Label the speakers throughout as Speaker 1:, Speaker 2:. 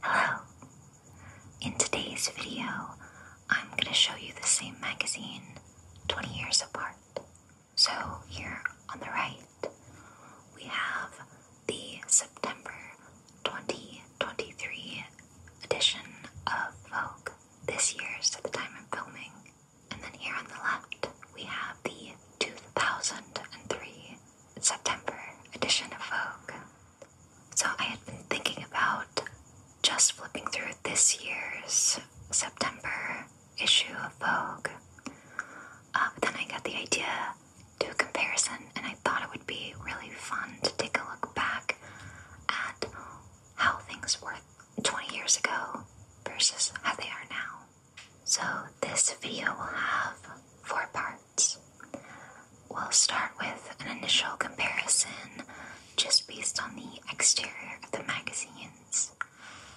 Speaker 1: Hello! In today's video, I'm going to show you the same magazine 20 years apart. So, here on the right, we have the September 2023 edition of Vogue, this year, at the time of filming. And then here on the left, we have the 2003 September edition of Vogue. So I had been thinking about just flipping through this year's September issue of Vogue. Uh, then I got the idea to a comparison, and I thought it would be really fun to take a look back at how things were 20 years ago versus how they are now. So, this video will have four parts we'll start with an initial comparison just based on the exterior of the magazines.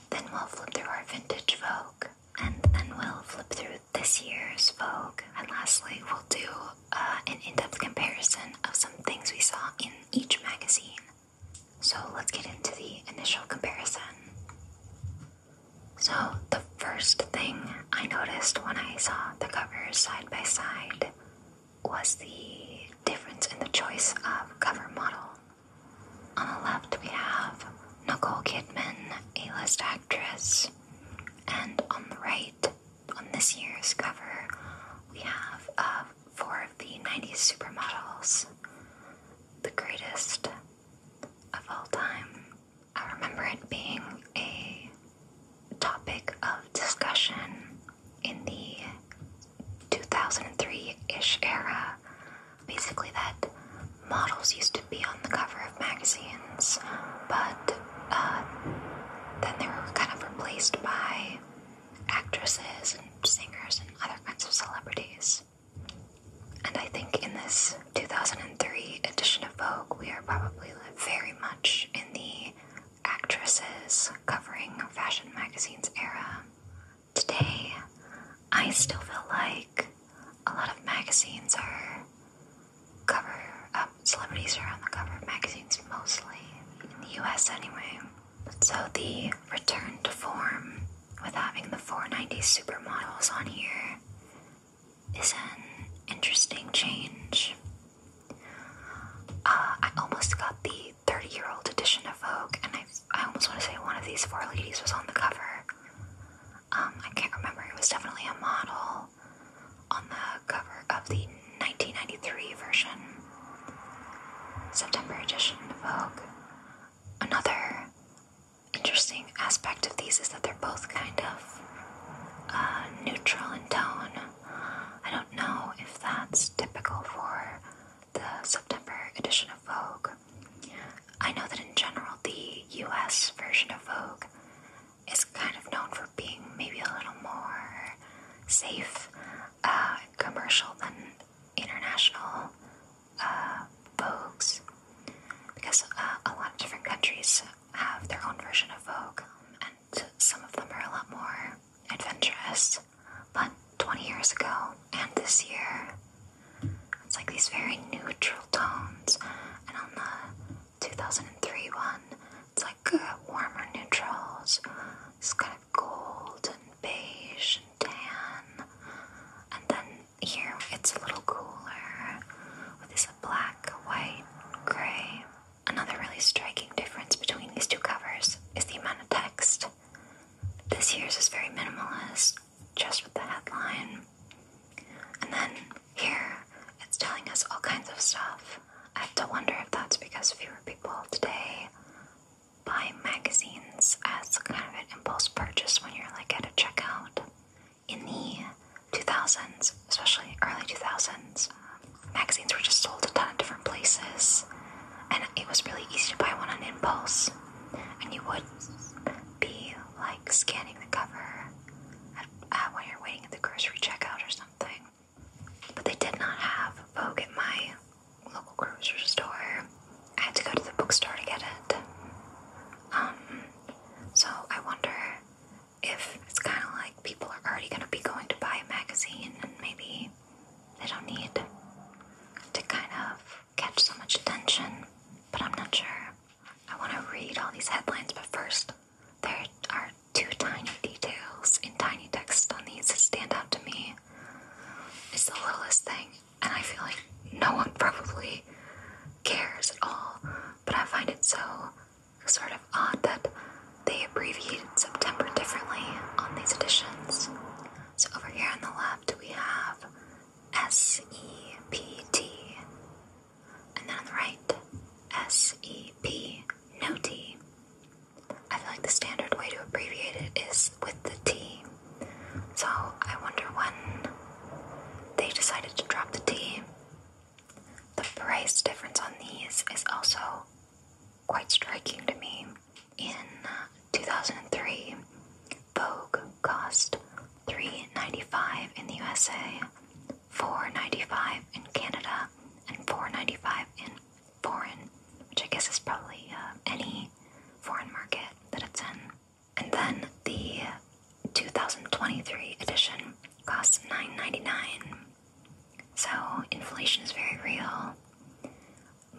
Speaker 1: Then we'll flip through our vintage Vogue, and then we'll flip through this year's Vogue, and lastly, we'll do uh, an in depth comparison of some things we saw in each magazine. So let's get into the initial comparison. So, the first thing I noticed when I saw the covers side by side was the difference in the choice of cover model. On the left, we have Nicole Kidman, a list actress, and on the right, on this year's cover, we have uh, four of the 90s supermodels, the greatest of all time I remember it being a topic of discussion in the 2003 ish era. Basically, that models used to be on the cover of magazines, but uh, then they were kind of replaced by actresses and singers and other kinds of celebrities. And I think in this 2003 edition of Vogue, we are probably very much in the actresses covering fashion magazines era. Today, I still feel like a lot of magazines are cover um, celebrities are on the cover of magazines mostly, in the US anyway. So the return to form with having the 490 supermodels on here is an interesting change. Uh, I almost got the 30 year old edition of Vogue, and I, I almost want to say one of these four ladies was on the cover. Um, I can't remember, it was definitely a model on the cover of the 1993 version, September edition of Vogue. Another interesting aspect of these is that they're both kind of uh, neutral in tone. I don't know if that's typical for the September edition of Vogue. I know that in general the US version of Vogue is kind of known for being maybe a little more safe, uh, commercial than international uh, because uh, a lot of different countries have their own version of Vogue, some of them are a lot more adventurous. But 20 years ago and this year, it's like these very neutral tones. And on the 2003 one, it's like uh, warmer neutrals. It's kind of gold and beige and tan. And then here it's a little cooler with this black, white, gray. Another really striking difference between these two covers is the amount of text. This year's is very minimalist, just with the headline. And then here, it's telling us all kinds of stuff. I have to wonder if that's because fewer people today buy magazines as kind of an impulse purchase when you're like at a checkout. In the 2000s, especially early 2000s, magazines were just sold a ton of different places, and it was really easy to buy one on impulse. And you would be like scanning the cover at, when you're waiting at the grocery checkout or something. But they did not have Vogue at my local grocery store. I had to go to the bookstore to get it. Um, so I wonder if it's kind of like people are already going to be going to buy a magazine and maybe they don't need to kind of catch so much attention, but I'm not sure. I want to read all these headlines, but first, there are two tiny details in tiny text on these that stand out to me. It's the littlest thing, and I feel like no one probably cares at all, but I find it so sort of odd that they abbreviated September differently on these editions. So over here on the left we have S E P T, and then on the right S E P no T. I feel like the standard way to abbreviate it is with the T. So I wonder when they decided to drop the T. The price difference on these is also quite striking to me. In uh, 2003, Vogue cost 3.95 dollars in the USA, 4.95 dollars in Canada, and 4.95 dollars in foreign, which I guess is probably uh, any foreign market that it's in. And then the 2023 edition costs 9.99. dollars so, inflation is very real.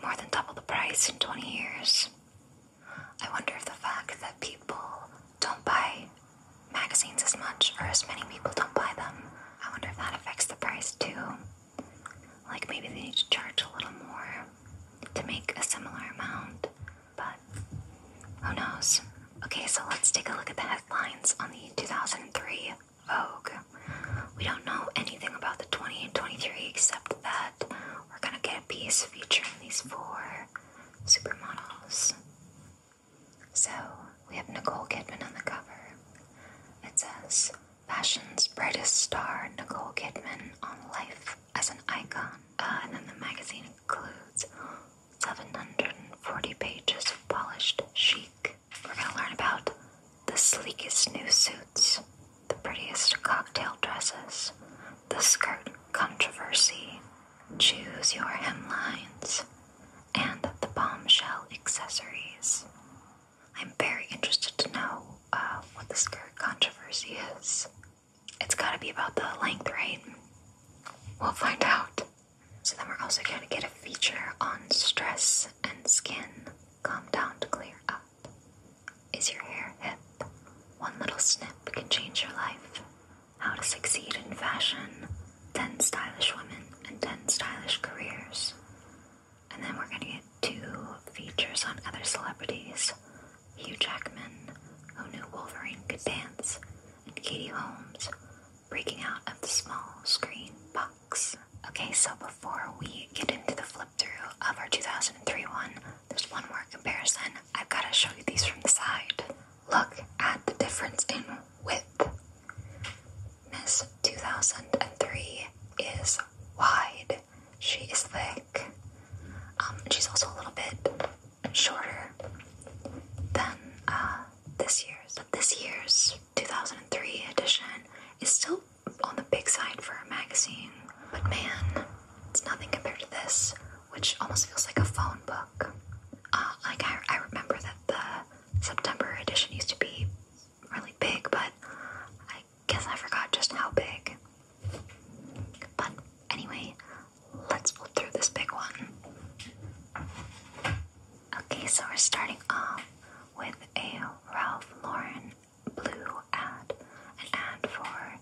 Speaker 1: More than double the price in 20 years. I wonder if the fact that people don't buy magazines as much, or as many people don't buy them, I wonder if that affects the price too. Like maybe they need to charge a little more to make a similar amount, but who knows? Okay, so let's take a look at the headlines on the 2003 Vogue. We don't know anything about the twenty and twenty three except that we're gonna get a piece featuring these four supermodels. So we have Nicole Kidman on the cover. It says, Fashion's brightest star, Nicole Kidman, on life as an icon. Uh, and then the magazine includes 740 pages of polished chic. We're going to learn about the sleekest new suits, the prettiest cocktail dresses, the skirt controversy, choose your hemlines, and the bombshell accessories. I'm very interested to know uh, what the skirt controversy is. It's got to be about the length, right? We'll find out. So then we're also going to get a feature on stress and skin. Calm down to clear up. Is your hair hip? One little snip can change your life. How to succeed in fashion. 10 stylish women and 10 stylish careers. And then we're going to get two features on other celebrities Hugh Jackman, who knew Wolverine could dance, and Katie Holmes, breaking out of the small screen box. Okay, so before we get into the flip through of our 2003 one, there's one more comparison. I've got to show you these from the side. Look at the difference in width. Miss 2003 is wide, she is thick. Um, she's also a little bit shorter than uh, this year's. But this year's 2003 edition is still on the big side for a magazine, but man, it's nothing compared to this, which almost feels like a phone book. Uh, like, I, remember that the September edition used to be really big, but I guess I forgot just how big. But anyway, let's flip through this big one. Okay, so we're starting off with a Ralph Lauren blue ad, an ad for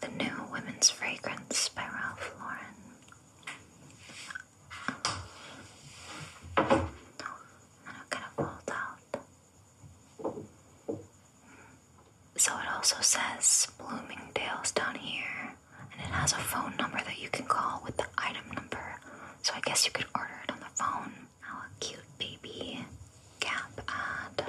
Speaker 1: the new women's fragrance by Ralph Lauren. And I'm gonna fold out. So it also says Bloomingdale's down here, and it has a phone number that you can call with the item number. So I guess you could order it on the phone. How cute baby Gap ad.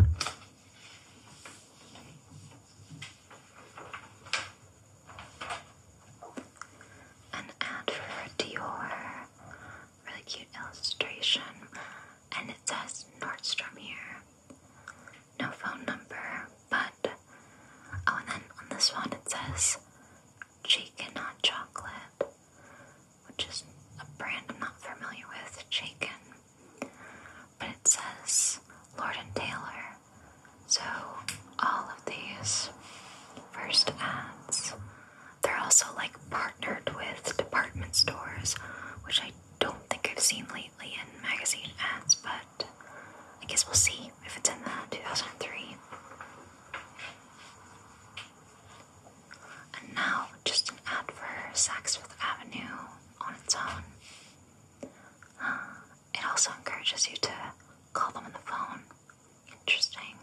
Speaker 1: An ad for Dior. Really cute illustration. And it says Nordstrom here. No phone number, but. Oh, and then on this one it says chicken, not chocolate, which is a brand I'm not familiar with, chicken. But it says Lord and Taylor. So all of these first ads, they're also like partnered with department stores, which I don't think I've seen lately in magazine ads, but I guess we'll see if it's in the 2003. And now, just an ad for Saks Fifth Avenue on its own. Uh, it also encourages you to call them on the phone. Interesting.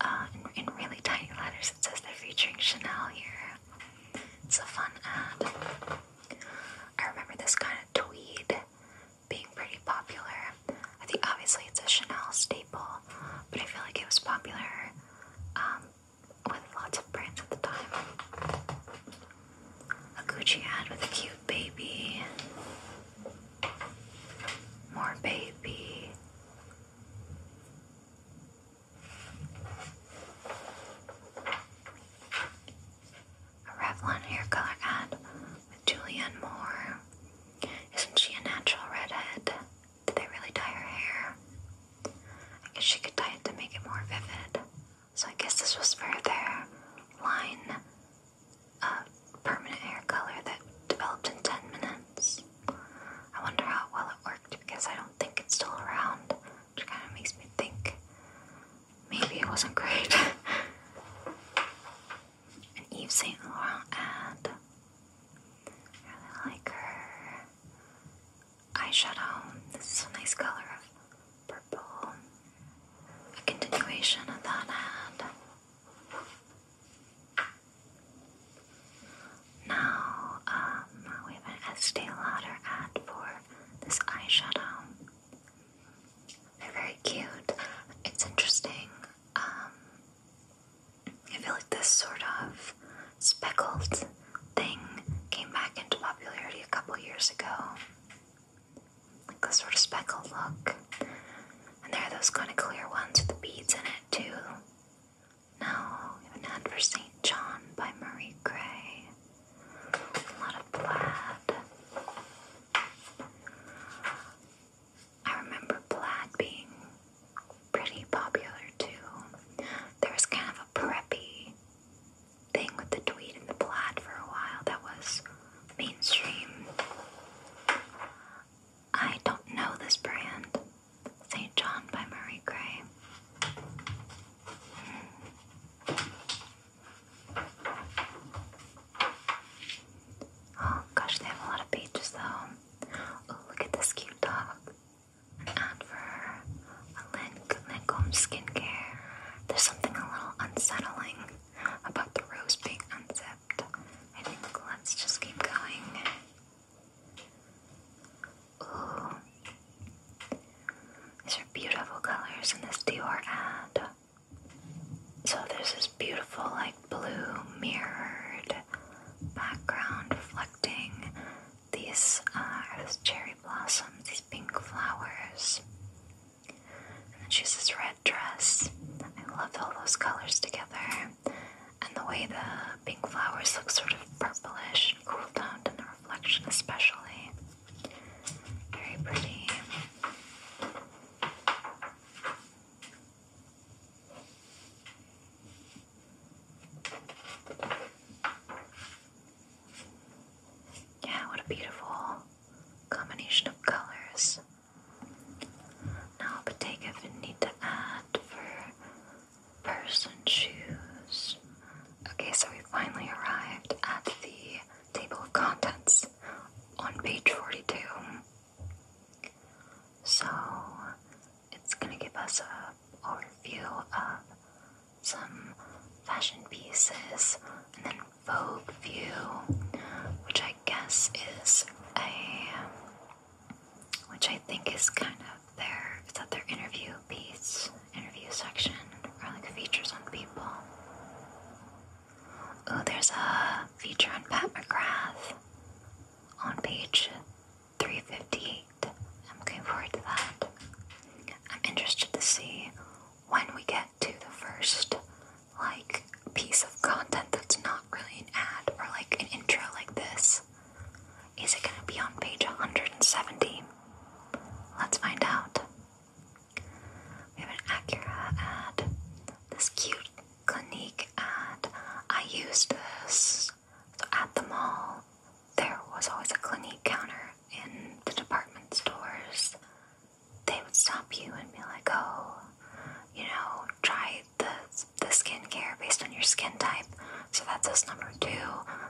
Speaker 1: Uh, in, in really tiny letters, it says they're featuring Chanel here. It's a fun ad. I remember this kind of tweed being pretty popular. I think obviously it's a Chanel staple, but I feel like it was popular um, with lots of brands at the time. Gucci ad with a cute baby. More baby a Revlon hair color ad with Julianne Moore. Isn't she a natural redhead? Did they really dye her hair? I guess she could dye it to make it more vivid. So I guess this was for their line of permanent hair color that developed in 10 minutes. I wonder how well it worked because I don't think it's still around, which kind of makes me think maybe it wasn't great. Eve Saint Laurent ad. I really like her eyeshadow. This is a nice color of purple. A continuation of that ad. Now, um, we have an Estee Lauder ad for this eyeshadow. They're very cute. It's interesting. Um, I feel like this sort of speckled thing came back into popularity a couple years ago. Like the sort of speckled look. And there are those kind of clear ones with the beads in it too. Now an ad for St. John by Marie Gray. A lot of plaid. I remember plaid being pretty popular too. There was kind of a preppy thing with the tweed and the plaid for a while that was mainstream. I don't know this brand. St. John by Murray Gray. Oh gosh, they have a lot of pages though. Oh, look at this cute dog. An ad for a Lancome skincare. There's something a little unsettling about the rose being unzipped. I think let's just keep going. Ooh. These are beautiful colors in this Dior ad. So there's this beautiful, like, blue mirrored background reflecting these uh, earth cherry blossoms, these pink flowers. And then she has this red dress. I love all those colors together. And the way the pink flowers look sort of purplish and cool toned in the reflection, especially. Very pretty. Yeah, what a beautiful combination of colors. Now, I'll need to add for person shoes. Okay, so we finally arrived at the table of contents on page 42. So it's going to give us a overview of some fashion pieces and then Vogue View, which I guess is a which I think is kind of their is that their interview piece, interview section, or like features on people. Oh, there's a feature on Pat McGrath on page 358. I'm looking forward to that. I'm interested to see when we get to the first like piece of content that's not really an ad or like an intro like this. Is it gonna be on page 170? Let's find out. We have an Acura ad. This cute clinique and I used this at the mall. There was always a clinique counter in the department stores. They would stop you and be like, oh, you know, try the, the skincare based on your skin type. So that's us number two.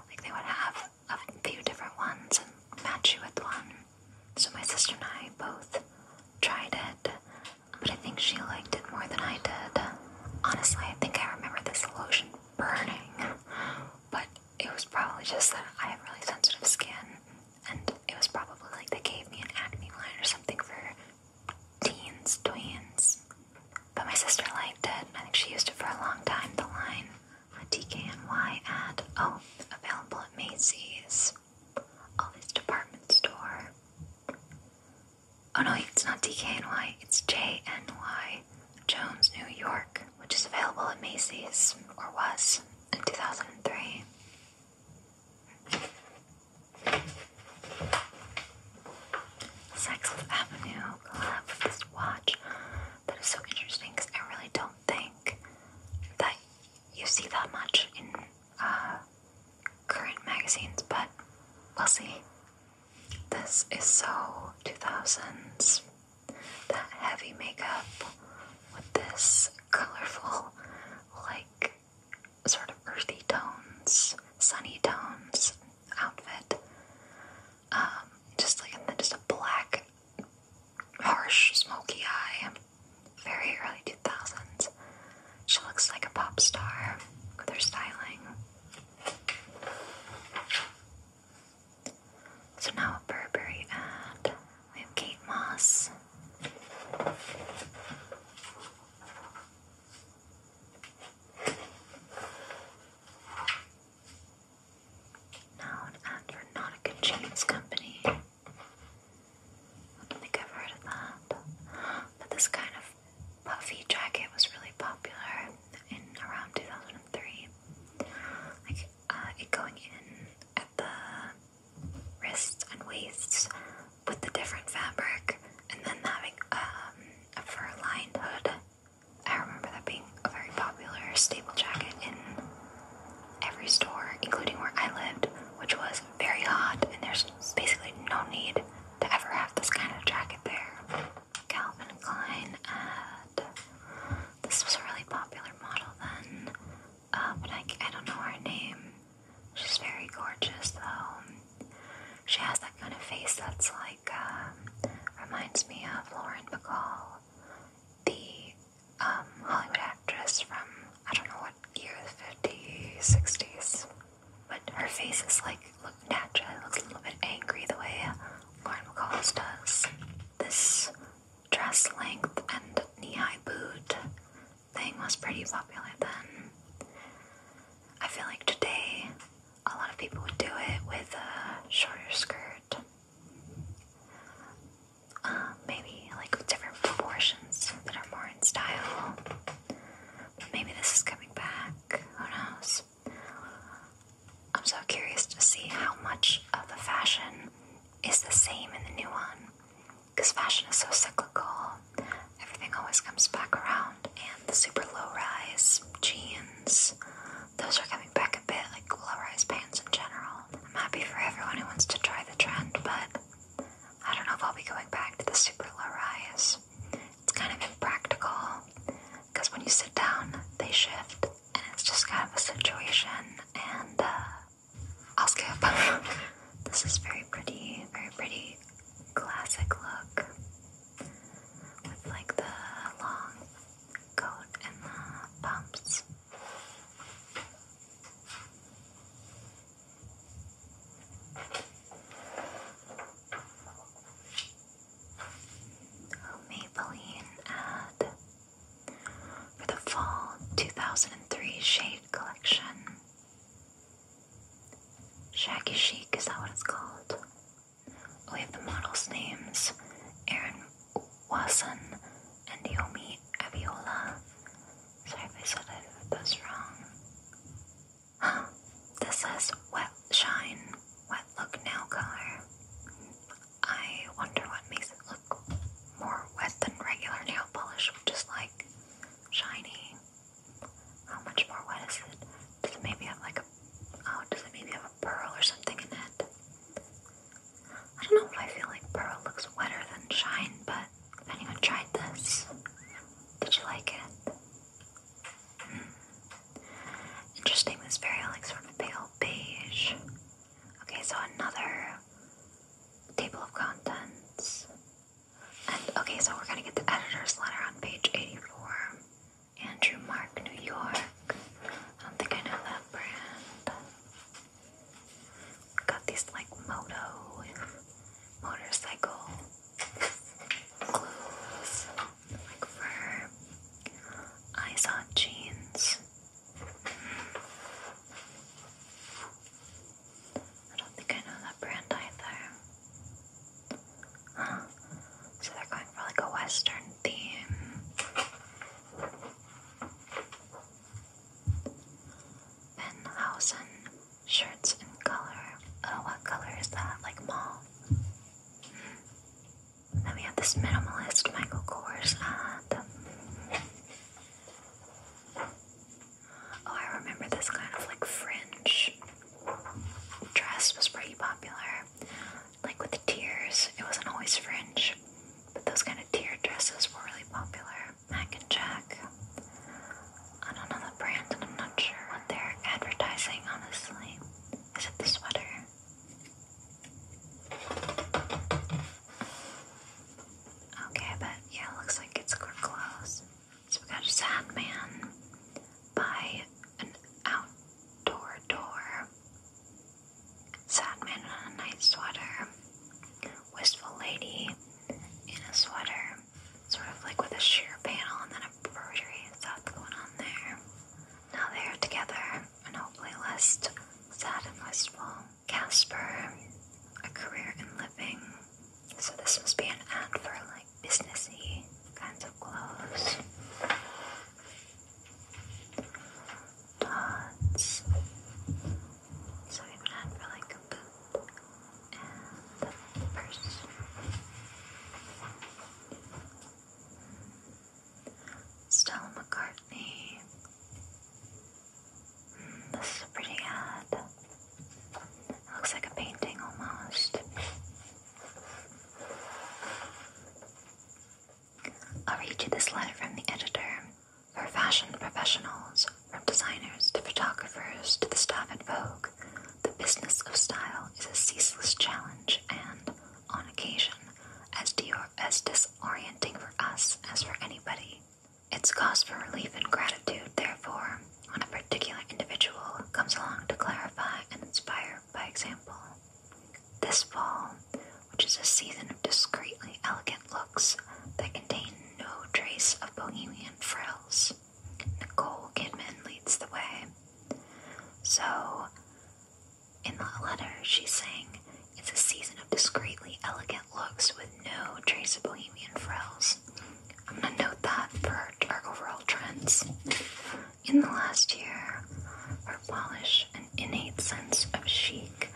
Speaker 1: Like they would have a few different ones and match you with one. So my sister and I both tried it but I think she liked it more than I did. Honestly, I think I remember this lotion burning, but it was probably just that I have really sensitive skin, and it was probably like they gave me an acne line or something for teens, tweens. But my sister liked it, and I think she used it for a long time. The line, a DKNY ad, oh, available at Macy's all these department store. Oh no, it's not DKNY, it's JNY, Jones, New York, which is available at Macy's, or was, in 2003. Saks Avenue collab this watch that is so interesting because I really don't think that you see that much in uh, current magazines, but we'll see. This is so 2000s. That heavy makeup with this colorful, like, sort of earthy tones, sunny tones outfit. Um, just like, and then just a black, harsh, smoky eye very early 2000s. She looks like a pop star with her styling. So now a Burberry ad. We have Kate Moss. Now an ad for Nautica Jeans Company. I think I've heard of that. But this kind of puffy jacket was really popular in around 2003. Like uh, it going in at the wrists and waists with the different fabric, and then having um, a fur-lined hood. I remember that being a very popular staple jacket in every store, including where I lived, which was very hot, and there's basically no need to ever have this kind of jacket there. Calvin Klein ad. This was a really popular model then, uh, but I, don't know her name. She's very gorgeous though. She has that kind of face that's like, um, reminds me of Lauren Bacall, the um, Hollywood actress from I don't know what year, the 50s, 60s. But her face is like looking natural. It looks a little bit angry the way Lauren McCall's us. This dress length and knee high boot thing was pretty popular then. I feel like today a lot of people would do it with a shorter skirt. Uh, maybe like different proportions that are more style. But maybe this is coming back. Who knows? I'm so curious to see how much of the fashion is the same in the new one. Because fashion is so cyclical, everything always comes back around. And the super low rise jeans, those are coming back a bit, like low rise pants in general. I'm happy for everyone who wants to try the trend, but I don't know if I'll be going back to the super low rise. It's kind of impractical because when you sit down, they shift, and it's just kind of a situation. And uh, I'll skip. this is very pretty, very pretty, classic look with like the long coat and the pumps. Oh, Maybelline ad for the fall 2003 shade collection. Shaggy Chic, is that what it's called? Oh, we have the models' names Erin Wasson and Yomi Aviola. Sorry if I said it, wrong. Huh, this says wet shine, wet look nail color. I wonder what makes it look more wet than regular nail polish, just like shiny. How much more wet is it? Does it maybe have like a oh, does it maybe have a pearl or something in it? I don't know I feel like pearl looks wetter than shine, but if anyone tried this, did you like it? Interesting, this very like sort of pale beige. Okay, so another table of contents. And okay, so we're gonna get the editor's letter on page 84. Andrew Mark, New York. I don't think I know that brand got these like moto motorcycle clothes, like fur. I saw jeans. I don't think I know that brand either. Huh. So they're going for like a western theme. Benhausen Shirts in color. Oh, what color is that? Like mauve. Then we have this minimalist Michael Kors ad. Oh, I remember this kind of like fringe dress was pretty popular. Like with the tiers, it wasn't always fringe, but those kind of tiered dresses were really popular. I can check on another brand, and I'm not sure what they're advertising, honestly. Is it the sweater? Okay, but yeah, looks like it's good clothes. So we got a sad man by an outdoor door. Sad man in a night sweater. Wistful lady in a sweater sort of like with a sheer panel and then a broderie stuff going on there. Now they are together and hopefully less sad Casper, a career in living. So this must be an ad for like businessy kinds of clothes. Dots. So we have an ad the purse. Stella McCartney. Hmm, this is a pretty ad. It looks like a painting almost. I'll read you this letter from the editor for fashion professionals from designers to photographers to the staff at Vogue, the business of style is a ceaseless challenge and, on occasion, as, disorienting for us as for anybody. It's cause for relief and gratitude, therefore, when a particular individual comes along to clarify and inspire by example. This fall, which is a season of discreetly elegant looks that contain no trace of bohemian frills, Nicole Kidman leads the way. So, in the letter, she's saying it's a season of discreetly elegant looks with no trace of bohemian frills. I'm gonna note that for our overall trends. In the last year, her polish and innate sense of chic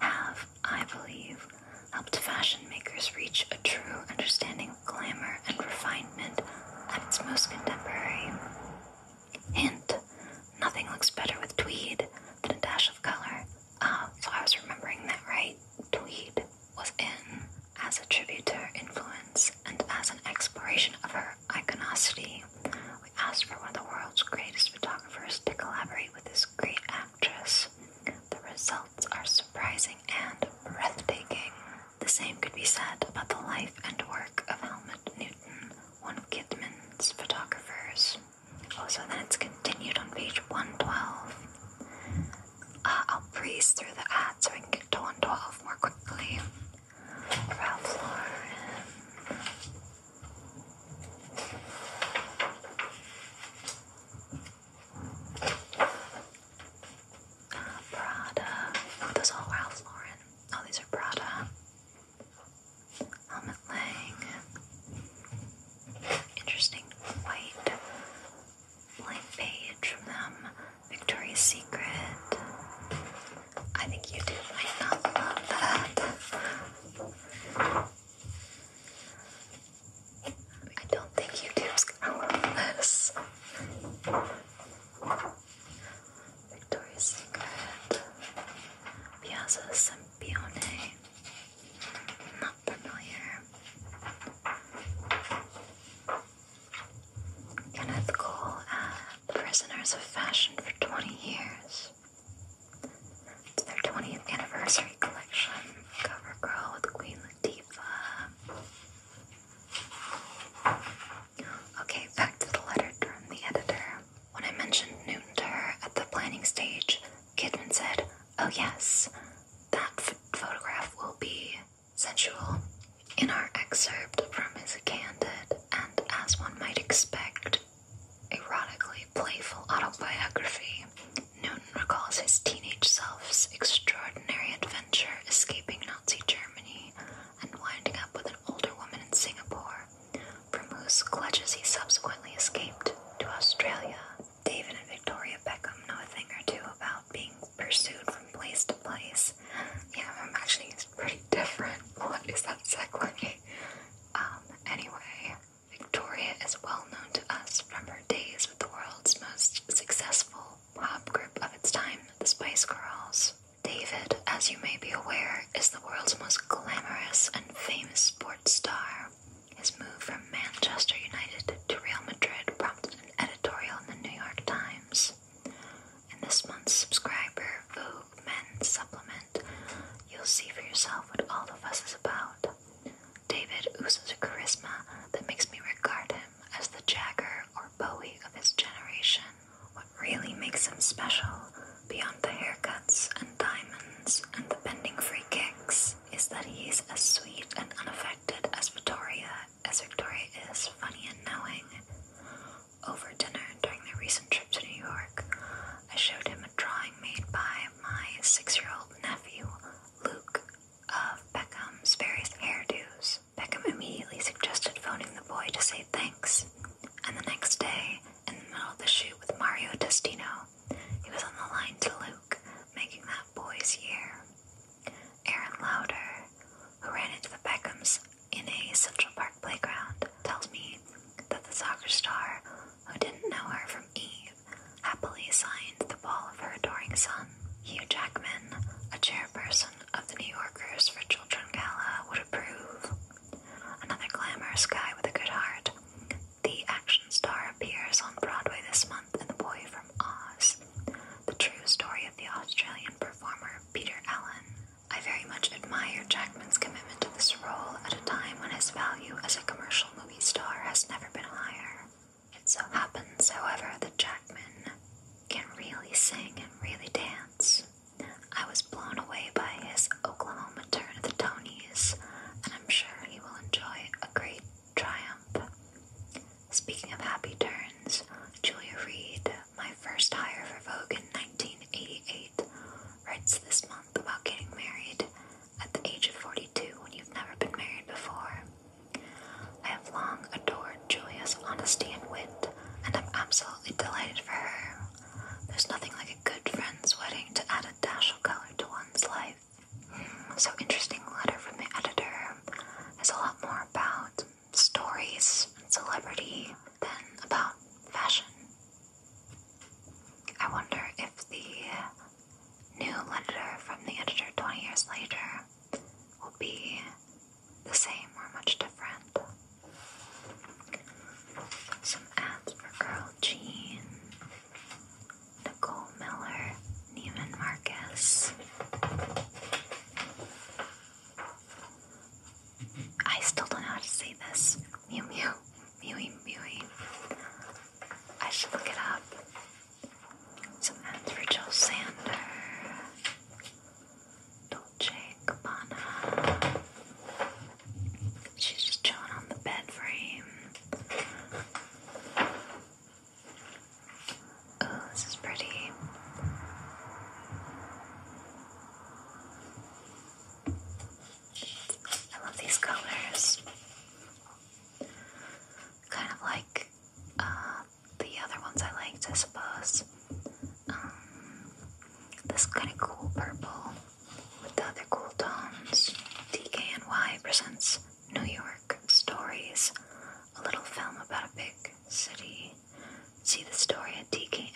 Speaker 1: have, I believe, helped fashion makers reach a true understanding glamour, and refinement at its most contemporary. Hint nothing looks better with tweed than a dash of color. Ah, so I was remembering that right. Tweed was in as a tribute to her influence and as an exploration of her iconocity. We asked for one of the world's greatest photographers to collaborate with this great actress. The result are surprising and breathtaking. The same could be said about the life and work of Helmut Newton, one of Kidman's photographers. Also, so then it's continued on page 112. Uh, I'll breeze through the ad so I can get to 112 more quickly. Ralph Lauren. Prada. Oh, those all Ralph Lauren. Oh, these are Prada. Helmet Lang. Interesting white blank page from them. Victoria's Secret. I think YouTube might not love that. I don't think YouTube's gonna love this. Victoria's Secret. Piazza Sempione. Not familiar. Kenneth Cole at uh, Prisoners of Fashion for 20 years. It's their 20th anniversary collection. Cover with Queen Latifah. Okay, back to the letter from the editor. When I mentioned Newton to her at the planning stage, Kidman said, Oh, yes, that photograph will be sensual. In our excerpt from his candid and, as one might expect, erotically playful autobiography, Newton recalls his teenage self's extraordinary adventure escaping Nazi Germany and winding up with an older woman in Singapore, from whose clutches he subsequently escaped to Australia. David and Victoria Beckham know a thing or two about being pursued from place to place. Yeah, I'm actually pretty different. What is that segue? Um, anyway, Victoria is well known to us from her days with the world's most successful pop group of its time, the Spice Girls. David, as you may be aware, is the world's most glamorous and famous sports star. His move from Manchester United to Real Madrid prompted an editorial in the New York Times. In this month's subscriber Vogue Men supplement, you'll see for yourself what all the fuss is about. David oozes a charisma that makes me regard him as the Jagger or Bowie of his generation. What really makes him special, beyond the haircuts and diamonds and the bending free kicks, is that he's as sweet and unaffected as Victoria, as Victoria is funny and knowing. Over dinner during their recent trip to New York, I showed him a drawing made by my six year old nephew, Luke, of Beckham's various hairdos. Beckham immediately suggested phoning the boy to say thanks. And the next day, in the middle of the shoot with Mario Testino, he was on the line to Luke, making that boy's year. Aaron Lauder, who ran into the Beckhams in a Central Park playground, tells me that the soccer star, who didn't know her from Eve, happily signed the ball of her adoring son Hugh Jackman, a chairperson of the New Yorkers for Children Gala, would approve. Another glamorous guy with a good heart. The action star appears on Broadway this month in The Boy from Oz, the true story of the Australian performer Peter Allen. I very much admire Jackman's commitment to this role at a time when his value as a commercial movie star has never been higher. It so happens, however, that Jackman can really sing and really dance. I was blown away by his Oklahoma turn at the Tonys, and I'm sure he will enjoy a great triumph. Speaking of happy turns, Julia Reed, my first hire for Vogue in 1988, writes this month about getting married at the age of 42 when you've never been married before. I have long adored Julia's honesty and wit, and I'm absolutely delighted for her. There's nothing like a good friend's wedding to add a dash of color to one's life. Hmm, so, interesting letter from the editor. It's a lot more about stories and celebrity than about fashion. I wonder if the new editor from the editor 20 years later will be the same or much different. Some ads for Girl Jean, Nicole Miller, Neiman Marcus. I still don't know how to say this. Mew mew, mewing mewing. I should look it up. So that's for Jill Sander, Dolce Gabbana. She's just chilling on the bed frame. Oh, this is pretty. I love these colors. Kind of like uh, the other ones I liked, I suppose. Um, this kind of cool purple with the other cool tones. DKNY presents New York Stories, a little film about a big city. See the story at dkny.com.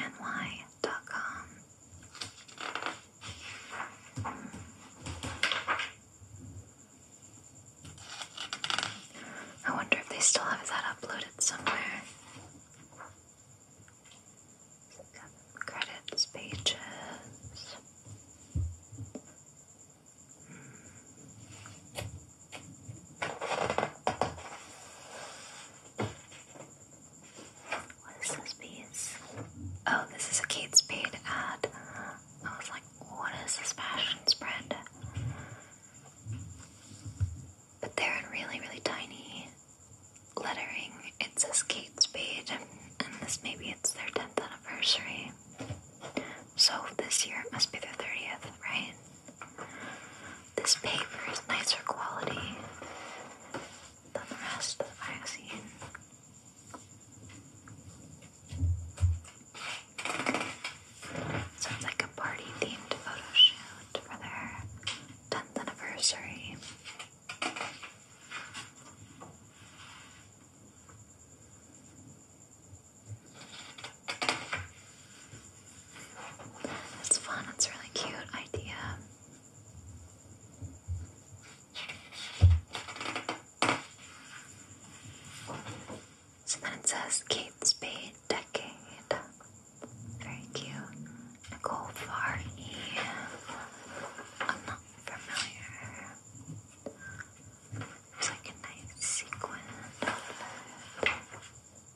Speaker 1: I wonder if they still have that uploaded somewhere. Credits, pages. What is this piece? Oh, this is a Kate Spade ad. I was like, what is this fashion spread? But they're in really, really tiny lettering. It says Kate Spade, and this maybe it's their 10th anniversary. So this year it must be their 30th, right? This paper is nicer quality than the rest of the magazine. So like a party themed photo shoot for their 10th anniversary. It's fun, it's a really cute idea. So then it says Kate Spade Decade. Very cute. Nicole Farhi. I'm not familiar. It's like a nice sequin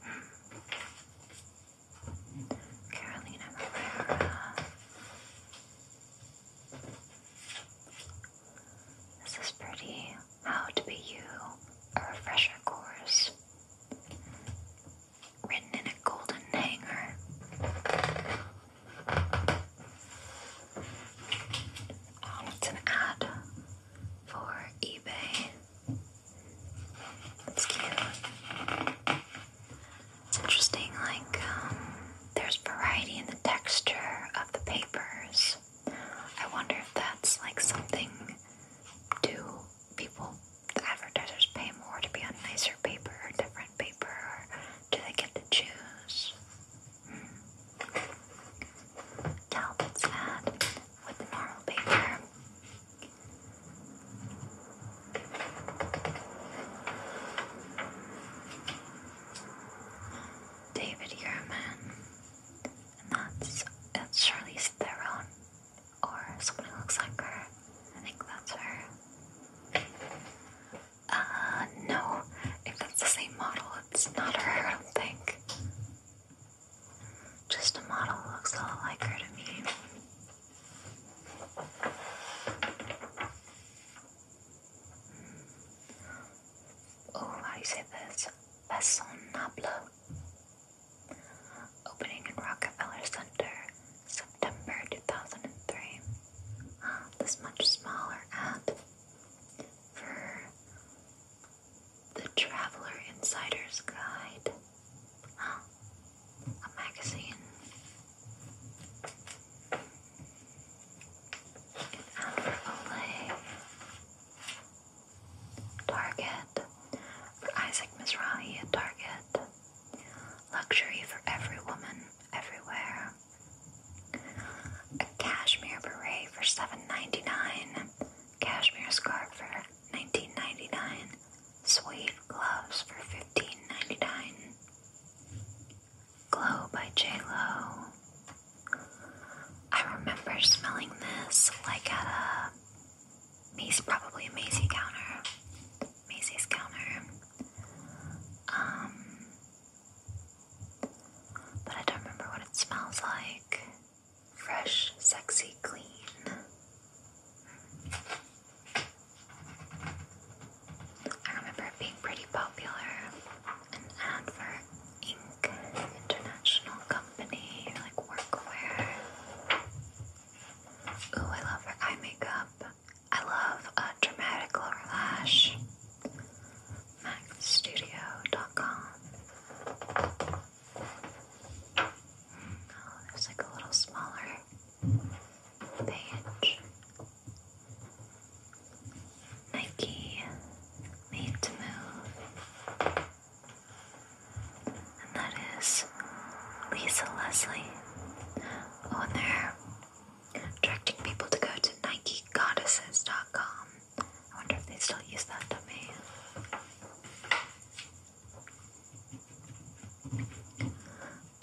Speaker 1: hmm. Carolina Herrera. This is pretty. How to Be You, a refresher course. Written in a golden hanger. Um, it's an ad for eBay. It's cute. It's interesting, like, um, there's variety in the texture of the papers. I wonder if that's like something do people, the advertisers, pay more to be on nicer paper or different paper, or do they get to choose? Hmm. Talbot's ad with the normal paper. David Yerman and that's it's Charlize Theron or someone who looks like her. I think that's her. Uh, no, if that's the same model, it's not her, I don't think. Just a model looks a lot like her to me. Hmm. Oh, how do you say Opening in Rockefeller Center, September 2003. this much smaller app for the Traveler Insider's Guide. a magazine. An ad Target. For Isaac Mizrahi at Target. Luxury for every woman, everywhere. A cashmere beret for $7.99. Cashmere scarf for $19.99. Suede gloves for $15.99. Glow by J Lo. I remember smelling this like at a um, Mace, probably a counter. Macy's counter. Um, but I don't remember what it smells like. Fresh, sexy, clean. I remember it being pretty popular. An ad Inc. International company, like workwear. Ooh, I love her eye makeup. I love a uh, dramatic lower lash. MacStudio.com. Oh, there's like a little smaller page. Nike, made to move. And that is Lisa Leslie. Oh, and they're directing people to go to NikeGoddesses.com. I wonder if they still use that domain.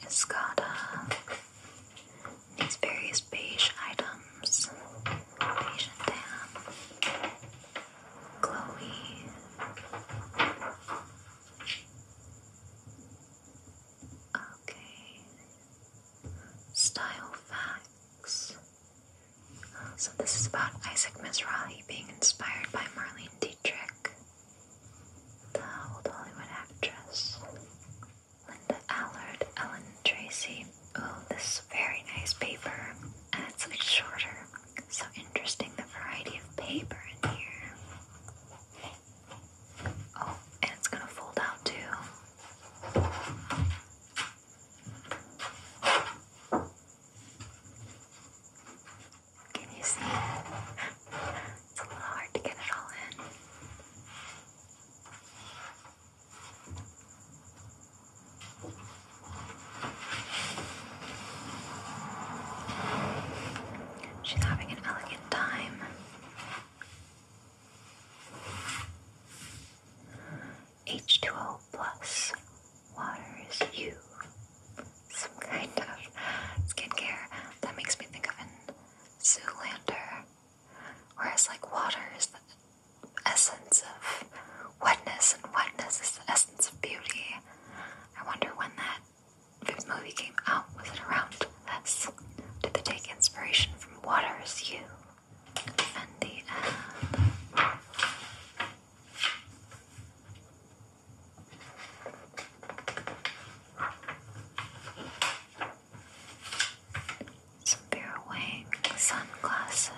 Speaker 1: Escada. Uh, these various beige items. Beige and Chloe. Okay. Style facts. So this is about Isaac Mizrahi being inspired by Marlene Dietrich, the old Hollywood actress. Linda Allard, Ellen Tracy. Oh, this is very nice paper, and it's a bit shorter. So interesting the variety of paper in here. Oh, and it's gonna fold out too. Can you see it? It's a little hard to get it all in. She's having an elegant time. H2O plus water is you. Some kind of skincare that makes me think of an Zoolander. Whereas, like, water is the essence of wetness, and wetness is the essence of beauty. I wonder when that movie came out. Was it around Did they take inspiration from Waters You? And the end. wing sunglasses.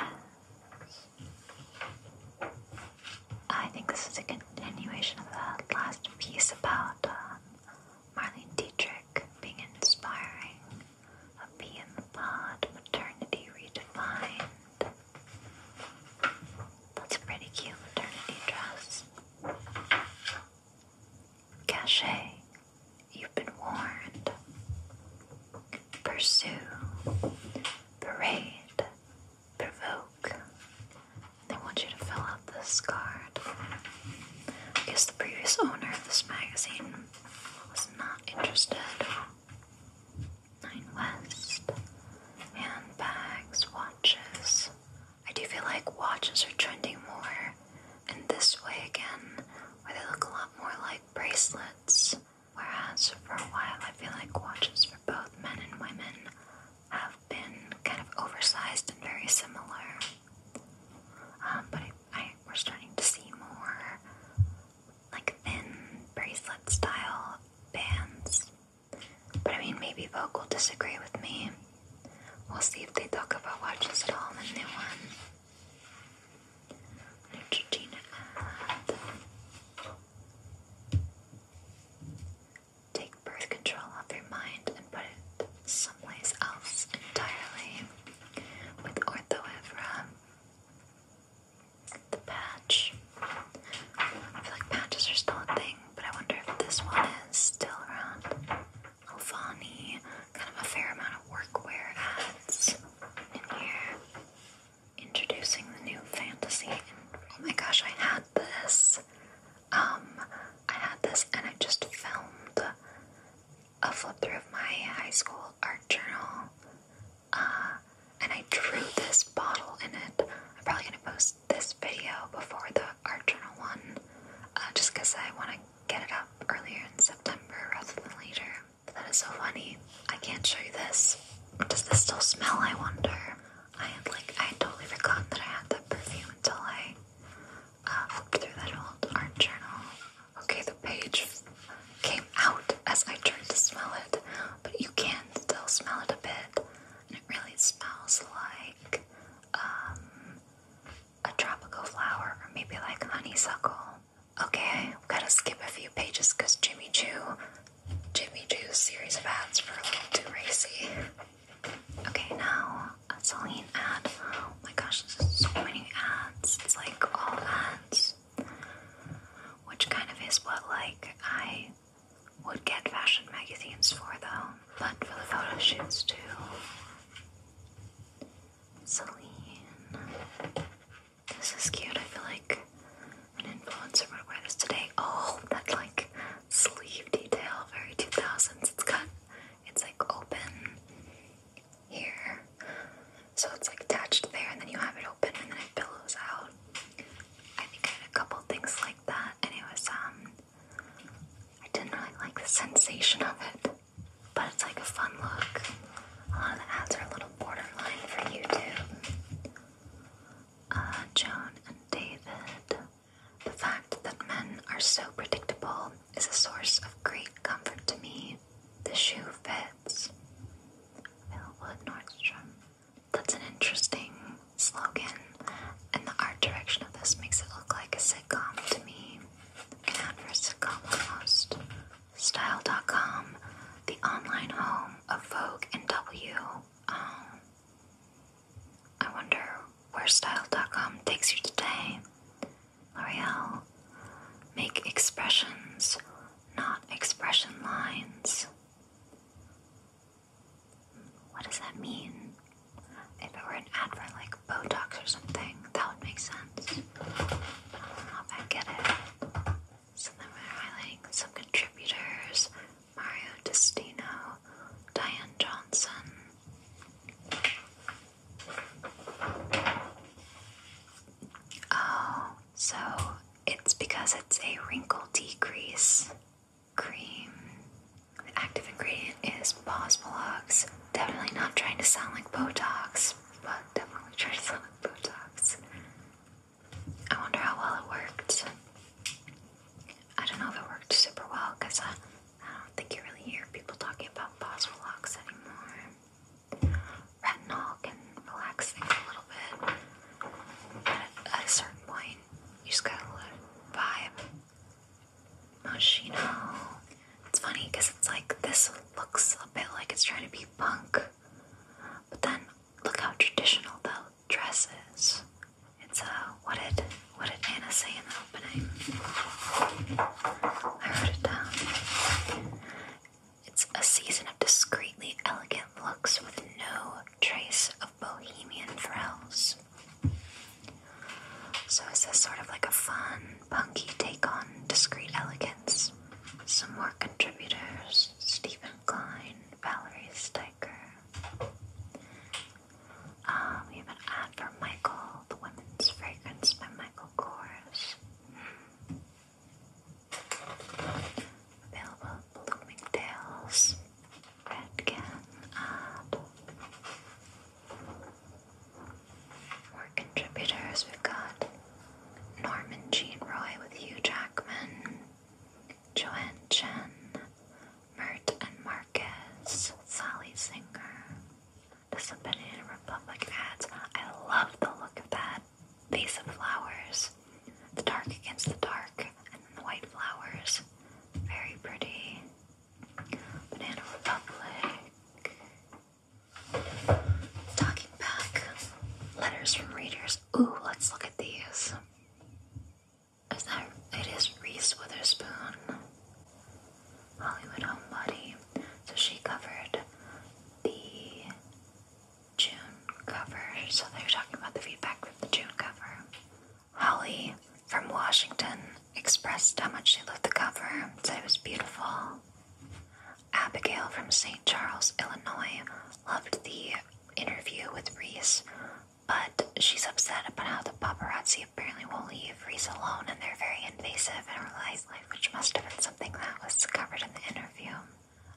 Speaker 1: I think this is a continuation of the last piece about uh, Marlene Dietrich being inspiring. A bee in the pod, maternity redefined. That's a pretty cute maternity dress. Cachet, you've been warned. Pursue, parade, provoke. They want you to fill out this card. I guess the previous owner of this magazine was not interested. Nine West. Handbags, watches. I do feel like watches are trending more in this way again, where they look a lot more like bracelets Whereas for a while I feel like watches for both men and women have been kind of oversized and very similar. Um, but I, I, we're starting to see more like thin bracelet style bands. But I mean, maybe Vogue will disagree with me. We'll see if they talk about watches at all in the new one. Neutrogena Take birth control off your mind and put it someplace else entirely with Orthoevra. The patch. I feel like patches are still a thing, but I wonder if this one is still around. Alvani, kind of a fair amount of workwear ads in here introducing the new fantasy. And oh my gosh, I had this. Um, I had this, and I just filmed a flip through of my high school art journal. Uh, and I drew this bottle in it. I'm probably gonna post this video before the art journal one, uh, just because I want to get it up earlier in September rather than later. But that is so funny. I can't show you this. Does this still smell, I wonder? I had like, I totally forgot that I had that perfume until I uh, flipped through that old art journal. Okay, the page came out as I tried to smell it, but you can still smell it a bit. And it really smells like um, a tropical flower or maybe like honeysuckle. Okay, I've got to skip a few pages because Jimmy Choo Jimmy Joo's series of ads for a little too racy. Okay, now Celine ad. Oh my gosh, so many ads. It's like all ads. Which kind of is what like I would get fashion magazines for though, but for the photo shoots too. Celine. This is cute. I feel like an influencer would wear this today. Oh, that like sleeve detail, very 2000s. It's cut. it's like open here. So it's like attached there and then you have it open and then it billows out. I think I had a couple things like that and it was, um, I didn't really like the sensation of it. But it's like a fun look. A lot of the ads are a little borderline for YouTube. Uh, Joan and David. The fact that men are so predictable is a source of great comfort to me. The shoe fits. Millwood Nordstrom. That's an interesting slogan, and the art direction of this makes it look like a sitcom to me. An ad for a sitcom almost. Style.com, the online home of Vogue and W, um, I wonder where style.com takes you today. L'Oreal, make expressions, not expression lines. What does that mean? If it were an ad for like Botox or something, that would make sense. I do get it. So then we're highlighting some contributors Mario Destino, Diane Johnson. Oh, so it's because it's a wrinkle decrease cream. The active ingredient is Bosmolox. Definitely not trying to sound like Botox, but definitely trying to sound like Botox. I wonder how well it worked. I don't know if it worked super well because I, don't think you really hear people talking about Boswell locks anymore. Retinol can relax things a little bit. At, at a certain point, you just gotta vibe. Moschino. It's funny because it's like this looks a bit like it's trying to be punk, but then look how traditional that dresses. It's uh, what did what did Anna say in the opening? I wrote it down. It's a season of discreetly elegant looks with no trace of bohemian thrills. So is this sort of like a fun, punky take on discreet elegance? Some more contributors: Stephen Klein, Valerie Stipe. Um, we have an ad for Michael, the Women's Fragrance by Michael Kors. Available at Bloomingdale's. Redken ad. contributors. We've got Norman Jean Roy with Hugh Jackman. Joanne Chen, Mert and Marcus, Sally Singer, the Dominican Republic ads. I love the look of that. Vase of flowers. The dark against the dark, and then the white flowers. Very pretty. Banana Republic. Talking back. Letters from readers. Ooh, let's look at these. Is that it is Reese Witherspoon, Hollywood homebody. So she covered the June cover. So they were talking about the feedback from the June cover. Holly from Washington expressed how much she loved the cover, said it was beautiful. Abigail from St. Charles, Illinois loved the interview with Reese, but she's upset about how the paparazzi apparently won't leave Reese alone and they're very invasive in her life, which must have been something that was covered in the interview.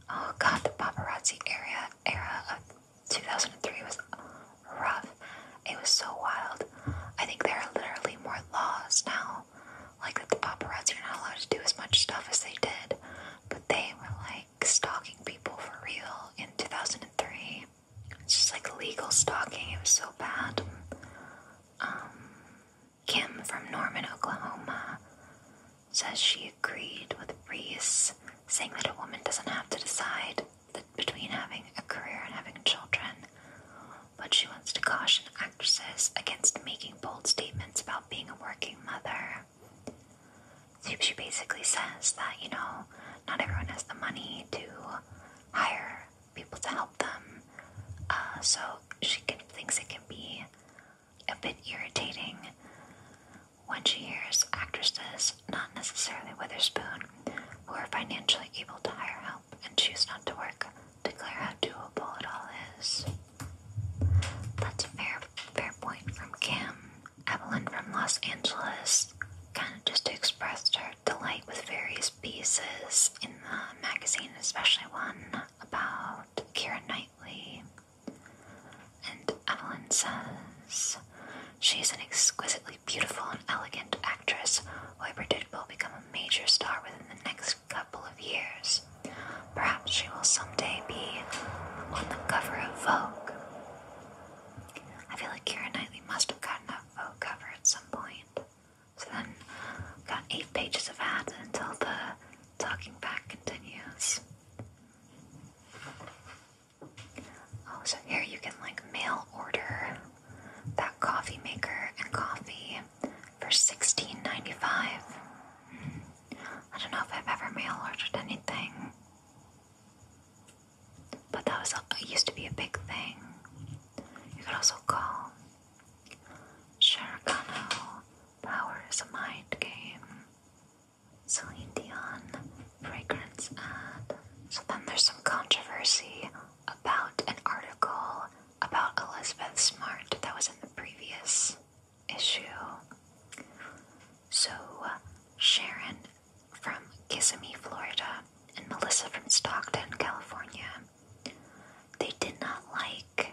Speaker 1: Oh god, the paparazzi era, era of 2003 was rough. It was so wild. I think there are literally more laws now, like that the paparazzi are not allowed to do as much stuff as they did, but they were like, stalking people for real in 2003. It's just like legal stalking. It was so bad. Um, Kim from Norman, Oklahoma says she agreed with Reese, saying that a woman doesn't have to decide between having a career and having children, but she wants to caution actresses against making bold statements about being a working mother. So she basically says that, you know, not everyone has the money to hire people to help them. Uh, so she thinks it can be a bit irritating when she hears actresses, not necessarily Witherspoon, who are financially able to hire help and choose not to work, declare how doable it all is. That's a fair, fair point from Kim. Evelyn from Los Angeles kind of just expressed her delight with various pieces in the magazine, especially one about Kira Knightley. And Evelyn says, She's an exquisitely beautiful and elegant actress who I predict will become a major star within the next couple of years. Perhaps she will someday be on the cover of Vogue. I feel like Kira Knightley must have gotten that vote cover at some point. So then got eight pages of ads until the talking back continues. Oh, so here you can like mail order that coffee maker and coffee for sixteen ninety five. Hmm. I don't know if I've ever mail ordered anything. But that was used to be a big thing. You could also call Sharkano Power is a mind game. Celine Dion fragrance ad. So then there's some controversy about an article about Elizabeth Smart that was in the previous issue. So Sharon from Kissimmee, Florida, and Melissa from Stockton, California. They did not like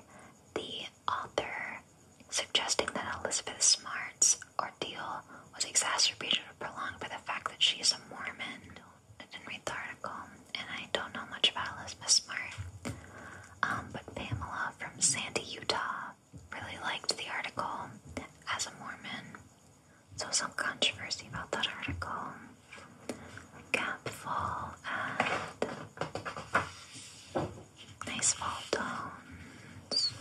Speaker 1: the author suggesting that Elizabeth Smart's ordeal was exacerbated or prolonged by the fact that she is a Mormon. I didn't read the article, and I don't know much about Elizabeth Smart. Um, but Pamela from Sandy, Utah really liked the article as a Mormon. So some controversy about that article. Cap and nice fall tones.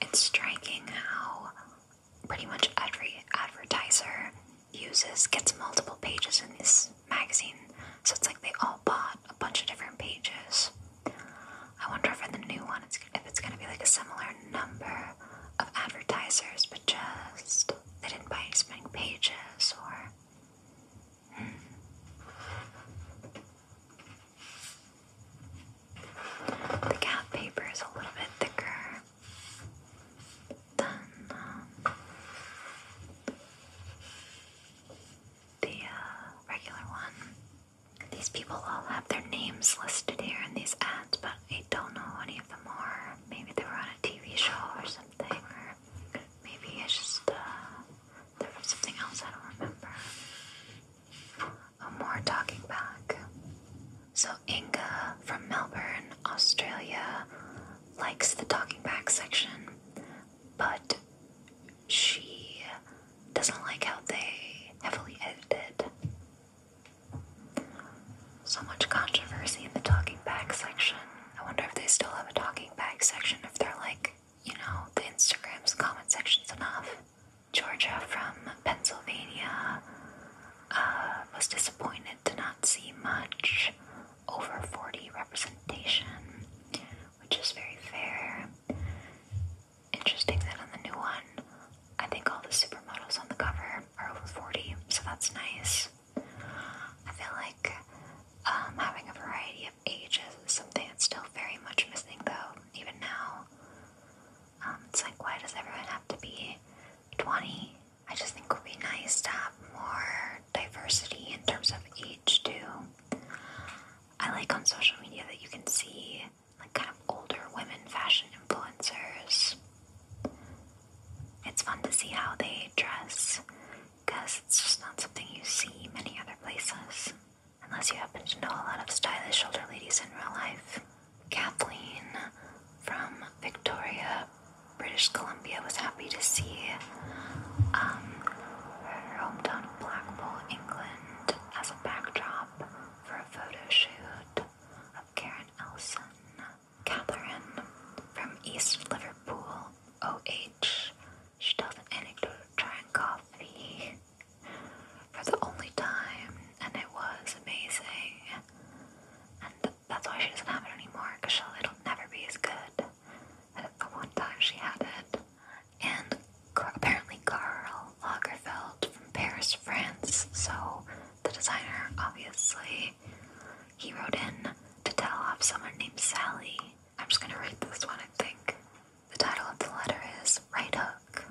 Speaker 1: It's striking how pretty much every advertiser uses gets multiple pages in this magazine, so it's like they all bought a bunch of different pages. I wonder if for the new one, it's, if it's gonna be like a similar number of advertisers, but just they didn't buy as many pages, or. Hmm. The gap paper is a little bit thicker than um, the uh, regular one. These people all have their names listed here in these ads, but I don't know any of them are. Maybe they were on a TV show or something, or maybe it's just uh, something else I don't remember. Oh, more talking back. So Inga from Melbourne, Australia, likes the talking back section but she doesn't like how they heavily edited. So much controversy in the talking back section. I wonder if they still have a talking back section, if they're like, you know, the Instagram's comment section's enough. Georgia from Pennsylvania uh, was disappointed to not see much over 40 representation, which is very fair. Interesting that on the new one, I think all the supermodels on the cover are over 40, so that's nice. I feel like um, having a variety of ages is something that's still very much missing, though, even now. Um, it's like, why does everyone have to be 20? I just think it would be nice to have more diversity in terms of age age too. I like on social media that you can see like kind of older women fashion influencers. It's fun to see how they dress because it's just not something you see many other places. Unless you happen to know a lot of stylish older ladies in real life. Kathleen from Victoria, British Columbia. Columbia was happy to see um, her hometown Blackpool, England, as a backdrop for a photo shoot of Karen Elson. Catherine from East Liverpool, OH, she tells an anecdote trying coffee for the only time, and it was amazing. And that's why she doesn't have it anymore, because it'll never be as good the one time she had it. And apparently Carl Lagerfeld from Paris, France, so the designer, obviously, he wrote in to tell off someone named Sally. I'm just gonna read this one, I think. The title of the letter is Right Hook.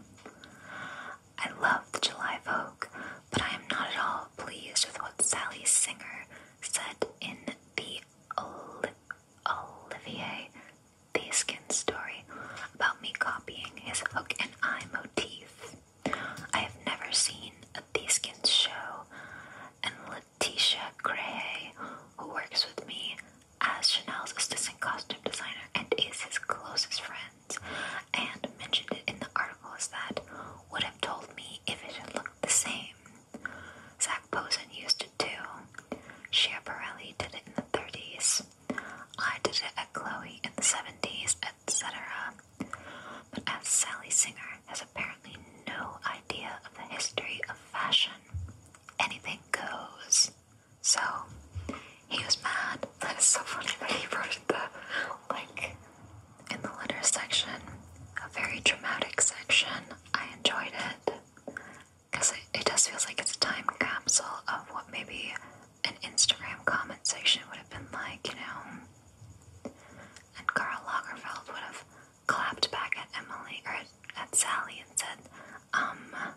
Speaker 1: I love the July Vogue, but I am not at all pleased with what Sally Singer said in the old. Olivier Theskin's story about me copying his hook and eye motif. I have never seen a Theskin show, and Letitia Gray, who works with me as Chanel's assistant costume designer and is his closest friend, and mentioned it in the articles that would have told me if it had looked the same. Zach Posen used to do. Schiaparelli did it in the 30s. I did it at Chloe in the 70s, etc. But as Sally Singer has apparently no idea of the history of fashion, anything goes. So he was mad. That is so funny that he wrote the like in the letter section, a very dramatic section. I enjoyed it. Because it, it does feel like it's a time capsule of what maybe an Instagram comment section would have been like, you know. And Carl Lagerfeld would have clapped back at Emily or at, Sally and said, um,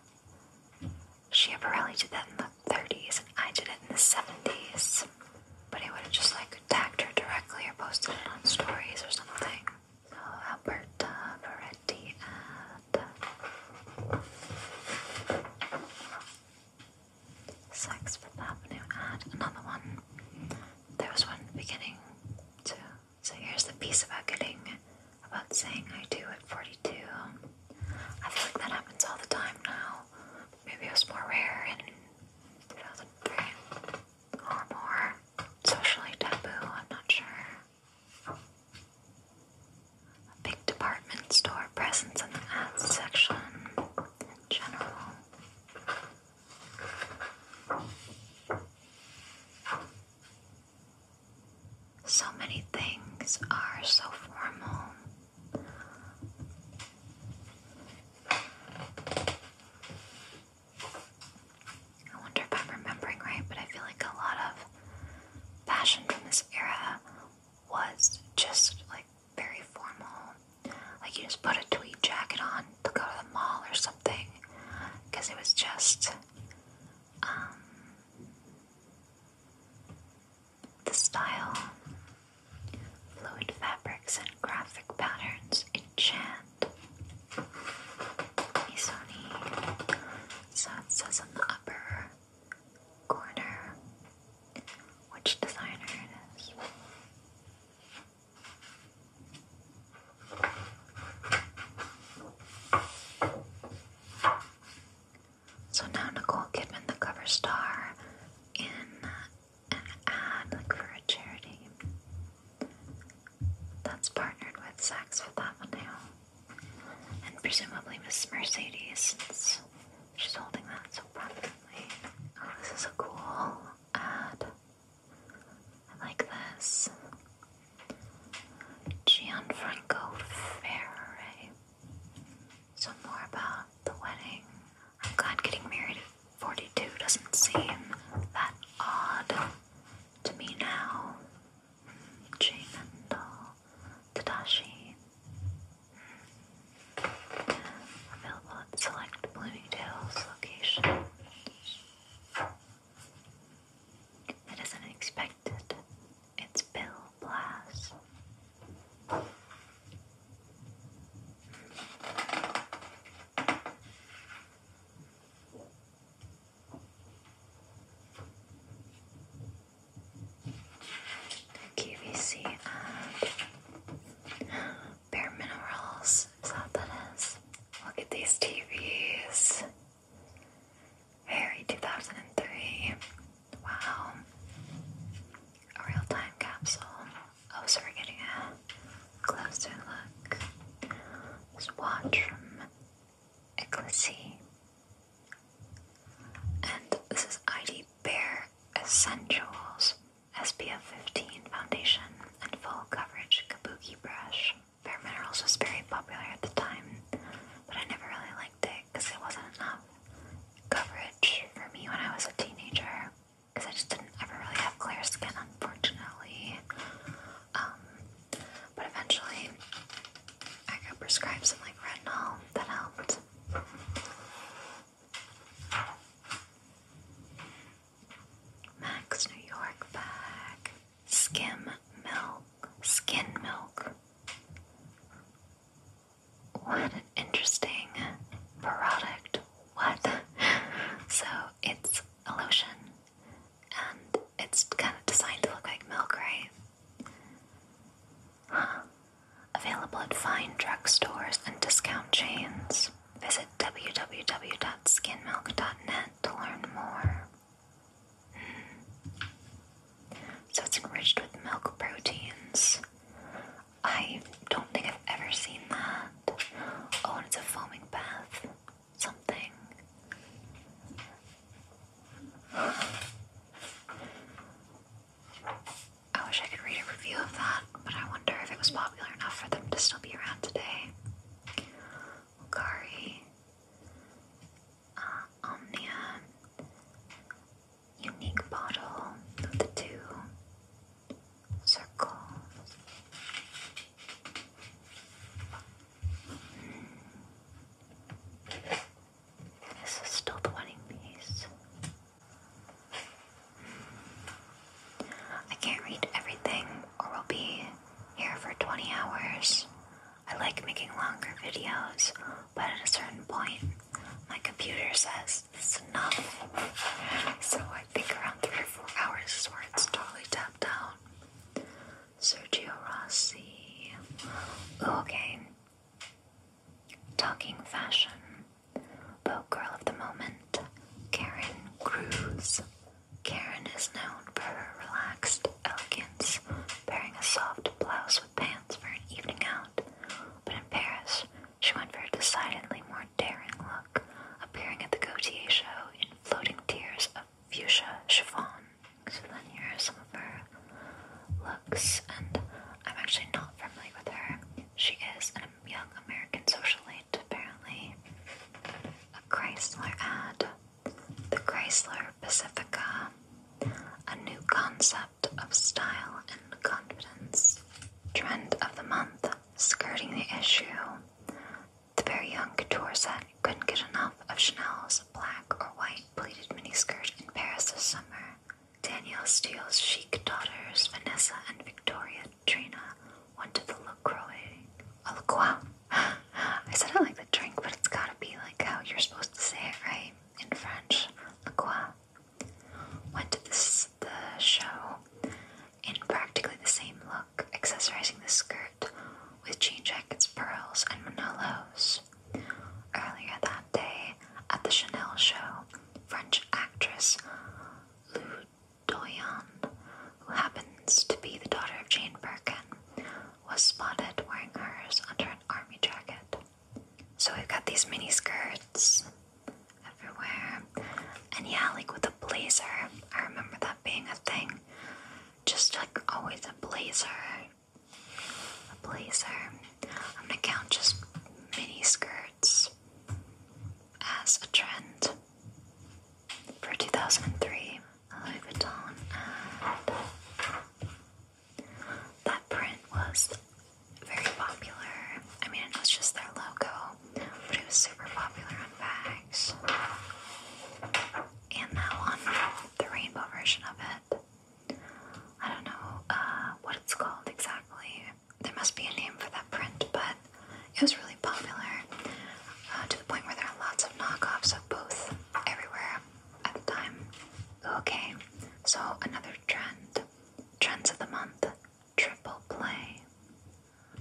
Speaker 1: apparently did that in the 30s and I did it in the 70s. But he would have just like tagged her directly or posted it on stories or something. Alberta Moretti at Saks Avenue ad. Another one. There was one at the beginning too. So here's the piece about getting about saying I do at 42. I feel like that happens all the time now. Maybe it was more rare in 2003 or more socially taboo, I'm not sure. A big department store presence in the ads section in general. So many things are so formal. I wonder if I'm remembering right, but I feel like a lot of fashion from this era was just like very formal. Like you just put a tweed jacket on to go to the mall or something, because it was just um, the style, fluid fabrics and graphic patterns enchant Isoni. So it says on the upper corner which designer it is. So now Nicole Kidman, the cover star, in an ad for a charity that's partnered with that one now, And presumably Miss Mercedes, since she's holding that so prominently. Oh, this is a cool ad. I like this. Gianfranco Ferrari. So more about the wedding. I'm glad getting married at 42 doesn't seem that odd to me now. Tadashi. Available at select Bloomingdale's locations. It isn't expected. It's Bill Blast. The um, Bare Minerals, is that what Look at these TVs. Very 2003. Wow. A real time capsule. Oh, so we're getting a closer look. Let's watch from Eclissy. And this is ID Bare Essentials SPF 15 foundation and full coverage kabuki brush. Bare Minerals was very popular at the time, but I never really liked it because it wasn't enough coverage for me when I was a teenager because I just didn't ever really have clear skin, unfortunately. Um, but eventually, I got prescribed some like retinol that helped. Max New York bag. Skim milk. Skin milk. What an interesting product. What? so it's a lotion and it's kind of designed to look like milk, right? Available at fine drugstores and discount chains. Visit www.skinmilk.net to learn more. Hmm. So it's enriched with milk proteins. I don't think I've ever seen that. Oh, it's a foaming bath something. I wish I could read a review of that, but I wonder if it was popular enough for them to still be around today. Okari, uh, Omnia, Unique Bottle of the Two, Circle. This is still the wedding piece. I can't read everything, or we'll be here for 20 hours. I like making longer videos, but at a certain point, my computer says it's enough. So I think around three or four hours is where it's totally tapped out. Sergio Rossi. Okay. Talking fashion. Boat girl of the moment, Karen Cruz. Karen is known for her relaxed elegance, pairing a soft blouse with pants for an evening out. But in Paris, she went for a decidedly more daring look, appearing at the Gautier show in floating tiers of fuchsia chiffon. So then here are some of her looks, and I'm actually not familiar with her. She is a young American socialite, apparently. A Chrysler ad, the Chrysler Pacifica, a new concept of style and confidence. Trend of the month, skirting the issue, the very young couture set couldn't get enough of Chanel's black or white pleated miniskirt in Paris this summer. Danielle Steele's chic daughters, Vanessa and Victoria Trina, went to the LaCroix. Oh, A I said I like the drink, but it's gotta be like how you're supposed to say it, right? In French, LaCroix. Went to this, the show in practically the same look accessorizing the skirt with jean jackets, pearls, and manolos. Earlier that day, at the Chanel show, French actress Lou Doyon, who happens to be the daughter of Jane Birkin, was spotted wearing hers under an army jacket. So we've got these mini skirts everywhere. And yeah, like with a blazer, I remember that being a thing just like always a blazer. A blazer. I'm gonna count just mini skirts as a trend for 2003. Louis Vuitton, that print was very popular. I mean, it was just their logo, but it was super popular on bag. And that one, the rainbow version of it. I don't know uh, what it's called exactly. There must be a name for that print, but it was really popular uh, to the point where there are lots of knockoffs of both everywhere at the time. Okay, so another trend. Trends of the month triple play.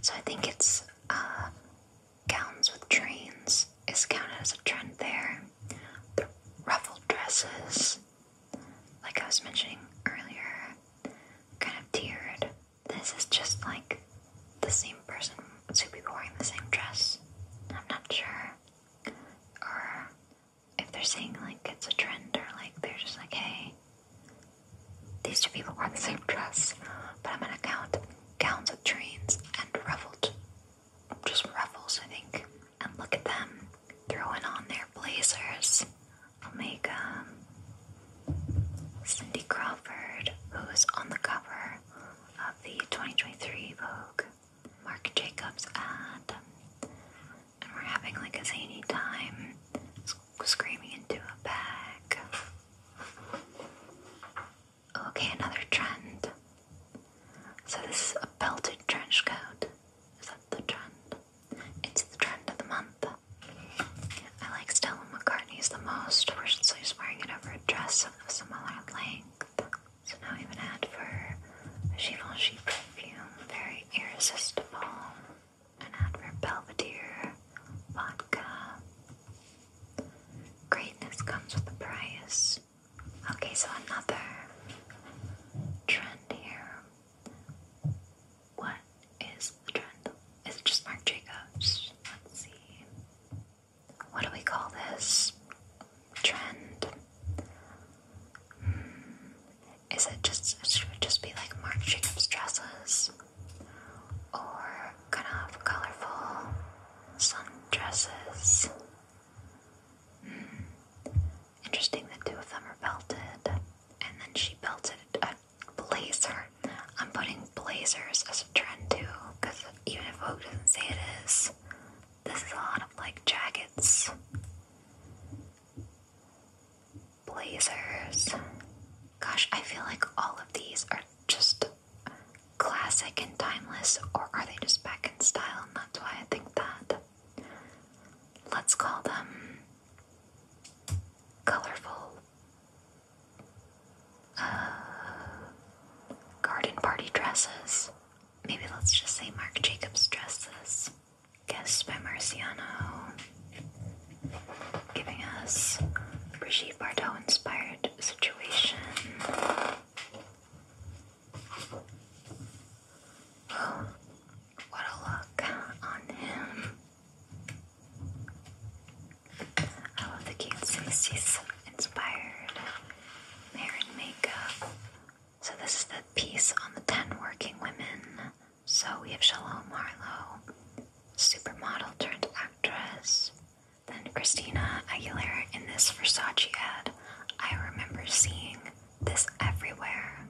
Speaker 1: So I think it's uh, gowns with trains is counted as a trend there. ruffled dresses, like I was mentioning earlier, kind of tiered. This is just like the same person, two people wearing the same dress. I'm not sure. Or if they're saying like it's a trend or like they're just like, hey, these two people wore the same dress, but I'm gonna count gowns with trains, and ruffled, just ruffles, I think. And look at them throwing on their blazers. Omega, Cindy Crawford, who is on the cover of the 2023 Vogue, Marc Jacobs ad, and we're having like a zany time, screaming into a bag. Okay, another trend. So this is a belted trench coat. Is that the trend? It's the trend of the month. I like Stella McCartney's the most, where she's wearing it over a dress of a similar length. So now I have an ad for Givenchy perfume, very irresistible. An ad for Belvedere vodka. Greatness comes with a price. Okay, so another trend here. What is the trend? Is it just Marc Jacobs? Let's see. What do we call this trend? Hmm. Is it just, should it just be like Marc Jacobs dresses? Or kind of colorful sundresses. Mm. Interesting that two of them are belted, and then she belted a blazer. I'm putting blazers as a trend too, because even if Vogue doesn't say it is, this is a lot of like jackets, blazers. Gosh, I feel like all of these are just classic and timeless, or are they just back in style? And that's why I think that. Let's call them colorful uh, garden party dresses. Maybe let's just say Marc Jacobs dresses. Guests by Marciano, giving us Brigitte Bardot inspired situation. Oh, what a look on him. I love the cute 60s inspired hair and makeup. So, this is the piece on the 10 working women. So, we have Shalom Marlow, supermodel turned actress. Then Christina Aguilera in this Versace ad. I remember seeing this everywhere.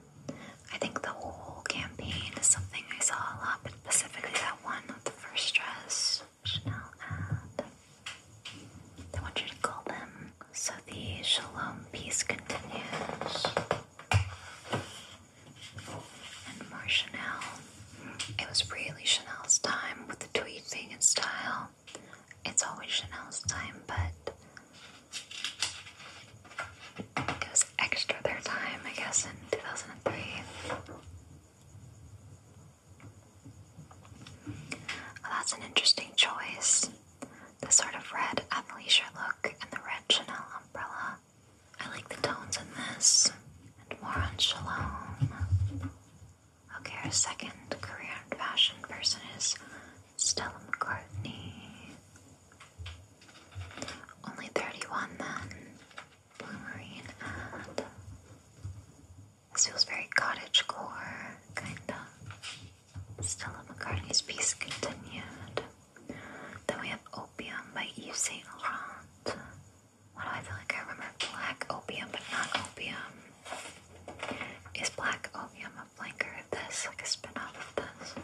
Speaker 1: I think the whole campaign is something I saw a lot, but specifically that one with the first dress Chanel ad. They want you to call them. So the Shalom peace continues. And more Chanel. It was really Chanel's time with the tweed thing and style it's always Chanel's time, but it was extra their time, I guess, in 2003. that's an interesting choice. The sort of red athleisure look and the red Chanel umbrella. I like the tones in this, and more on Shalom. Okay, our second career and fashion person is Stella McCartney. Only 31 then. Blue this feels very cottage core, kinda. Stella McCartney's piece continued. Then we have Opium by Yves Saint Laurent. Why do I feel like I remember black opium but not opium? Is Black Opium a flanker of this, like a spin-off of this?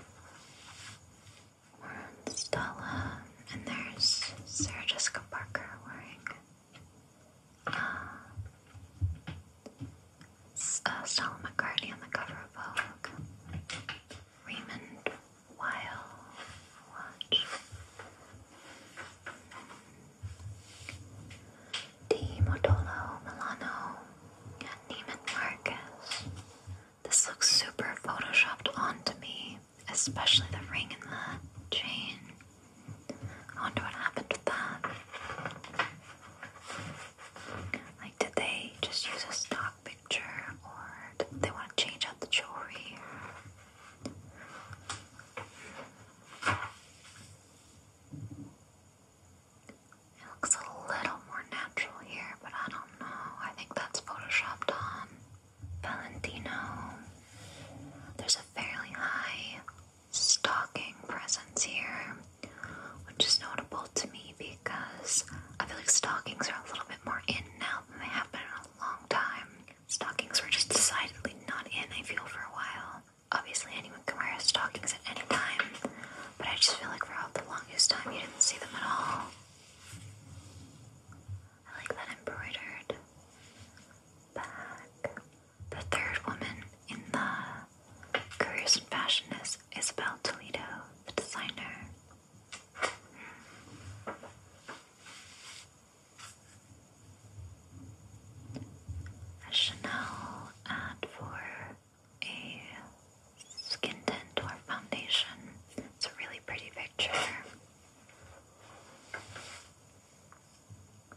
Speaker 1: More Stella, and there's Sarah Jessica Parker wearing uh, uh, Stella McCartney on the cover of Vogue. Raymond Weil watch. Di Modolo Milano and Neiman Marcus. This looks super photoshopped onto me, especially the ring and the chain. I wonder what happened with that. Like, did they just use a stock picture, or did they want to change out the jewelry? It looks a little more natural here, but I don't know. I think that's photoshopped on. Valentino. There's a fairly high stocking presence here, which is notable to me because I feel like stockings are a little bit more in now than they have been in a long time. Stockings were just decidedly not in, I feel, for a while. Obviously, anyone can wear stockings at any time, but I just feel like for all the longest time you didn't see them at all. I like that embroidered back. The third woman in the Careers in Isabel Toledo, the designer. Chanel ad for a skin tint or foundation. It's a really pretty picture.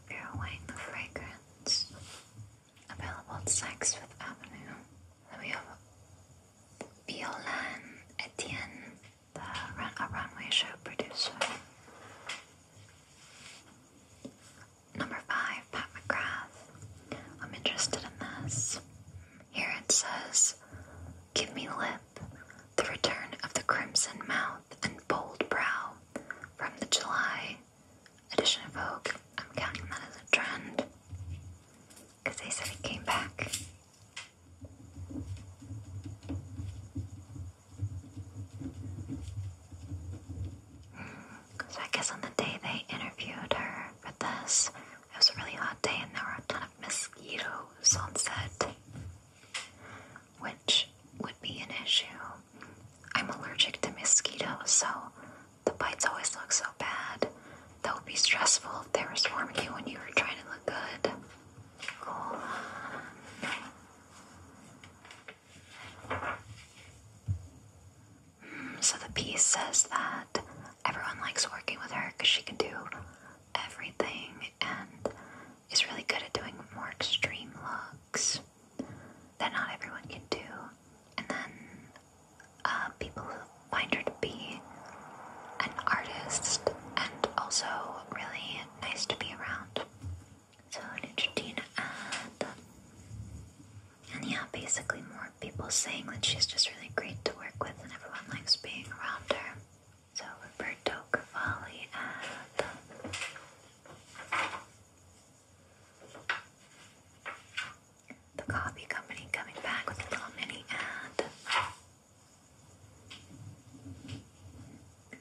Speaker 1: Purewang fragrance. Available at Saks Avenue. Then we have Violaine Etienne, the a runway show producer. Number five, Pat McGrath. I'm interested in this. Here it says, Give me lip, the return of the crimson mouth and bold brow from the July edition of Vogue. I'm counting that as a trend they said it came back. So I guess on the day they interviewed her for this, it was a really hot day and there were a ton of mosquitoes on set, which would be an issue. I'm allergic to mosquitoes, so the bites always look so bad. That would be stressful if they were swarming you when you were trying to look good. So the piece says that everyone likes working with her because she can do everything and is really good at doing more extreme looks that not everyone can do. And then uh, people who find her to be an artist and also really nice to be around. So Neutrogena ad. Uh, and yeah, basically more people saying that she's just really great to work with and everyone likes being around her. So Roberto Cavalli ad. The coffee company coming back with a little mini ad.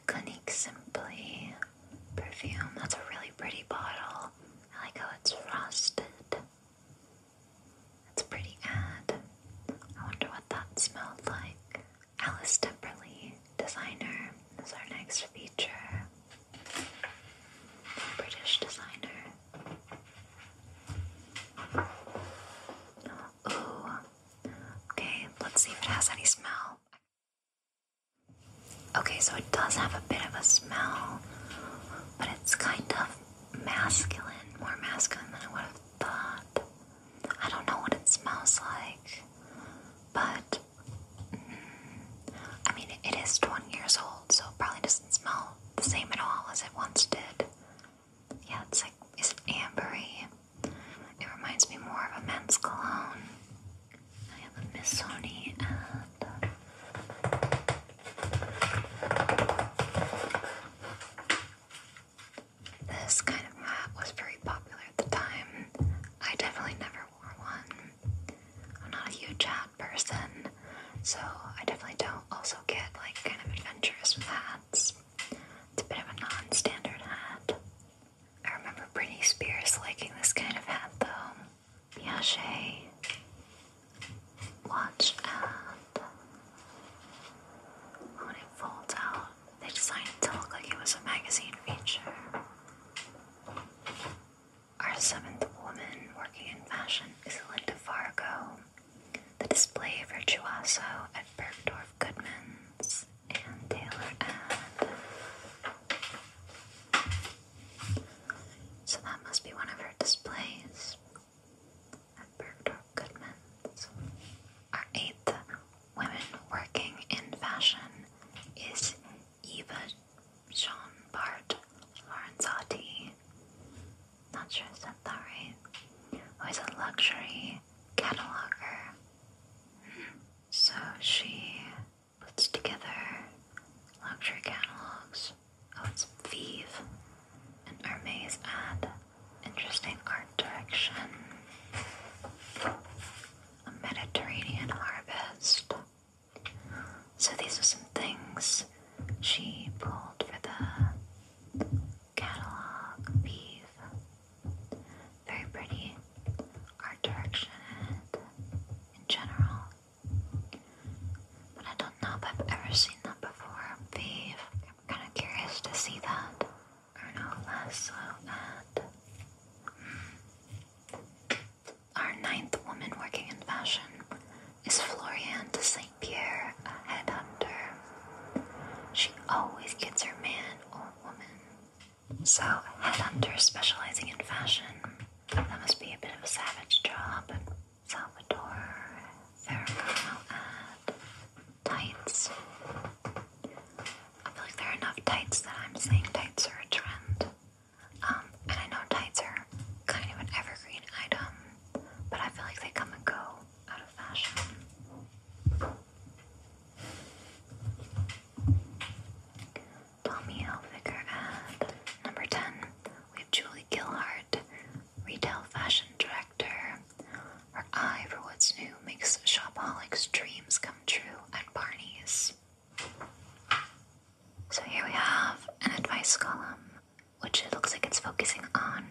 Speaker 1: Clinique Simply perfume. That's a really pretty bottle. I like how it's frosted. That's a pretty ad. I wonder what that smelled like. Alice Temperley, designer, is our next feature. British designer. Ooh. Okay, let's see if it has any smell. Okay, so it does have a bit of a smell, but it's kind of masculine, more masculine than I would have thought. I don't know what it smells like, but mm, I mean, it is 20 years old, so it probably doesn't smell the same at all as it once did. Yeah, it's like, it's it ambery? It reminds me more of a men's cologne. I have a Miss Sony uh, this kind of hat was very popular at the time. I definitely never wore one. I'm not a huge hat person, so I definitely don't also get like kind of adventurous with hats. It's a bit of a non standard hat. I remember Britney Spears liking this kind of hat though. Piaget watch and when it folds out, they designed it to look like it was a magazine feature. Our seventh woman working in fashion is Linda Fargo. The display of Virtuoso at Bergdorf Goodman's and Taylor and so that must be one of her displays at Bergdorf Goodman's. Our eighth women working in fashion is Eva Jean Bart Lorenzotti. Not sure I said that right. Who is a luxury cataloger. Hmm. So she puts together luxury catalogs of its and Hermes ad, interesting art direction, a Mediterranean harvest. So these are some things she pulled for the catalog Vive. Very pretty art direction in general. But I don't know if I've ever seen that before. Beef. I'm kind of curious to see that. Arno Lasso and hmm. our ninth woman working in fashion is Floriane Saint Pierre, a headhunter. She always gets her man or woman. So, headhunter specializing in fashion. That must be a bit of a savage job. Salvador Ferragamo ad tights. I feel like there are enough tights that I'm saying tights are a trend. Um, and I know tights are kind of an evergreen item, but I feel like they come and go out of fashion. Tommy Hilfiger ad. Number 10, we have Julie Gilhart, retail fashion director. Her eye for what's new makes shopaholics' dreams come true at Barney's. So here we have an advice column, which it looks like it's focusing on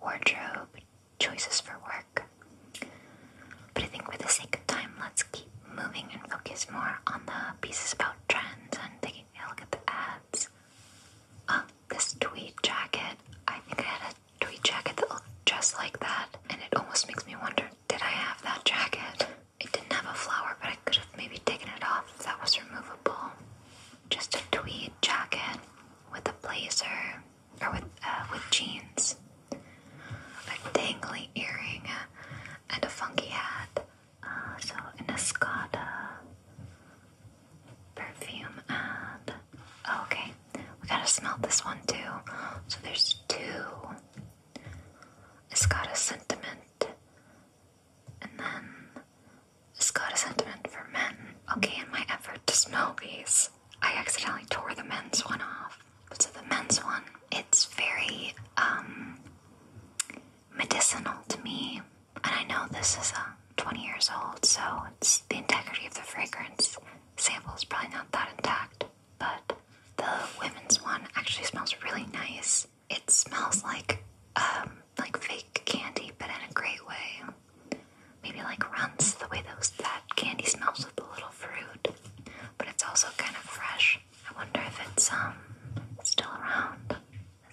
Speaker 1: wardrobe choices for work. But I think for the sake of time, let's keep moving and focus more on the pieces about trends and taking a look at the ads. Oh, this tweed jacket. I think I had a tweed jacket that looked just like that, and it almost makes me wonder did I have that jacket? It didn't have a flower, but I could have maybe taken it off that was removable. Just a tweed jacket with a blazer, or with, uh, with jeans, a dangly earring, and a funky hat. Uh, so an Escada perfume ad. Oh, okay, we gotta smell this one too. So there's two Escada Sentiment, and then Escada Sentiment for men. Okay, in my effort to smell these, I accidentally tore the men's one off. So the men's one, it's very um, medicinal to me, and I know this is a uh, 20 years old, so it's the integrity of the fragrance sample is probably not that intact. But the women's one actually smells really nice. It smells like um, like fake candy, but in a great way. Maybe like runs the way those that candy smells with the little fruit, but it's also kind of fresh. I wonder if it's um still around.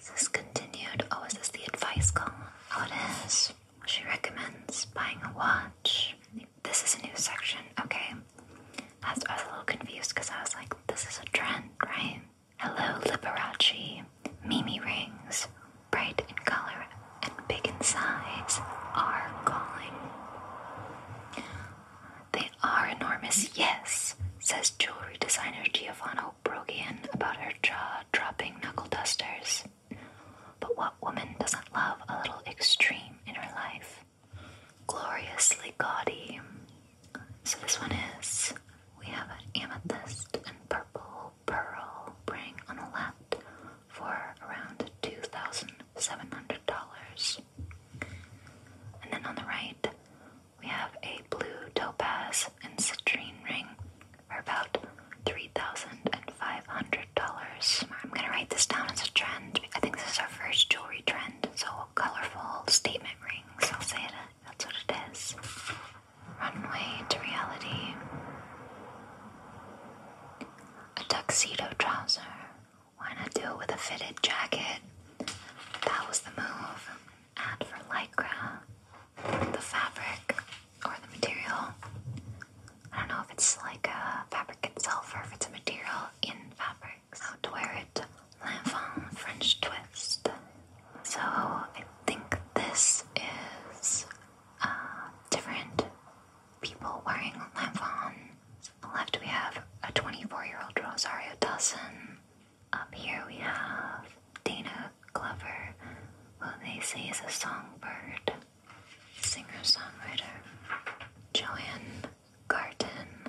Speaker 1: Is this continued? Oh, is this the advice column? Oh, it is. She recommends buying a watch. This is a new section. Okay. I was, a little confused because I was like, this is a trend, right? Hello, Liberace. Mimi rings, bright in color and big in size, are calling. They are enormous, yes, says jewelry designer Giovanna Brogian about her jaw dropping knuckle dusters. But what woman doesn't love a little extreme in her life? Gloriously gaudy. So this one is we have an amethyst and purple pearl ring on the left for around $2,700. And then on the right, we have a blue topaz and citrine ring for about $3,500. I'm gonna write this down as a trend. I think this is our first jewelry trend, so colorful statement rings. I'll say it, that's what it is. Runway to reality. A tuxedo trouser why not do it with a fitted jacket? That was the move. And for lycra, the fabric or the material. I don't know if it's like a fabric itself or if it's a material in fabrics. How to wear it. L'enfant French twist. So I think this is uh, different people wearing l'enfant left, we have a 24 year old Rosario Dawson. Up here, we have Dana Glover, who they say is a songbird, singer songwriter. Joanne Garten,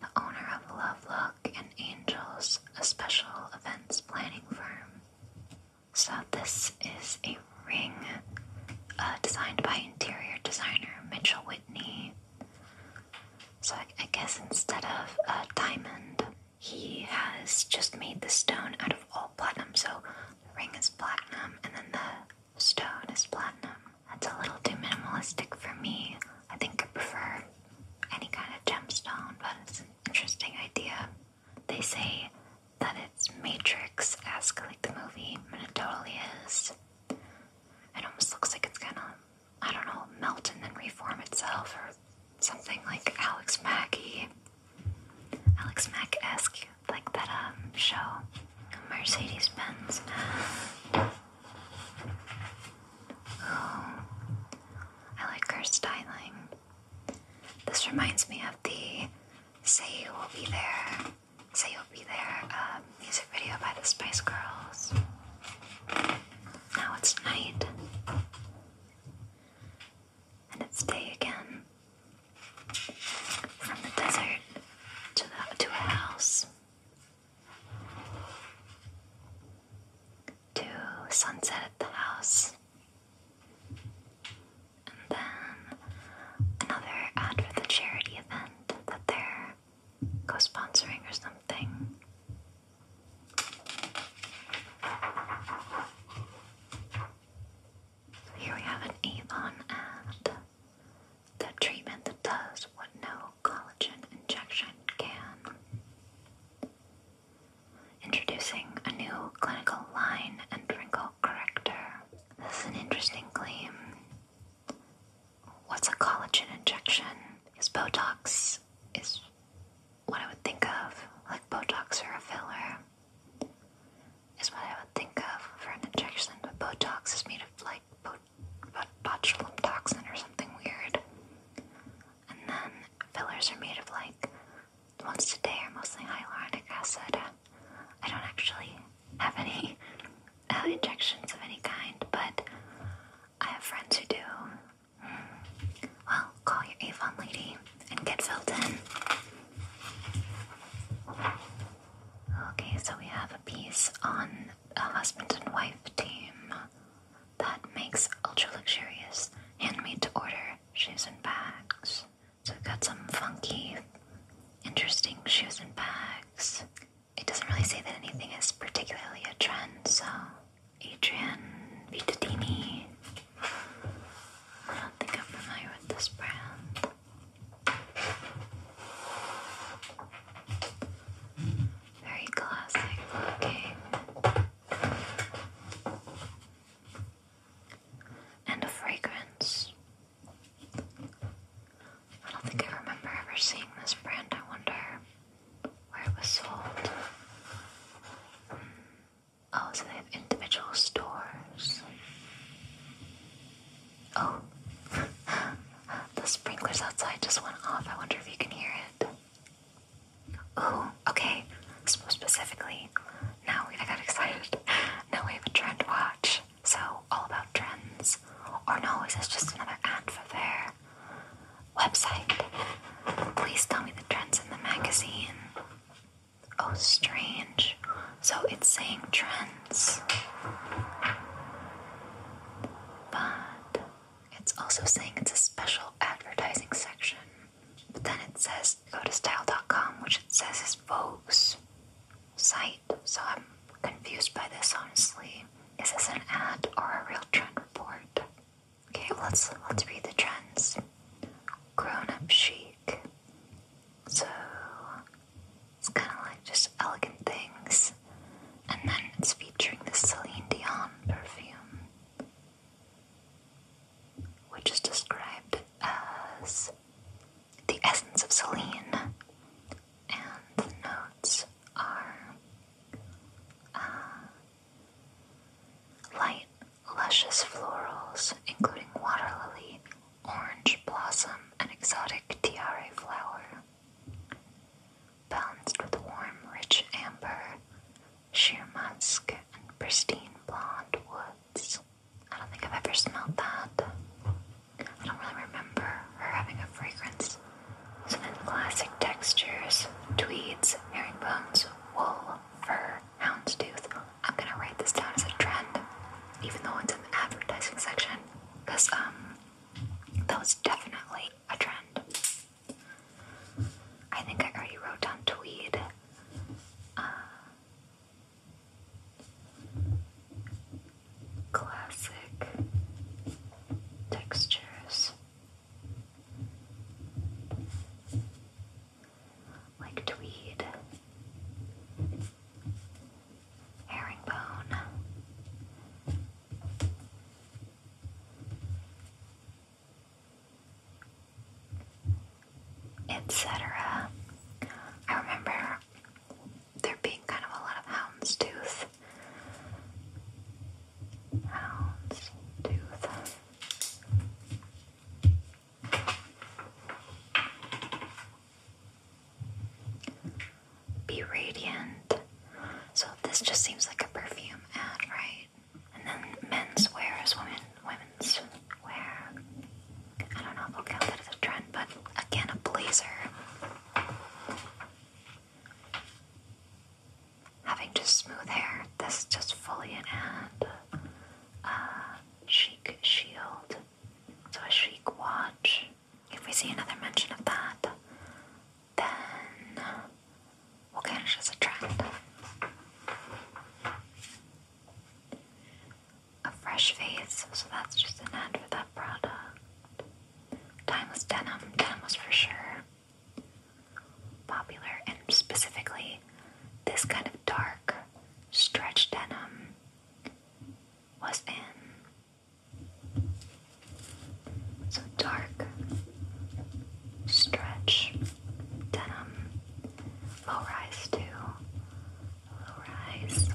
Speaker 1: the owner of Love Lovelock and Angels, a special events planning firm. So, this is a ring uh, designed by interior designer Mitchell Whitney. So I, guess instead of a diamond, he has just made the stone out of all platinum. So the ring is platinum, and then the stone is platinum. That's a little too minimalistic for me. I think I prefer any kind of gemstone, but it's an interesting idea. They say that it's Matrix esque, like the movie, and it totally is. It almost looks like it's gonna. I don't know, melt and then reform itself, or something like Alex Mackey, Alex Mack esque, like that um, show, Mercedes Benz. Oh, I like her styling. This reminds me of the Say You Will Be There, Say You'll Be There um, music video by the Spice Girls. Now it's night. And it's day again. From the desert to the to a house. To sunset at the house. And then another ad for the charity event that they're co sponsoring or something. here we have an Avon ad that treatment that does what no collagen injection can. Introducing a new clinical line and wrinkle corrector. This is an interesting claim what's a collagen injection? Is Botox is what I would think of, like Botox or a filler is what I would think of for an injection, but Botox is made of like bot botulinum toxin or something weird. And then fillers are made of like the ones today are mostly hyaluronic acid. I don't actually have any have injections of any kind, but I have friends who do. Well, call your Avon lady and get filled in. Okay, so we have a piece on a husband and wife team that makes ultra luxurious, handmade to order shoes and bags. So we've got some funky, interesting shoes and bags it doesn't really say that anything is particularly a trend, so Adrian Vitadini. I don't think I'm familiar with this brand. Very classic looking. And a fragrance. I don't think I remember ever seeing this brand. I wonder where it was sold. Hmm. Oh, so they have individual stores. Oh, the sprinklers outside just went off. I wonder if you can hear it. Oh, okay. So specifically, now we've got excited. Now we have a trend watch. So all about trends. Or no, is this just another ad for their website. Please tell me the trends in the magazine. Oh, strange. So it's saying trends. But it's also saying it's a special advertising section. But then it says go to style.com, which it says is Vogue's site. So I'm confused by this, honestly. Is this an ad or a real trend report? Okay, let's let's read the trends. Grown-up chic. So it's kind of like just elegant things, and then it's featuring the Celine Dion perfume, which is described as the essence of Celine, and the notes are uh, light, luscious florals, including water lily, orange blossom, and exotic tiare flower. Balanced with warm, rich amber, sheer musk, and pristine blonde woods. I don't think I've ever smelled that. I don't really remember her having a fragrance Classic textures, tweeds, herringbones, wool, fur, houndstooth. I'm gonna write this down as a trend, even though it's in the advertising section, because um, that was definitely a trend. I think I already wrote down tweed. Uh, classic textures like tweed, herringbone. Etc. I remember there being kind of a lot of houndstooth hound's tooth. Be radiant. So this just seems like a perfume ad, right? And then men's wear is women women's wear. I don't know we'll count that as a trend, but again a blazer. Having just smooth hair, this is just in hand. a chic shield. So a chic watch. If we see another mention of that, then we'll catch as a trend. A fresh face, so that's just an end for that product. Timeless denim, denim was for sure popular, and specifically this kind of dark stretch denim was in. So dark stretch denim, low rise too, low rise.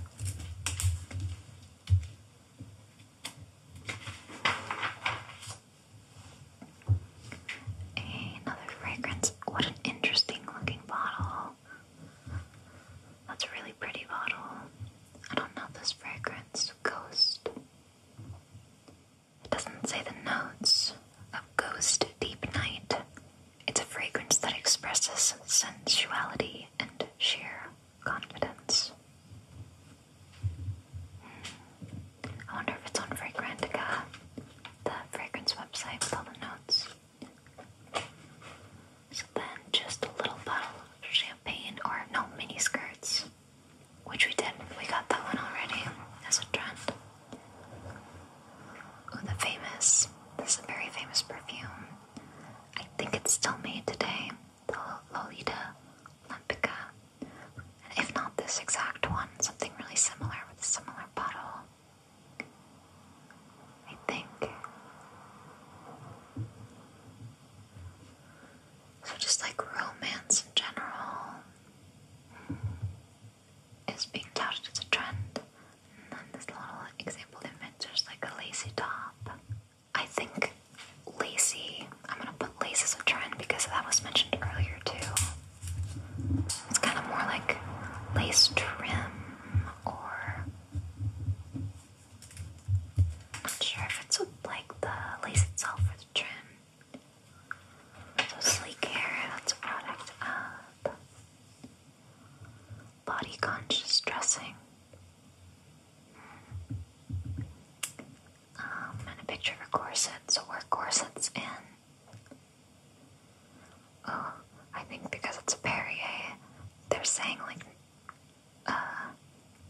Speaker 1: Another fragrance. What an interesting looking bottle. That's a really pretty bottle. I don't know this fragrance. Ghost. It doesn't say the notes of Ghost Deep Night. It's a fragrance that expresses sensuality and sheer confidence. Hmm. I wonder if it's on Fragrantica, the fragrance website with the notes. So then, just a little bottle of champagne, or no, mini which we did. We got that one already as a trend. Oh, the famous. This is a very famous perfume. I think it's still made today the Lolita Olympica. If not this exact one, something really similar with a similar bottle. I think. So, just like romance general is being touted as a trend. And then this little example image, there's like a lacy top. I think lacy. I'm gonna put lace as a trend because that was mentioned earlier too. It's kind of more like lace trim, or not sure if it's with like the lace itself or the trim. So sleek hair, that's a product of body conscious dressing um, and a picture of a corset, so wear corsets in. Oh, I think because it's a Perrier, they're saying like, uh,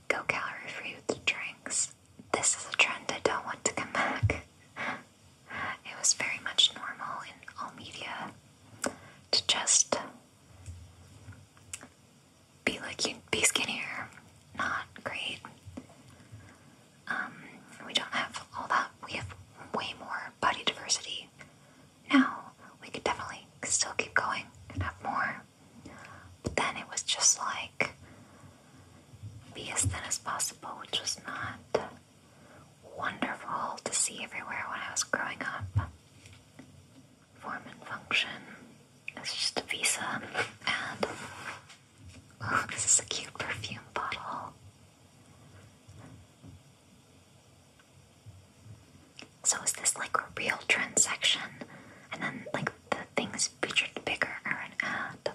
Speaker 1: go calorie free with the drinks. This is a trend I don't want to come back. it was very much normal in all media to just be like you be skinnier. Not great. Um, we don't have all that. We have way more body diversity now. We could definitely still keep going and have more. But then it was just like be as thin as possible, which was not wonderful to see everywhere when I was growing up. Form and function. It's just a visa and Oh, this is a cute perfume bottle. So is this like a real transaction? And then like the things featured bigger are an ad.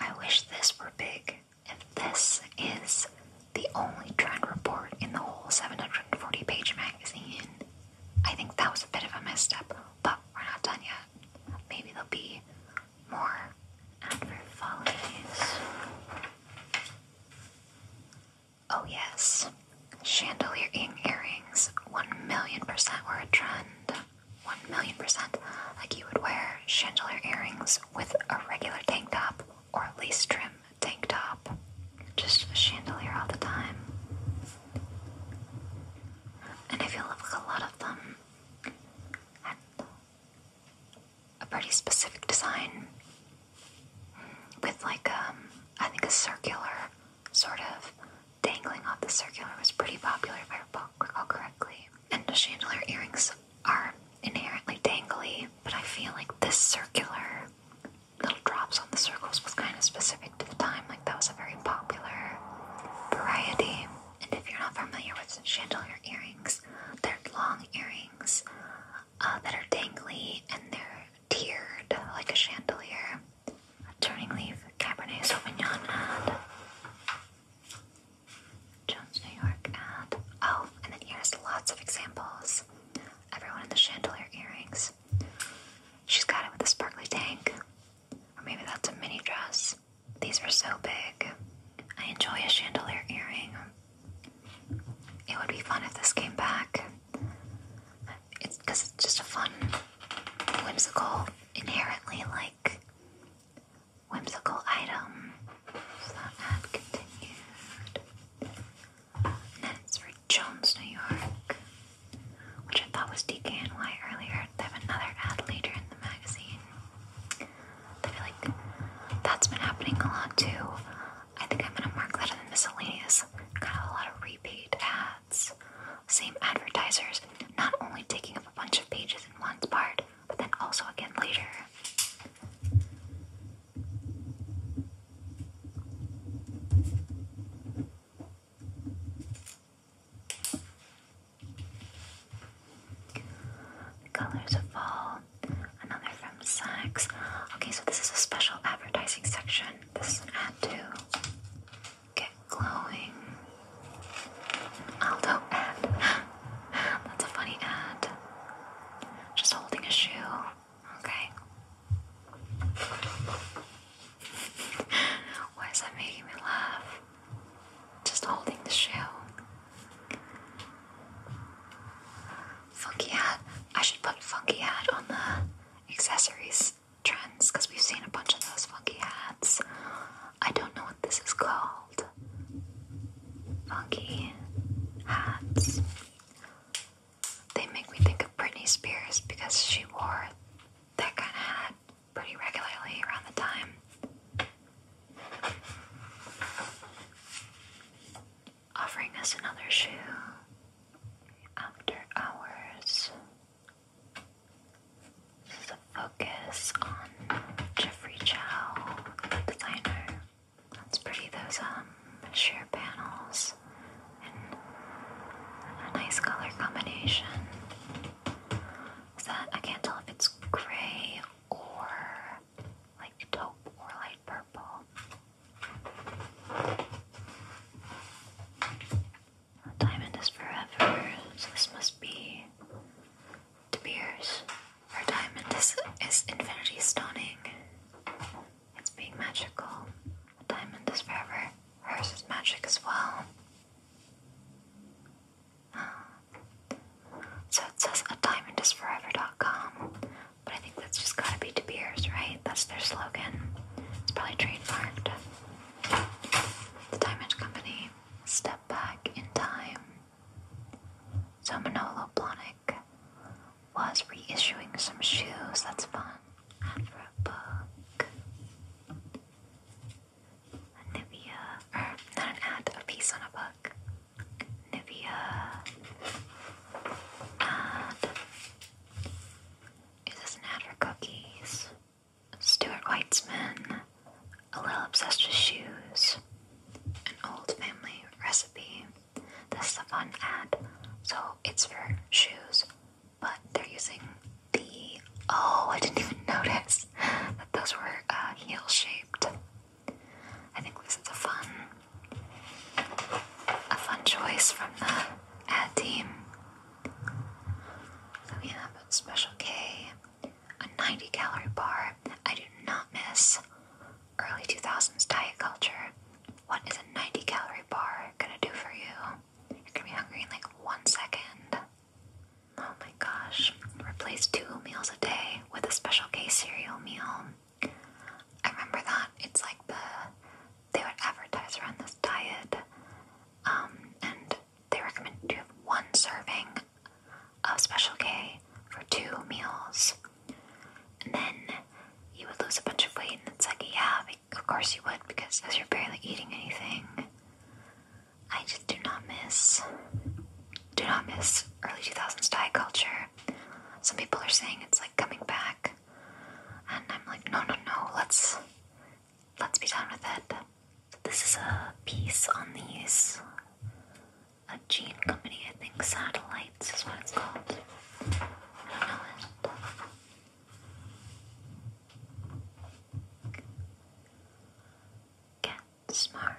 Speaker 1: I wish this were big. If this is the only trend report in the whole 740 page magazine, I think that was a bit of a misstep, but we're not done yet. Maybe there'll be more advert Oh, yes. Chandelier earrings, 1 million percent were a trend. 1 million percent. Like you would wear chandelier earrings with a regular tank top or lace trim tank top. Just a chandelier all the time. And I feel like a lot of them had a pretty specific design with like um I think a circular sort of dangling off the circular was pretty popular if I recall correctly. And the chandelier earrings are inherently dangly, but I feel like this circular little drops on the circles was kind of specific to the time that was a very popular variety. And if you're not familiar with chandelier earrings, they're long earrings uh, that are dangly and they're tiered like a chandelier. Turning leaf, Cabernet Sauvignon and Jones, New York ad. Oh, and then here's lots of examples. Everyone in the chandelier earrings. She's got it with a sparkly tank. Or maybe that's a mini dress. These were so big. I enjoy a chandelier earring. It would be fun if this came back. It's because it's just a fun, whimsical, inherently like whimsical item. So that continued. And for Jones, New York which I thought was DKNY earlier. They have another ad later in the magazine. I feel like that's been happening a lot too. I think I'm gonna mark that in the miscellaneous. Got a lot of repeat ads. Same advertisers, not only taking up a bunch of pages in one part, but then also again later. Colors of Fall, another from Saks. Okay, so this is a special advertising section. This is an ad to get glowing. An Aldo ad. That's a funny ad. Just holding a shoe. Okay. Why is that making me laugh? just holding the shell. Funky hat. I should put funky hat on the accessories trends because we've seen a bunch of those funky hats. I don't know what this is called. Funky hats. They make me think of Britney Spears because she wore that kind of hat pretty regularly around the time. Offering us another shoe after hours. This focus on Jeffrey Chow, designer. That's pretty, those um, sheer panels and a nice color combination. Is that I can't tell if it's gray or like taupe or light purple. Diamond is forever, so this must be De Beers. Or diamond is, is infinity stunning. It's being magical. Diamond is forever. Hers is magic as well. So it says a diamond is forever.com, but I think that's just gotta be De right? That's their slogan. It's probably trademarked. The Diamond Company, Step Back in Time. So Manolo Blahnik was reissuing some shoes. That's fun. And a book. Nivea, not an ad, a piece on a book. Nivea ad. Is an ad for cookies? Stuart Weitzman, a little obsessed with shoes, an old family recipe. This is a fun ad, so it's for shoes, but they're using the oh, I didn't even notice that those were uh, heel shaped. I think this is a fun, a fun choice from the ad team. So Special K, a 90 calorie bar. I do not miss early 2000s diet culture. What is a 90 calorie bar gonna do for you? You're gonna be hungry in like one second. Oh my gosh. Replace two meals a day with a special K cereal meal. I remember that. It's like the they would advertise around this diet. Um, and they recommend you have one serving of special K for two meals. And then you would lose a bunch of weight and it's like, yeah, of course you would because you're barely eating anything. I just do not miss, do not miss early 2000s Thai culture. Some people are saying it's like coming back, and I'm like, no, no, no, let's let's be done with it. This is a piece on these a gene company, I think satellites is what it's called. I don't know it get smart.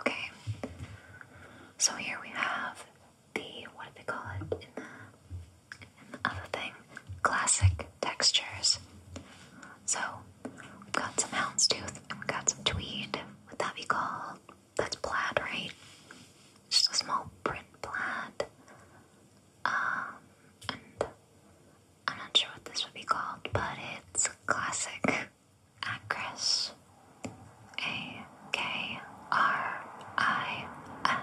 Speaker 1: Okay, so here we have the what do they call it in the in the other thing? Classic textures. So we've got some houndstooth and we've got some tweed. Would that be called? That's plaid, right? Just a small print plaid um, I'm not sure what this would be called, but it's classic actress. A K R I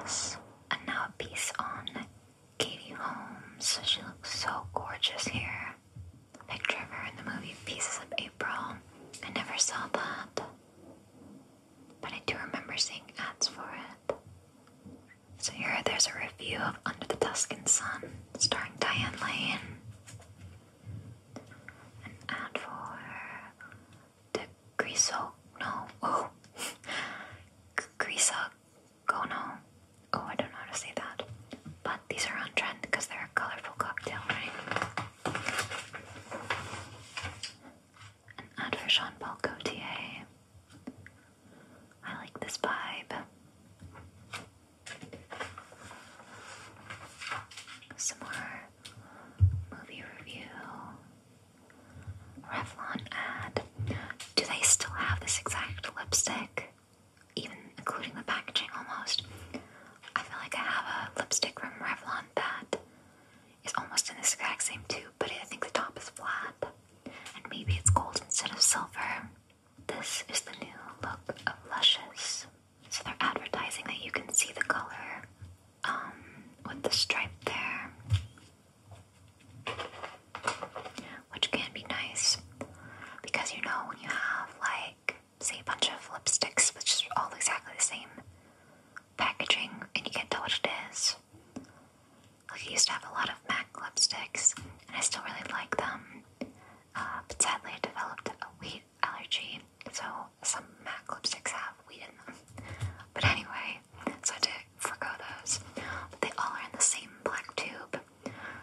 Speaker 1: S. And now a piece on Katie Holmes. She looks so gorgeous here. picture of her in the movie Pieces of April. I never saw that but I do remember seeing ads for it. So here there's a review of Under the Tuscan Sun starring Diane Lane. An ad for the Griso no oh Grisa Oh I don't know how to say that. But these are on trend because they're a colorful cocktail, right? and for Jean Paul Gaultier. I like this vibe. Some more movie review. Revlon ad. Do they still have this exact lipstick? Even including the packaging almost. I feel like I have a lipstick from Revlon that is almost in this exact same tube, but I think the top is flat. And maybe it's gold instead of silver. This is the new look of Luscious. So they're advertising that you can see the color um, with the stripe there, which can be nice because you know when you have like say a bunch of lipsticks which are all exactly the same packaging and you can't tell what it is, I used to have a lot of MAC lipsticks, and I still really like them. Uh, but sadly, I developed a wheat allergy, so some MAC lipsticks have wheat in them. But anyway, so I did to those. But they all are in the same black tube.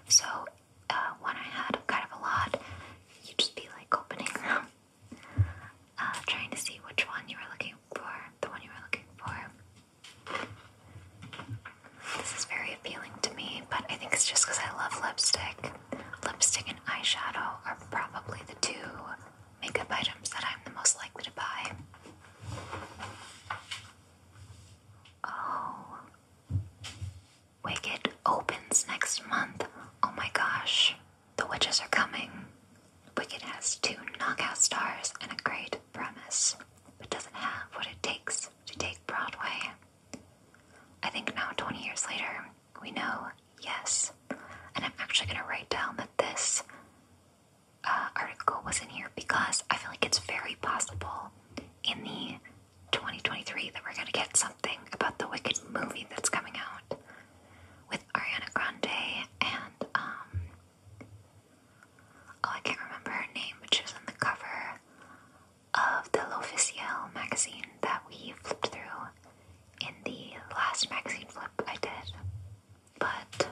Speaker 1: So when uh, I had kind of a lot, you'd just be like opening them, uh, trying to see which one you were looking for, the one you were looking for. This is very appealing to me, but I think it's just because I love lipstick. Lipstick and eyeshadow are probably the two makeup items that I'm the most likely to buy. Oh. Wicked opens next month. Oh my gosh. The witches are coming. Wicked has two knockout stars and a great premise, but doesn't have what it takes to take Broadway. I think now, 20 years later, we know yes. And I'm actually going to write down that this uh, article was in here because I feel like it's very possible in the 2023 that we're going to get something about the Wicked movie that's coming out with Ariana Grande and um, Oh, I can't remember her name, but was on the cover of the L'Officiel magazine that we flipped through in the last magazine flip I did. But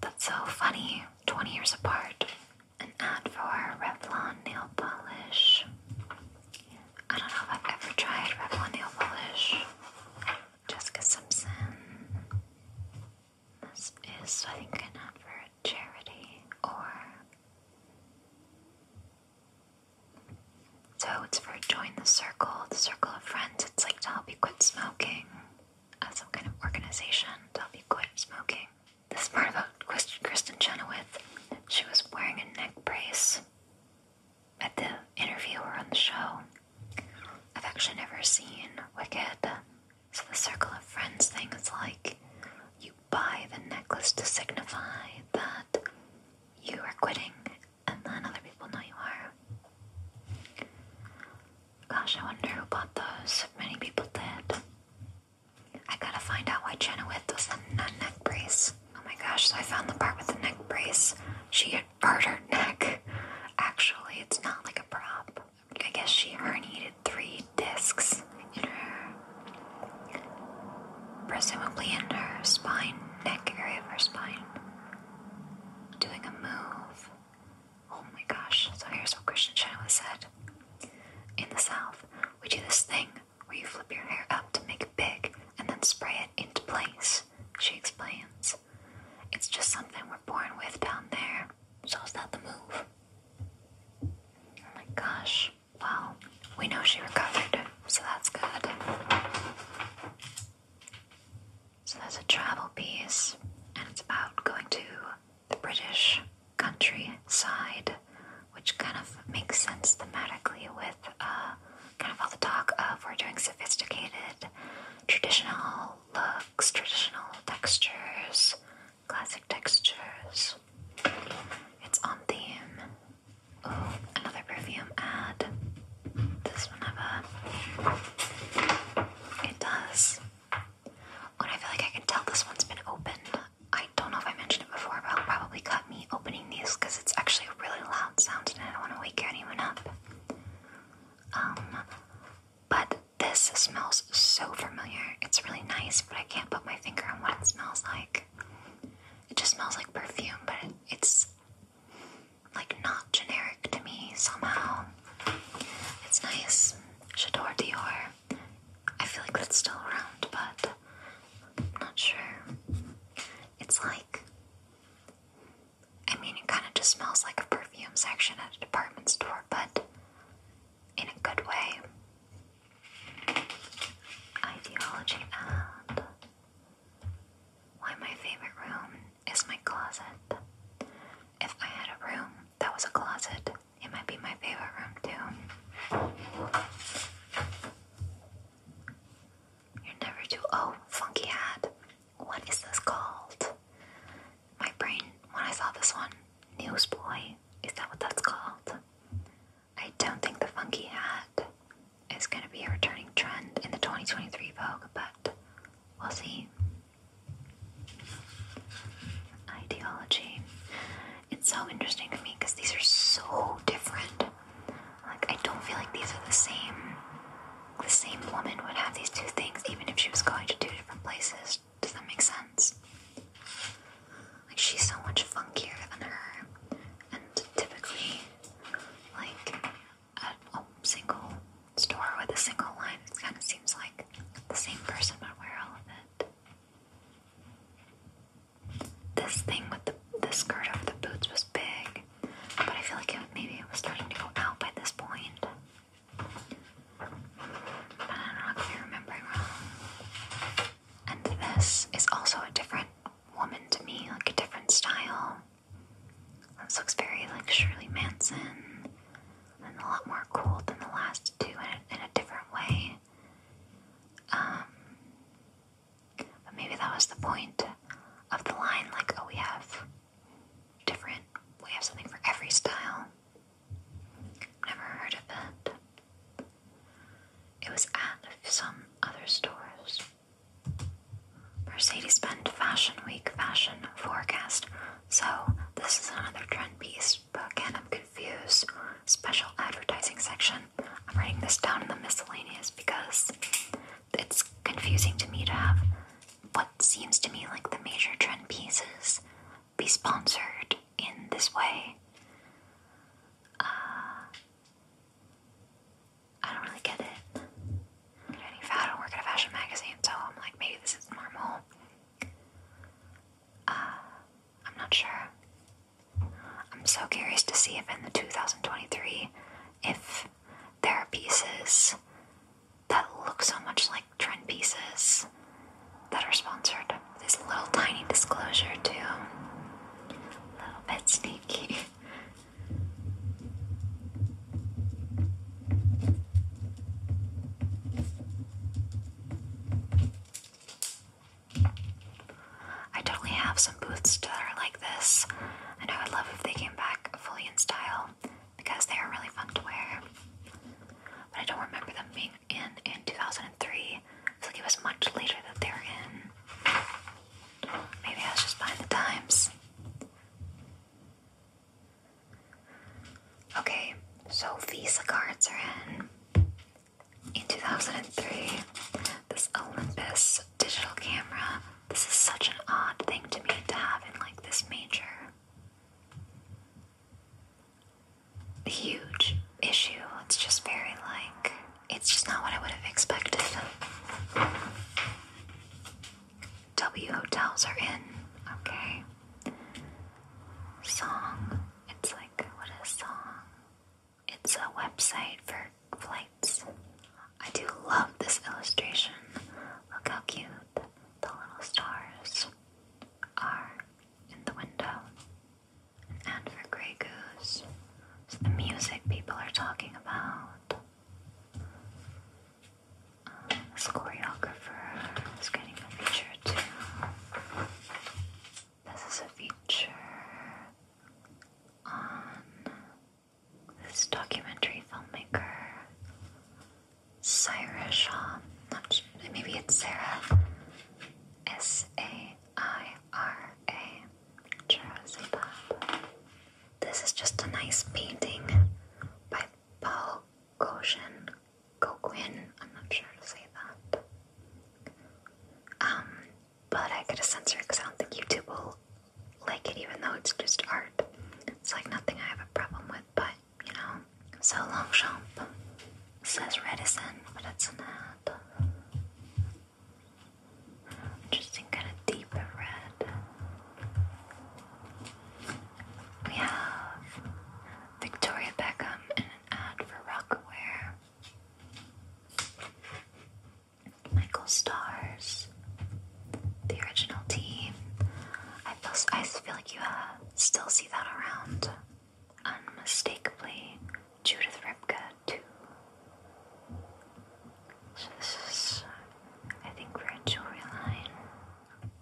Speaker 1: that's so funny, 20 years apart. An ad for Revlon nail polish. I don't know if I've ever tried Revlon nail polish. Jessica Simpson. This is, I think, an ad for a charity or. So it's for join the circle, the circle of friends. It's like to help you quit smoking, uh, some kind of organization to help you quit smoking. This part about Kristen Chenoweth, she was wearing a neck brace at the interview or on the show. I've actually never seen Wicked. So the circle of friends thing is like you buy the necklace to signify that you are quitting and then other people know you are. Gosh, I wonder who bought those. Many people did. I gotta find out why Jenna With was the neck brace. Oh my gosh, so I found the part with the neck brace. She had part her neck. Actually, it's not like a prop. I guess she herniated three discs in her, presumably in her spine, neck area of her spine, doing a move. Oh my gosh, so here's what Christian Chenoweth said. In the South, we do this thing where you flip your hair up to make it big and then spray it into place, she explains. It's just something we're born with down there. So is that the move? Oh my gosh. Well, we know she recovered, so that's good. So that's a travel piece, and it's about going to the British countryside, which kind of makes sense thematically with uh, kind of all the talk of we're doing sophisticated, traditional looks, traditional textures, classic textures. It's on theme. Oh, another perfume ad. This one have a. It does. When I feel like I can tell this one's been opened. I don't know if I mentioned it before, but I'll probably cut me opening these because it's actually a really loud sound and I don't want to wake anyone up. Um, but this smells so familiar. It's really nice, but I can't put my finger on what it smells like. It just smells like perfume, but it's like not generic to me somehow. It's nice. Chador Dior. I feel like that's still around, but I'm not sure. It's like, I mean, it kind of just smells like a perfume section at a department store, but in a good way. Ideology and why my favorite room is my closet. If I had a room that was a closet, it might be my favorite room too. You're never too. Oh, funky hat. What is this called? my brain, when I saw this one, Newsboy, is that what that's called? I don't think the funky hat is going to be a returning trend in the 2023 Vogue, but we'll see. Ideology. It's so interesting to me because these are so different. Like I don't feel like these are the same. The same woman would have these two things, even if she was going to two different places. Does that make sense? Like she's so much funkier than her, and typically, like at a single store with a single line, it kind of seems like the same person would wear all of it. This thing with the the skirt over the boots was big, but I feel like maybe it was starting to go out by this point. And I'm not gonna remember it wrong. And this is also a different woman to me, like a different style. This looks very like Shirley Manson, and a lot more cool than the last two in in a different way. Um, but maybe that was the point of the line, like, oh, we have different, we have something for every style. Never heard of it. It was at some other stores. Mercedes spent Fashion Week Fashion Forecast. So, this is another trend piece, but again, I'm confused. Special advertising section. I'm writing this down in the miscellaneous because it's confusing to me to have what seems to me like the major trend pieces be sponsored in this way. Uh, I don't really get it. I don't work at a fashion magazine, so I'm like, maybe this is normal. Uh, I'm not sure. I'm so curious to see if in the 2023, if there are pieces that look so much like trend pieces that are sponsored. This little tiny disclosure, too. A little bit sneaky. I totally have some boots that are like this, and I would love if they came back fully in style because they were really fun to wear. But I don't remember them being in in 2003. It's like it was much later that they were in. Maybe I was just behind the times. Okay, so Visa cards are in. In 2003, this Olympus digital camera. This is such an odd thing to me to have in like this major huge issue. It's just very like it's just not what I would have expected. W hotels are in. Okay. Song. It's like what is song? It's a website for flights. I do love this illustration. Look how cute the little stars are in the window. And for Grey Goose, it's the music people are talking about. Um, this choreographer is getting a feature too. This is a feature on this documentary filmmaker Sarah Sean. Not, maybe it's Sarah. S A I R A. Jerzabab. This is just a nice painting by Paul Gauguin. Gauguin. I'm not sure to say that. Um, but I gotta censor it because I don't think YouTube will like it, even though it's just art. It's like nothing I have a problem with, but you know. So Longchamp says reticent, but it's an ad. Interesting, kind of deeper red. We have Victoria Beckham in an ad for Rockaware. Michael Stars, the original team. I feel, I feel like you uh, still see that around unmistakably Judith Ripka too. So this is, I think, we jewelry line.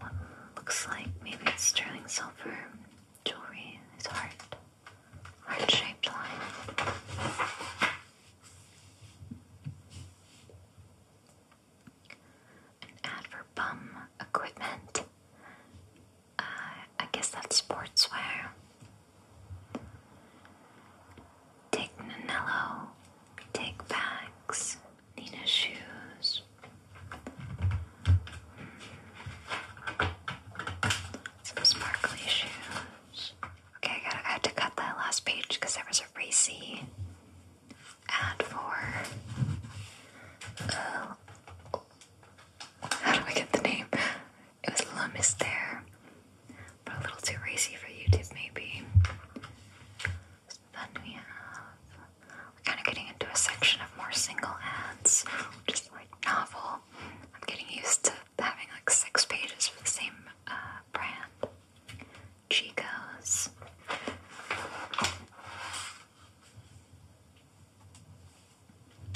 Speaker 1: What um, looks like maybe it's sterling silver jewelry. It's heart, heart-shaped line ad for bum equipment. Uh, I guess that's sportswear. Take Nanello, take bags, Nina shoes. Mm. Some sparkly shoes. Okay, I had to cut that last page because there was a racy ad for uh, how do I get the name? It was La Mystere, but a little too racy for YouTube, maybe. Then we have, we're kind of getting into a section of more single ads, which like novel. I'm getting used to having like six pages for the same uh, brand. Chico's.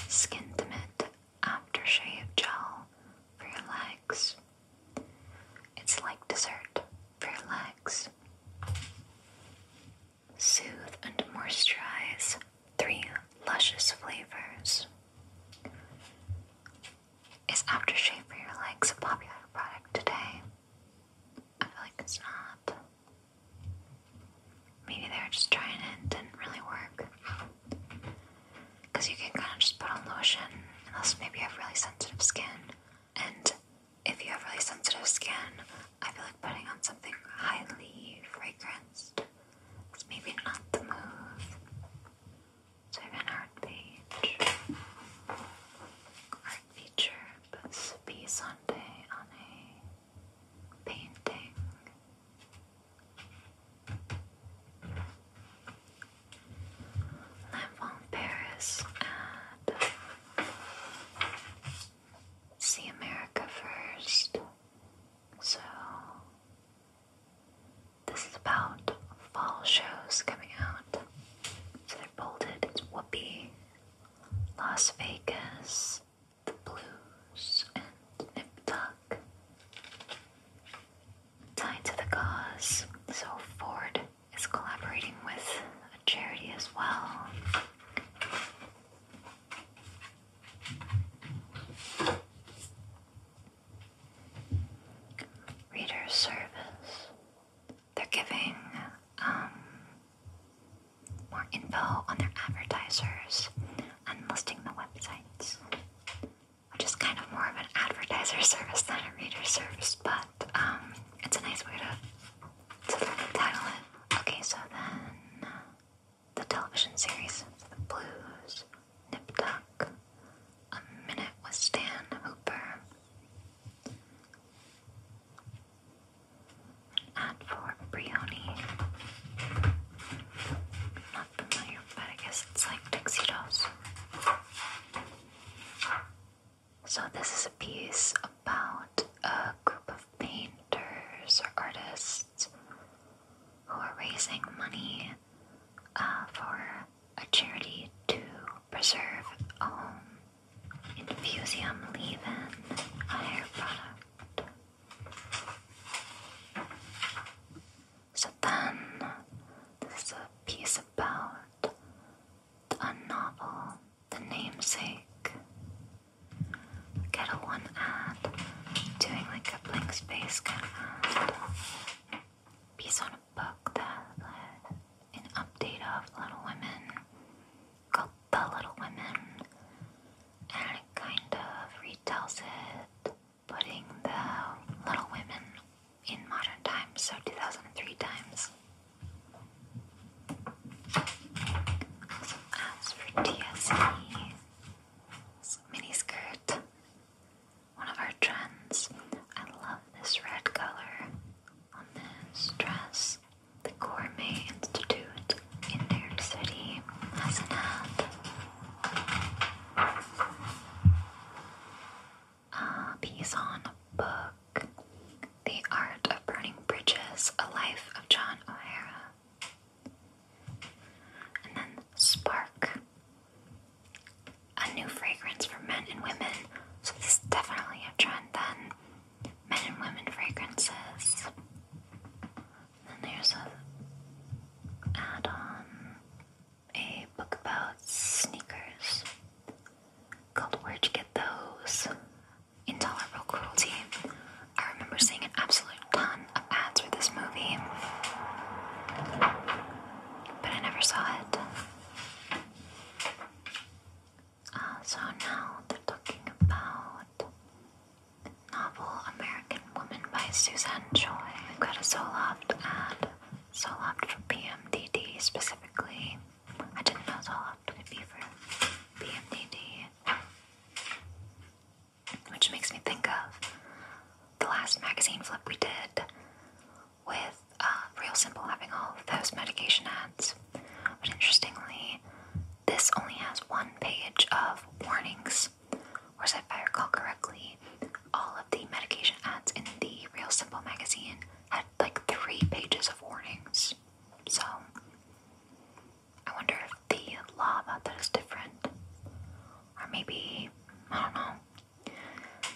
Speaker 1: Skin Timid Aftershave Gel for your legs. It's like dessert for your legs. Soothe and moisturize three luscious flavors. Is aftershave for your legs a popular product today? I feel like it's not. Maybe they were just trying it didn't really work. Because you can kind of just put on lotion, unless maybe you have really sensitive skin. And if you have really sensitive skin, I feel like putting on something highly fragranced is maybe not the move. So I have an art page. Art feature, but be Sunday on a painting. I found Paris and see America first. So this is about fall shows coming out. So they're bolded. It's Whoopi, Las Vegas, the blues and Nip Tuck. Tied to the cause, so Ford is collaborating with a charity as well. Reader service. They're giving um, more info on their advertisers and listing the websites, which is kind of more of an advertiser service than a reader service, but um, it's a nice way to, to title it. Okay, so then the television series, The Blues, Nip Tuck, A Minute with Stan Hooper. And for Brioni, not familiar, but I guess it's like tuxedos. So, this is a piece about a group of painters or artists who are raising money uh, for a charity to preserve a home. Infusium leave in a hair product. So then, there's a piece about a novel, The Namesake. Get a one ad, doing like a blank space kind of Piece on a book that an update of Little Women called The Little Women, and kind of retells it, putting the Little Women in modern times, so 2003 times. So as for TSE, mini skirt, one of our trends. I love this red color on this dress. The Gourmet Institute in their city has an ad. Uh, Pison book. The Art of Burning Bridges, A Life of John O'Hara. And then Spark. A new fragrance for men and women. So this is definitely a trend then men and women fragrances. Then there's a add-on, a book about sneakers called Where'd You Get Those? Intolerable Cruelty. I remember seeing an absolute ton of ads for this movie, but I never saw it. Uh, so now they're talking about novel American Woman by Suzanne Choi. we have got a solo ad, solo for PMDD specifically. I didn't know Zoloft could be for PMDD, which makes me think of the last magazine flip we did with uh, Real Simple having all those medication ads. But interestingly, this only has one page of warnings, Whereas, if I recall correctly, all of the medication ads in the Real Simple magazine had like three pages of warnings. So, I wonder if the law about that is different. Or maybe, I don't know.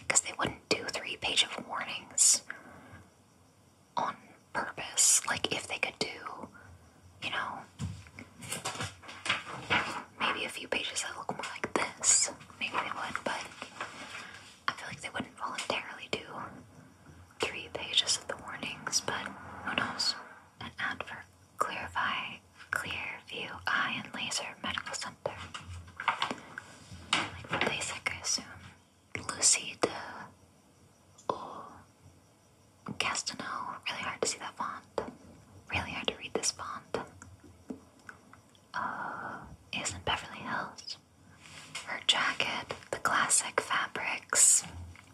Speaker 1: Because they wouldn't do three page of warnings on purpose. Like if they could do, you know, maybe a few pages that look more like this, maybe they would, but I feel like they wouldn't voluntarily do three pages of the warnings, but who knows? An ad for Clarify, Clear View Eye and Laser Medical Center. Like for LASIK, I assume. Lucida. Oh, Castano, really hard to see that font. Really hard to read this font. Uh, is in Beverly Hills. Her jacket, the classic fabrics,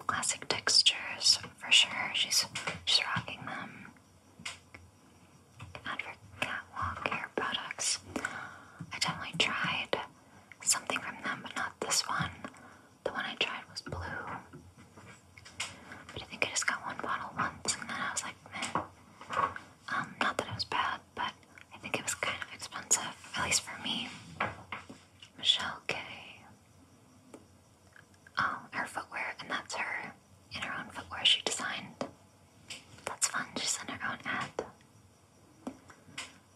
Speaker 1: classic textures for sure. She's she's rocking them. Advert catwalk hair products. I definitely tried something from them, but not this one. The one I tried was blue. But I think I just got one bottle once and then I was like, meh. Um, not that it was bad, but I think it was kind of expensive, at least for me. Michelle K. Oh, her footwear, and that's her in her own footwear she designed. That's fun, she's in her own ad.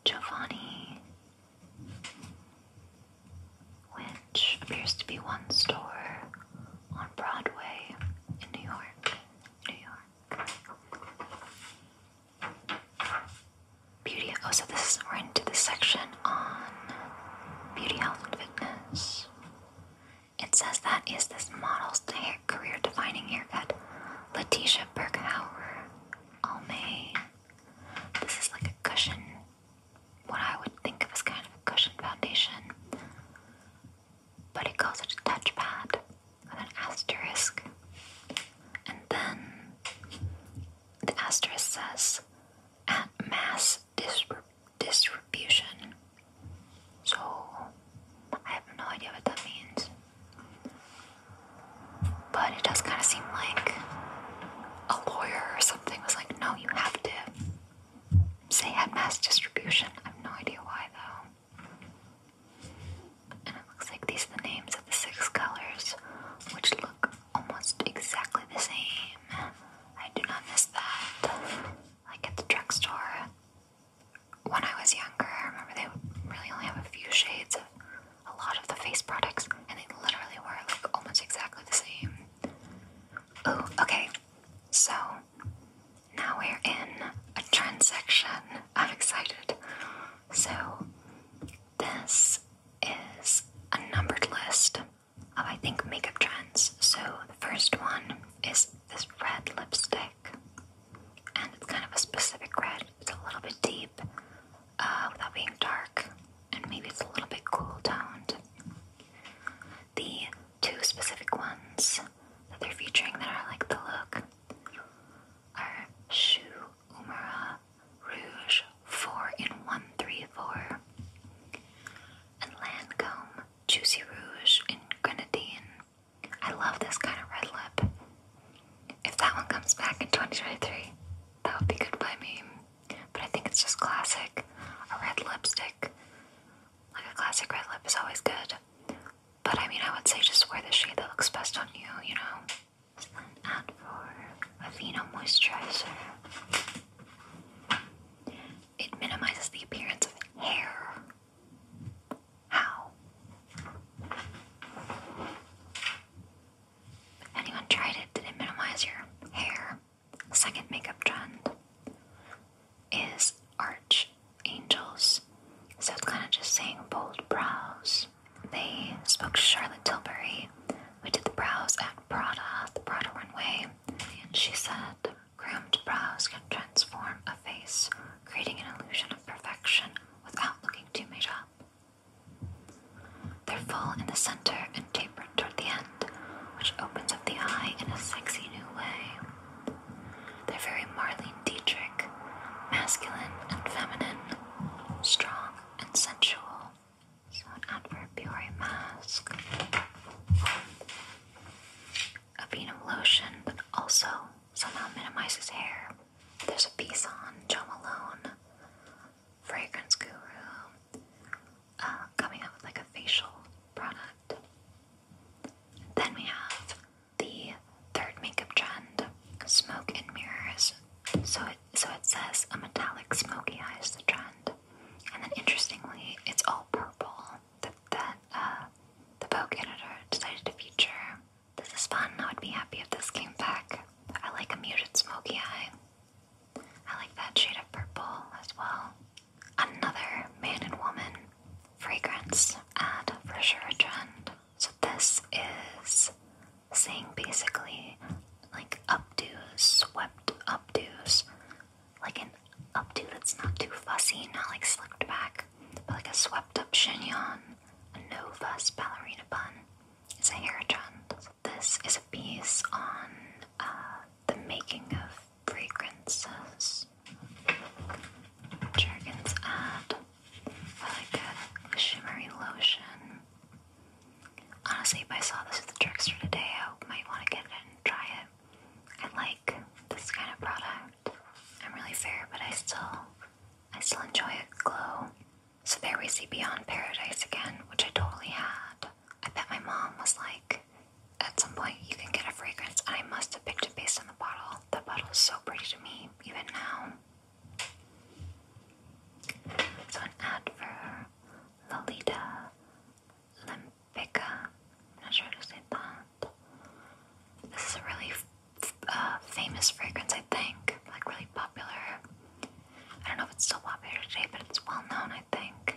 Speaker 1: Giovanni which appears to be one store on Broadway in New York. New York. Beauty. Oh, so this we're into the section on beauty, health, and fitness. It says that is this model's career-defining haircut, Letitia Berghauer Almay. This is like a cushion what I would think of as kind of a cushion foundation, but it calls it a touchpad with an asterisk. And then the asterisk says at mass distribution. So I have no idea what that means. But it does kind of seem like a lawyer or something was like, no, you have to say at mass distribution. I have no idea why though. And it looks like these are the names of the six colors, which look almost exactly the same. I do not miss that. Like at the drugstore, when I was younger, I remember they would really only have a few shades of a lot of the face products, and they literally were like almost exactly the same. Oh, okay. So now we're in a trend section. I'm excited. So this is a numbered list of I think makeup trends. So the first one is this red lipstick. And it's kind of a specific red. It's a little bit deep uh, without being dark, and maybe it's a little bit cool toned. The two specific ones that they're featuring that are like the look are Shu Umura Rouge 4 in 134 and Lancome Juicy Rouge in Grenadine. I love this kind of red lip. If that one comes back in 2023, that would be good by me. But I think it's just classic. A red lipstick, like a classic red lip, is always good. But I mean, I would say just wear the shade that looks best on you, you know? And for Aveeno Moisturizer, it minimizes the appearance of hair. How? Anyone tried it? Did it minimize your hair? second makeup trend is arch angels. So it's kind of just saying bold brows. They spoke to Charlotte Tilbury. We did the brows at Prada, the Prada runway, and she said cramped brows can transform a face, creating an illusion of perfection without looking too made up. They're full in the center and tapered toward the end, which opens up the eye in a sexy new way. They're very Marlene Dietrich, masculine and feminine, strong and sensual. So an adverbiary mask. A bean lotion that also somehow minimizes hair. There's a piece on Joe Malone, fragrance guru, uh, coming up with like a facial product. Then we have the third makeup trend, smoke and mirrors. So it so it says a metallic smoky eye the trend, and then interestingly, it's all purple. That that uh, the Vogue editor decided to feature. This is fun. I would be happy if this came back. I like a muted smoky eye. I like that shade of purple as well. Another man and woman fragrance ad for sure a trend. So this is saying basically like updos, swept updos, like an updo that's not too fussy, not like slicked back, but like a swept up chignon, a no fuss ballerina bun. Is a hair trend this is a piece on uh, the making of fragrances. Jergens ad. Really good shimmery lotion. Honestly, if I saw this at the drugstore today, I might want to get it and try it. I like this kind of product. I'm really fair, but I still, I still enjoy a glow. So there we see Beyond Paradise again, which I totally had. I bet my mom was like, at some point you can get a fragrance, and I must have picked it based on the bottle. That bottle bottle's so pretty to me, even now. So an ad for Lolita Limpica. not sure how to say that. This is a really uh, famous fragrance, I think, like really popular. I don't know if it's still popular today, but it's well known, I think.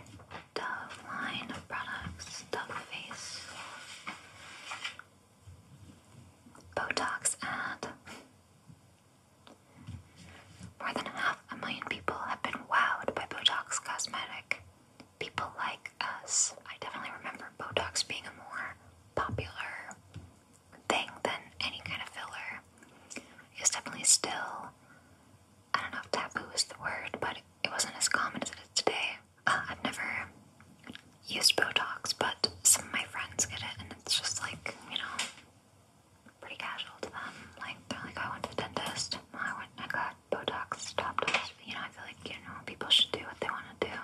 Speaker 1: Dove line of products, Dove face, Botox ad. More than half a million people have been wowed by Botox Cosmetic. People like us. I definitely remember Botox being a more popular thing than any kind of filler. It's definitely still I don't know if taboo is the word, but it wasn't as common as it is today. Uh, I've never used Botox, but some of my friends get it, and it's just like, you know, pretty casual to them. Like, they're like, oh, I went to the dentist, I, went, I got Botox, You know, I feel like, you know, people should do what they want to do.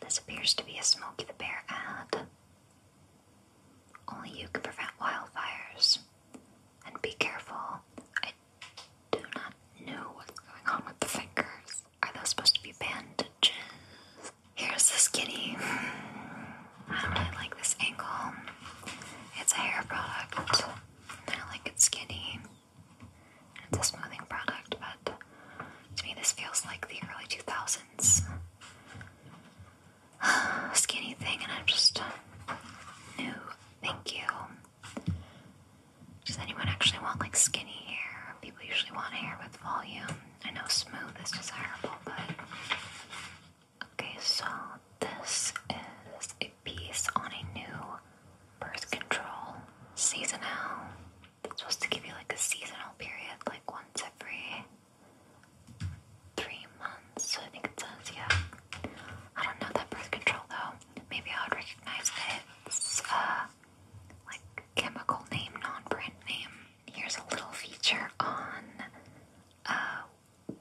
Speaker 1: This appears to be a Smokey the Bear ad. Only you can prevent wildfires. And be careful. I do not know what's going on with the fingers. Are those supposed to be bandages? Here's the skinny. I don't really like this angle. It's a hair product. I like it skinny. It's a smoothing product, but to me this feels like the early 2000s. skinny thing, and I'm just uh, no, thank you. Does anyone actually want like skinny hair? People usually want hair with volume. I know smooth is desirable, but okay. So this is a piece on a new birth control seasonal. It's supposed to give you like a seasonal period, like once every three months, I think it says, yeah. I don't know that birth control though. Maybe I would recognize that it's uh like chemical name, non-brand name. Here's a little feature on uh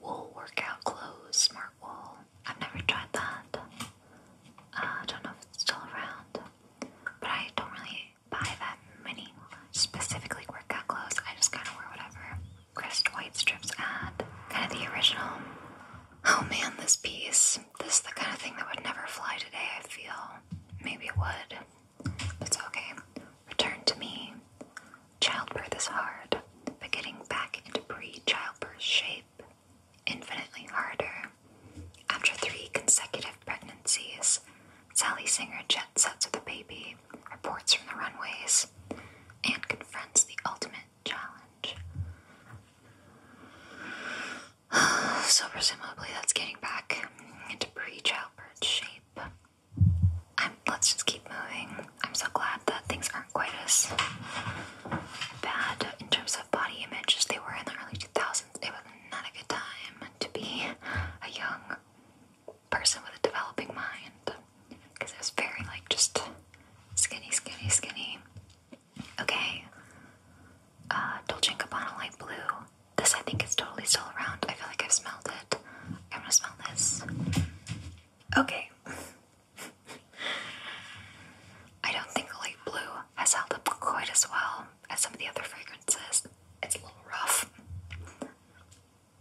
Speaker 1: wool workout clothes, smart wool. I've never tried that. Uh, I don't know if it's still around, but I don't really buy that many specifically workout clothes. I just kind of wear whatever crest white strips add. Kind of the original. Oh man, this piece. This is the kind of thing that would never fly today, I feel. Maybe it would. but it's okay. Return to me. Childbirth is hard, but getting back into pre childbirth shape, infinitely harder. After three consecutive pregnancies, Sally Singer jet sets with a baby, reports from the runways, and confronts the ultimate challenge. So, presumably, that's getting back into pre childbirth shape. let's just keep moving. I'm so glad that things aren't quite as bad in terms of body image as they were in the early 2000s. It was not a good time to be a young person with a developing mind because it was very like just skinny, skinny, skinny. Okay, uh, Dolce & Gabbana light blue. This I think is totally still around. I feel like I've smelled it. I'm gonna smell this. Okay. I don't think light blue has held up quite as well as some of the other fragrances. It's a little rough.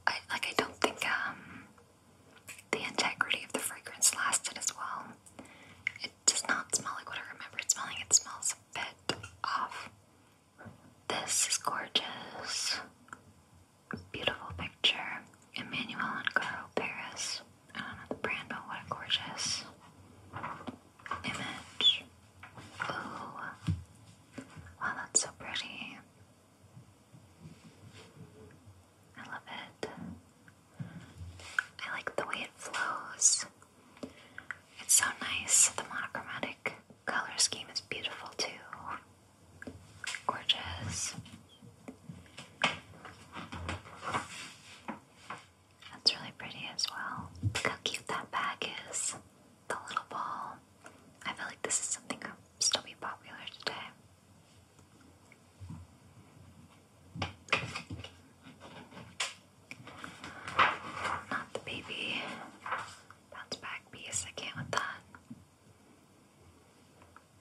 Speaker 1: I like I don't think um the integrity of the fragrance lasted as well. It does not smell like what I remember it smelling. It smells a bit off. This is gorgeous. Beautiful picture. Emmanuel and Caro Paris. I don't know the brand, but what a gorgeous image. Ooh. Wow, that's so pretty. I love it. I like the way it flows. It's so nice. The monochromatic color scheme is beautiful too. Gorgeous. That's really pretty as well. Look how cute that bag is. The little ball. I feel like this is something that will still be popular today. Not the baby bounce back piece. I can with that.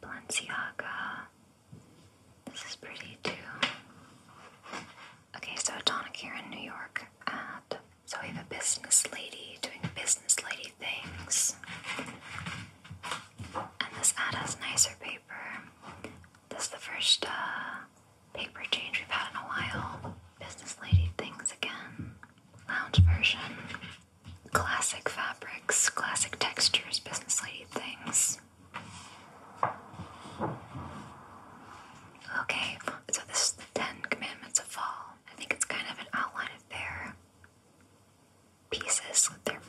Speaker 1: Balenciaga. This is pretty too. Okay, so Tonic here in New York at so we have a business lady doing business lady things. And this has nicer paper. This is the first uh, paper change we've had in a while. Business lady things again. Lounge version. Classic fabrics, classic textures, business lady things. Okay, so this is the Ten Commandments of Fall. I think it's kind of an outline of pieces, they're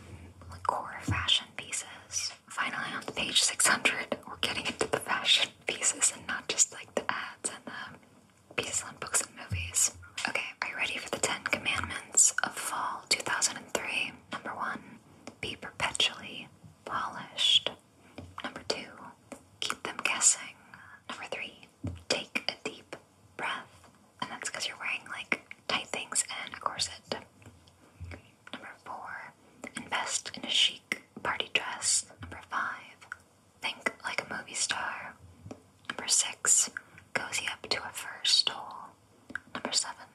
Speaker 1: core fashion pieces. Finally, on page 600, we're getting into the fashion pieces and not just like the ads and the pieces on books and movies. Okay, are you ready for the Ten Commandments of Fall 2003? Number one, be perpetually polished. Number two, keep them guessing. Number three, take a deep breath, and that's because you're wearing like tight things and a corset. Number four, invest in a chic party dress. Number five, think like a movie star. Number six, cozy up to a fur stole. Number seven,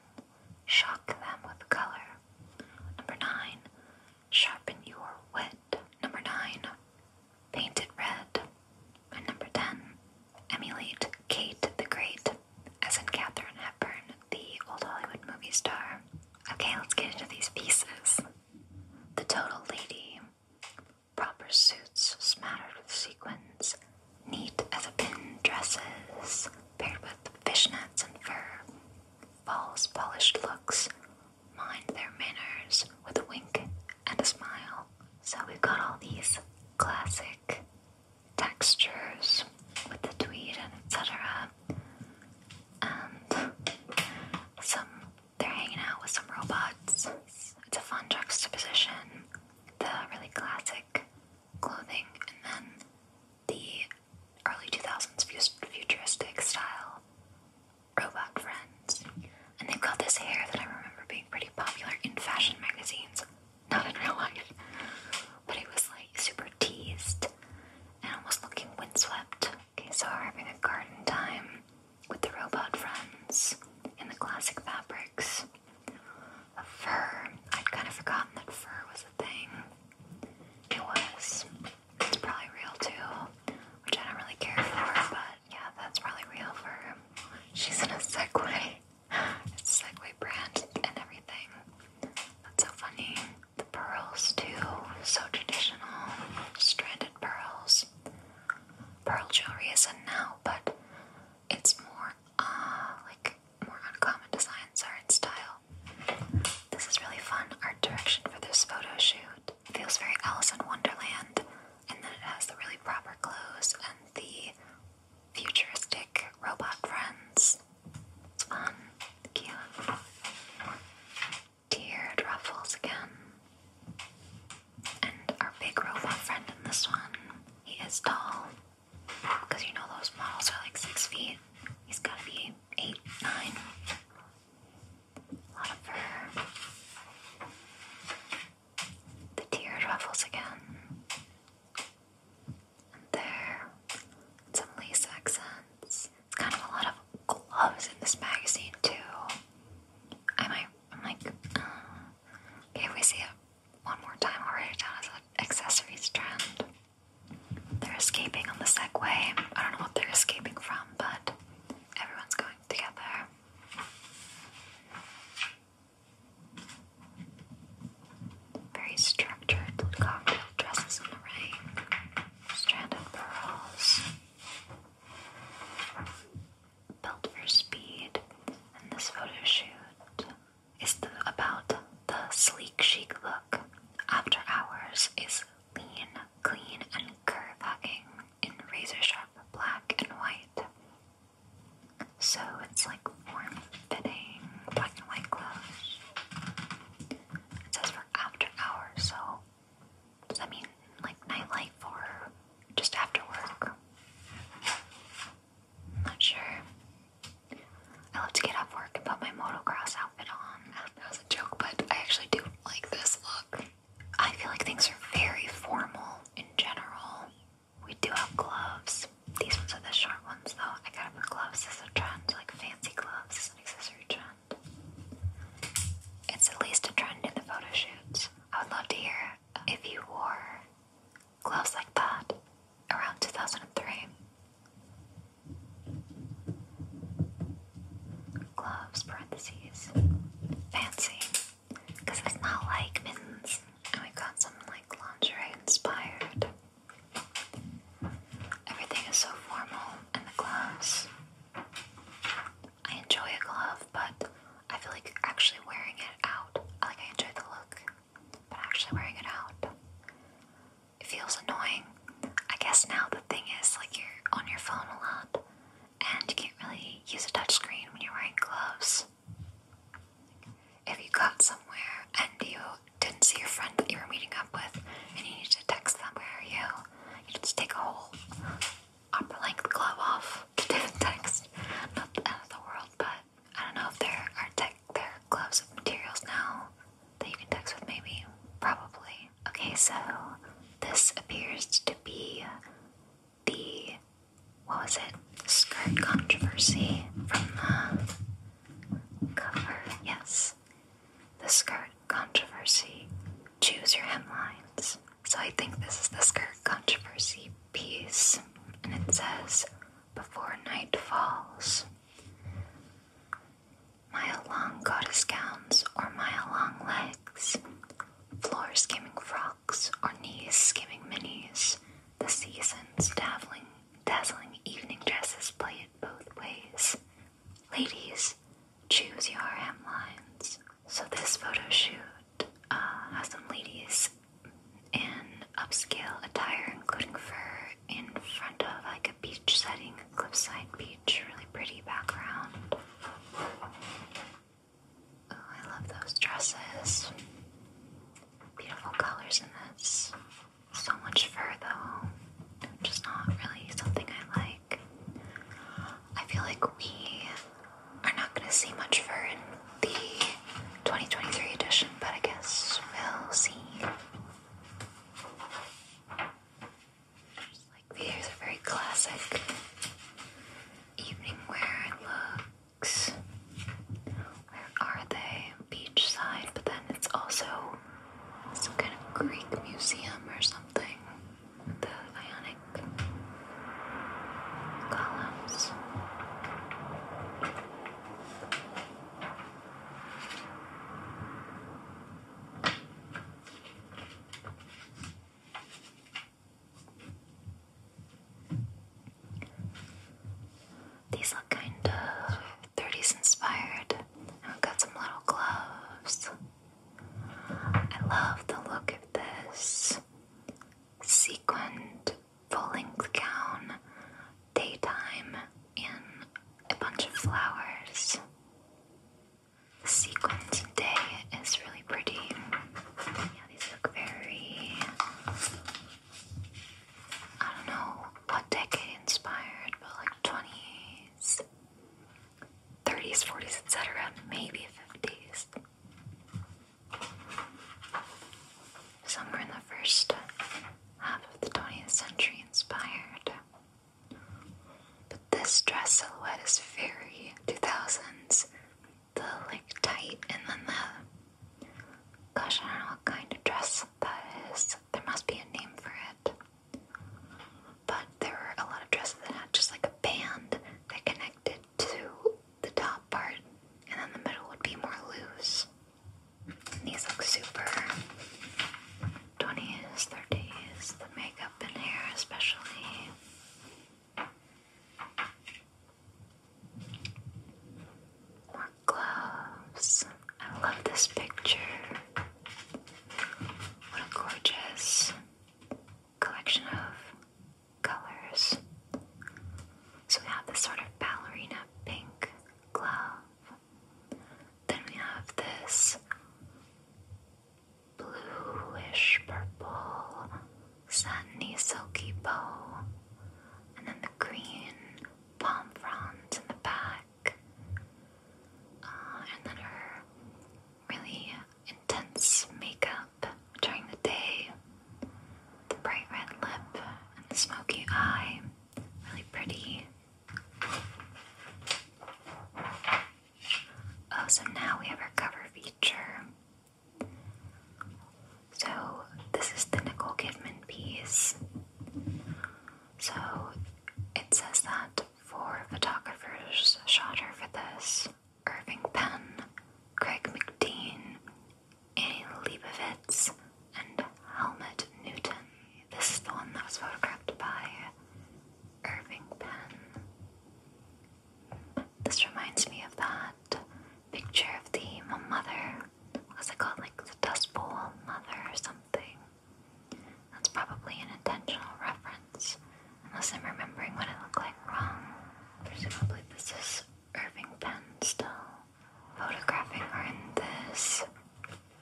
Speaker 1: shock them with color. Number nine, sharpen your wit. Number nine, paint it red. And number 10, emulate Kate the Great, as in Katherine Hepburn, the old Hollywood movie star. Okay, let's get into these pieces. The Total Lady. Proper suits smattered with sequins, neat as a pin dresses, paired with fishnets and fur. False, polished looks, mind their manners with a wink and a smile. So we've got all these classic textures with the tweed and etc. And some they're hanging out with some robots. It's a fun juxtaposition. The really classic clothing and then the early 2000s futuristic style robot friends. And they've got this hair that I remember being pretty popular in fashion magazines not in real life. But he was like super teased and almost looking windswept. Okay, so we're having a garden time with the robot friends in the classic fabrics. fur. I'd kind of forgotten that fur was a thing. It was. It's probably real too, which I don't really care for, but yeah, that's probably real fur. She's in a Segway. It's Segway brand and everything. That's so funny. The pearls too, so traditional. Stranded pearls. Pearl jewelry is not now, but it's more uh like more uncommon designs are in style. This is really fun art direction for this photo shoot. feels very Alice in Wonderland, and then it has the really proper clothes and the futuristic robot friends. It's um, fun, cute. Tiered ruffles again. And our big robot friend in this one, he is tall. Because you know those models are like six feet. He's gotta be eight, nine. A lot of fur the tiered ruffles again. And there, some lace accents. It's kind of a lot of gloves in this magazine too. I might, I'm like, uh, okay, we see it one more time. I'll write it accessories trend. They're escaping on the Segway. I don't know what they're escaping from, but everyone's going together. Very structured cocktail dresses in the rain, stranded pearls, built for speed. And this photo is about the sleek chic look. After hours is lean, clean, and curve in razor sharp black and white. So it's like warm fitting black and white clothes. It says for after hours, so does that mean like nightlife or just after work? not sure. I love to get off work and put my motocross outfit on. That was a joke, but I actually do like this look. I feel like things are very formal in general. We do have gloves. These ones are the short ones though. I gotta put gloves as a trend, like fancy gloves as an accessory trend. It's at least a trend in the photo shoots. I would love to hear if you wore gloves like that around 2003. Gloves, parentheses, fancy. Because it's not like mittens. And we got something like lingerie inspired. Everything is so formal and the gloves. I enjoy a glove, but I feel like actually wearing it out. Like I enjoy the look, but actually wearing it out. It feels annoying. I guess now the thing is like you're on your phone a lot and you can't really use a touch screen when you're wearing gloves. If you got somewhere and you didn't see your friend that you were meeting up with and you need to text them, where are you? You just take a whole upper length glove off to do the text. Not the end of the world, but I don't know if there are tech there gloves of materials now that you can text with maybe. Probably. Okay, so this appears to be the what was it? Skirt controversy from the cover. Yes. The skirt controversy. Choose your hemlines. So I think this is the skirt controversy piece. And it says, Before night falls. Mile long goddess gowns or mile long legs. Floor skimming frocks or knees skimming minis. The seasons dabbling Dazzling evening dresses play it both ways. Ladies, choose your hemlines. So this photo shoot uh, has some ladies in upscale attire, including fur, in front of like a beach setting, cliffside beach, really pretty background. Oh, I love those dresses beautiful colors in this. So much fur though, just not really something I like. I feel like we are not going to see much fur in the 2023 edition, but I guess we'll see. Just like these are very classic evening wear look. Where are they? Beachside, but then it's also some kind of Greek museum or something. The Ionic columns. These look kind of 30s inspired. And have got some little gloves. I love the look of this sequined full length gown, daytime, and a bunch of flowers. The day is really pretty. Yeah, these look very I don't know what decade inspired, but like 20s, 30s, 40s, etc., maybe 50s. Somewhere in the first half of the 20th century inspired. But this dress silhouette is very 2000s. The like tight and then the Gosh, I don't know what kind of dress that is. There must be a name for it. But there were a lot of dresses that had just like a band that connected to the top part, and then the middle would be more loose. And these look super twenty thirty 30s, the makeup and hair, especially. More gloves. I love this picture. What a gorgeous collection of colors. So we have this sort of ballerina pink glove. Then we have this bluish purple, satiny, silky bow. And then the green palm fronds in the back, uh, and then her really intense makeup during the day, the bright red lip, and the smoky eye. Really pretty. Oh, so now we have our cover feature. So, this is the Nicole Kidman piece. So, it says that four photographers shot her for this Irving Penn, Craig McDean, Annie Leibovitz, and Helmut Newton. This is the one that was photographed by Irving Penn. This reminds me of that picture of the mother. What's it Like the Dust Bowl mother or something. That's probably an intentional reference, unless I'm remembering what it looked like wrong. Presumably, this is Irving Penn still photographing her in this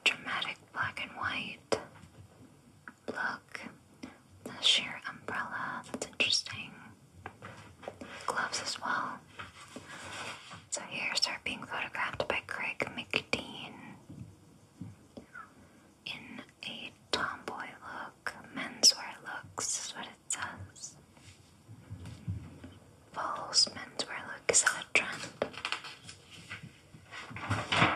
Speaker 1: dramatic black and white look. The sheer umbrella, that's interesting. Gloves as well. So here's her being photographed by Craig McDean in a tomboy look, menswear looks is what it says. False menswear look is a trend? I'm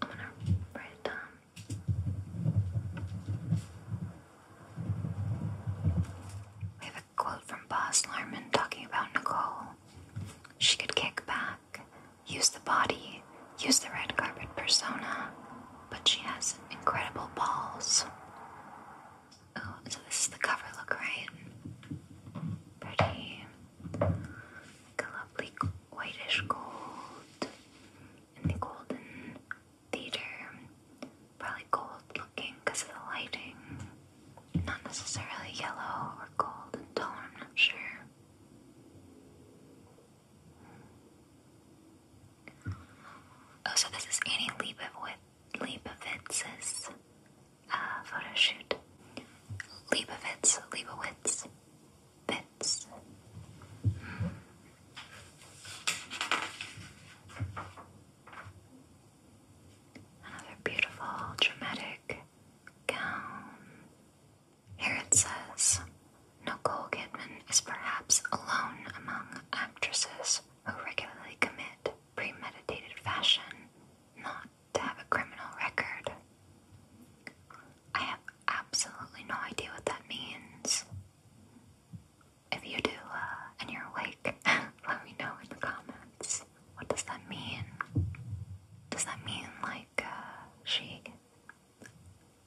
Speaker 1: gonna write down. We have a quote from Boss Larman talking about Nicole. She could kick back, use the body, use the red carpet persona, but she has incredible balls. Oh, so this the cover look, right? Pretty. Like a lovely whitish gold in the golden theater. Probably gold looking because of the lighting. Not necessarily yellow or gold and I'm not sure. Oh, so this is Annie Leibovitz's uh, photo shoot. Leibovitz, Leibowitz, Bits. Another beautiful, dramatic gown. Here it says Nicole Kidman is perhaps alone among actresses who regularly commit premeditated fashion not to have a criminal record. I have absolutely no idea what that means. If you do uh, and you're awake, let me know in the comments. What does that mean? Does that mean like uh, she?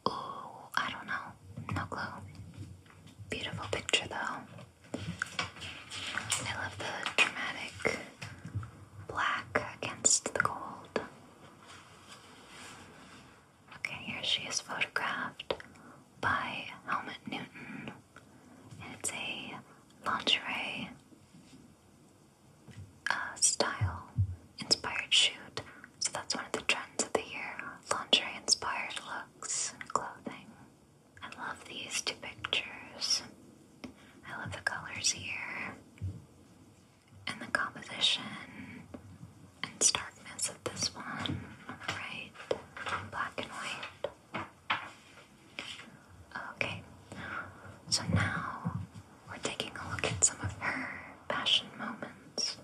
Speaker 1: Ooh, I don't know. No clue. Beautiful picture though. I love the dramatic black against the gold. Okay, here she is photographed by Helmut Newton, and it's a lingerie uh, style inspired shoot. So that's one of the trends of the year: lingerie inspired looks and clothing. I love these two pictures. I love the colors here and the composition and star darkness this one right, black and white. Okay, so now we're taking a look at some of her passion moments.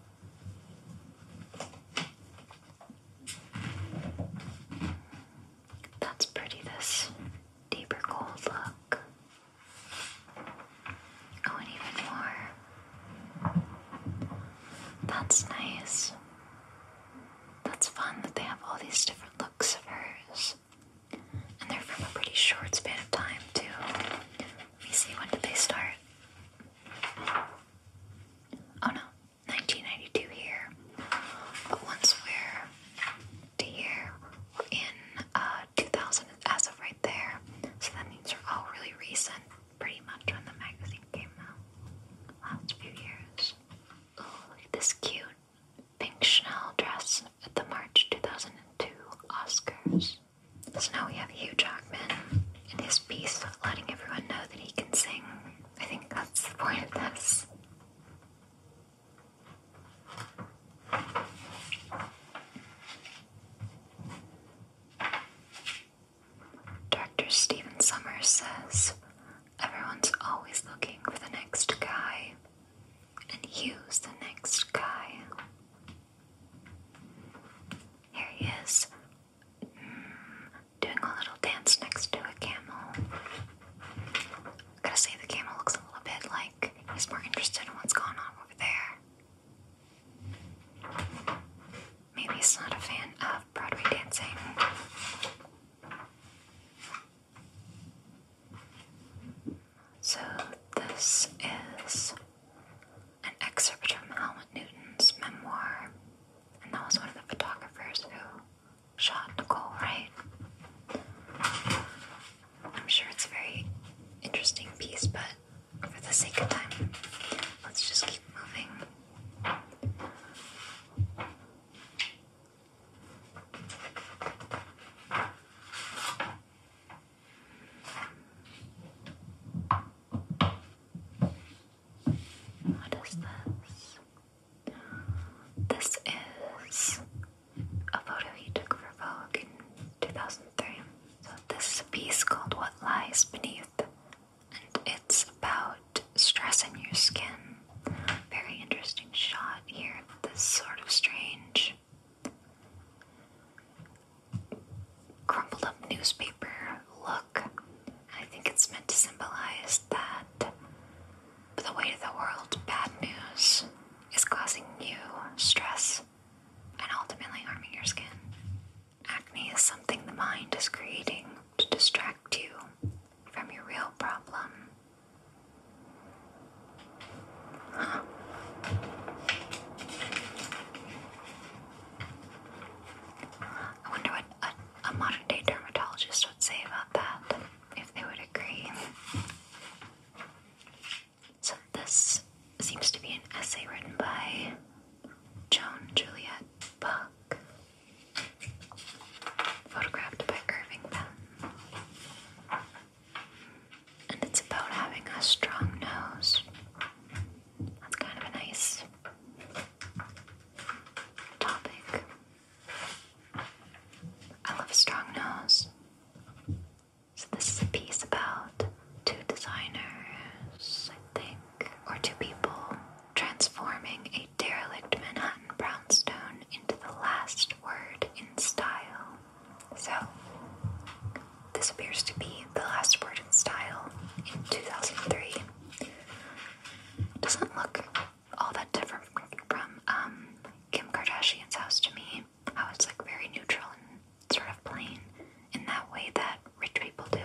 Speaker 1: That's pretty, this deeper gold look. Oh, even more. That's nice. That's fun that they have all these different looks of hers. And they're from a pretty short span of time, too. Let me see, when did they start? Oh no, 1992 here. But once we're to here, we're in uh, 2000 as of right there. So that means they're all really recent pretty much when the magazine came out. Last few years. this cute pink Chanel dress at the March 2002 Oscars. So now we have Hugh Jackman in his piece letting everyone know that he can sing. I think that's the point of this. Director Steven Summers says, Everyone's always looking for the next guy, and he's the next guy. Here he is, mm, doing a little dance next to a camel. Gotta say, the camel looks a little bit like he's more interested in what's going on over there. Maybe he's not a fan of Broadway dancing. So, this is an excerpt from Helmut Newton's memoir, and that was one of the photographers who shot Nicole Wright. I'm sure it's a very interesting piece, but for the sake of time, let's just keep moving. What is this? This is a photo he took for Vogue in 2003. So, this is a piece called What Lies Beneath and it's about stress in your skin. Very interesting shot here this sort of strange crumpled up newspaper look. I think it's meant to symbolize that the weight of the world, bad news, is causing you stress and ultimately harming your skin. Acne is something the mind is creating to distract you from your real problem. I wonder what a modern day dermatologist would say about that, if they would agree. So, this seems to be an essay written by Joan Juliet Buck photographed by Irving Penn. And it's about having a strong nose. That's kind of a nice topic. I love a strong nose. So, this is a piece about two designers, I think or two people, transforming a derelict Manhattan brownstone into the last word in style. So, this appears to be the last word in style in 2003. It doesn't look all that different from um, Kim Kardashian's house to me. How it's like very neutral and sort of plain in that way that rich people do.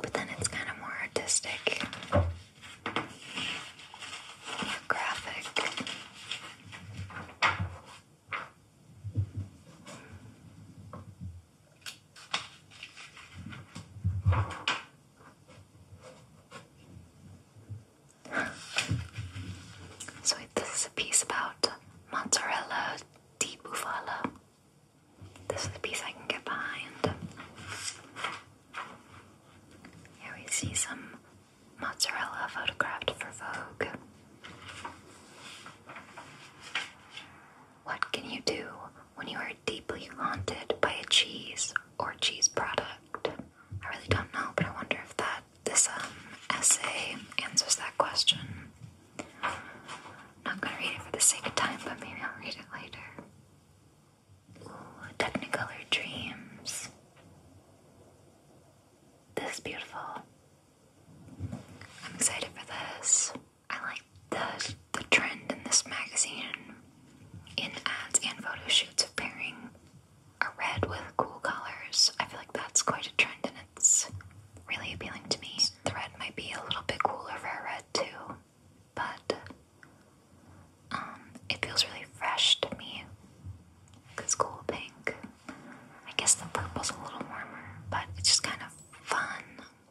Speaker 1: But then it's kind of more artistic, more graphic. so, this is a piece about mozzarella di bufala. This is a piece I can get behind. Here we see some mozzarella photographed for Vogue. What can you do when you are deeply haunted by a cheese or cheese product? I really don't know, but I wonder if that this um, essay answers that question. Not gonna read it for the sake of time, but maybe I'll read it later. Technicolor Dreams. This is beautiful. I'm excited for this. I like the the trend in this magazine in ads and photo shoots of pairing a red with cool colors. I feel like that's quite a trend in it really appealing to me. The red might be a little bit cooler for a red too, but um, it feels really fresh to me. It's cool pink. I guess the purple's a little warmer, but it's just kind of fun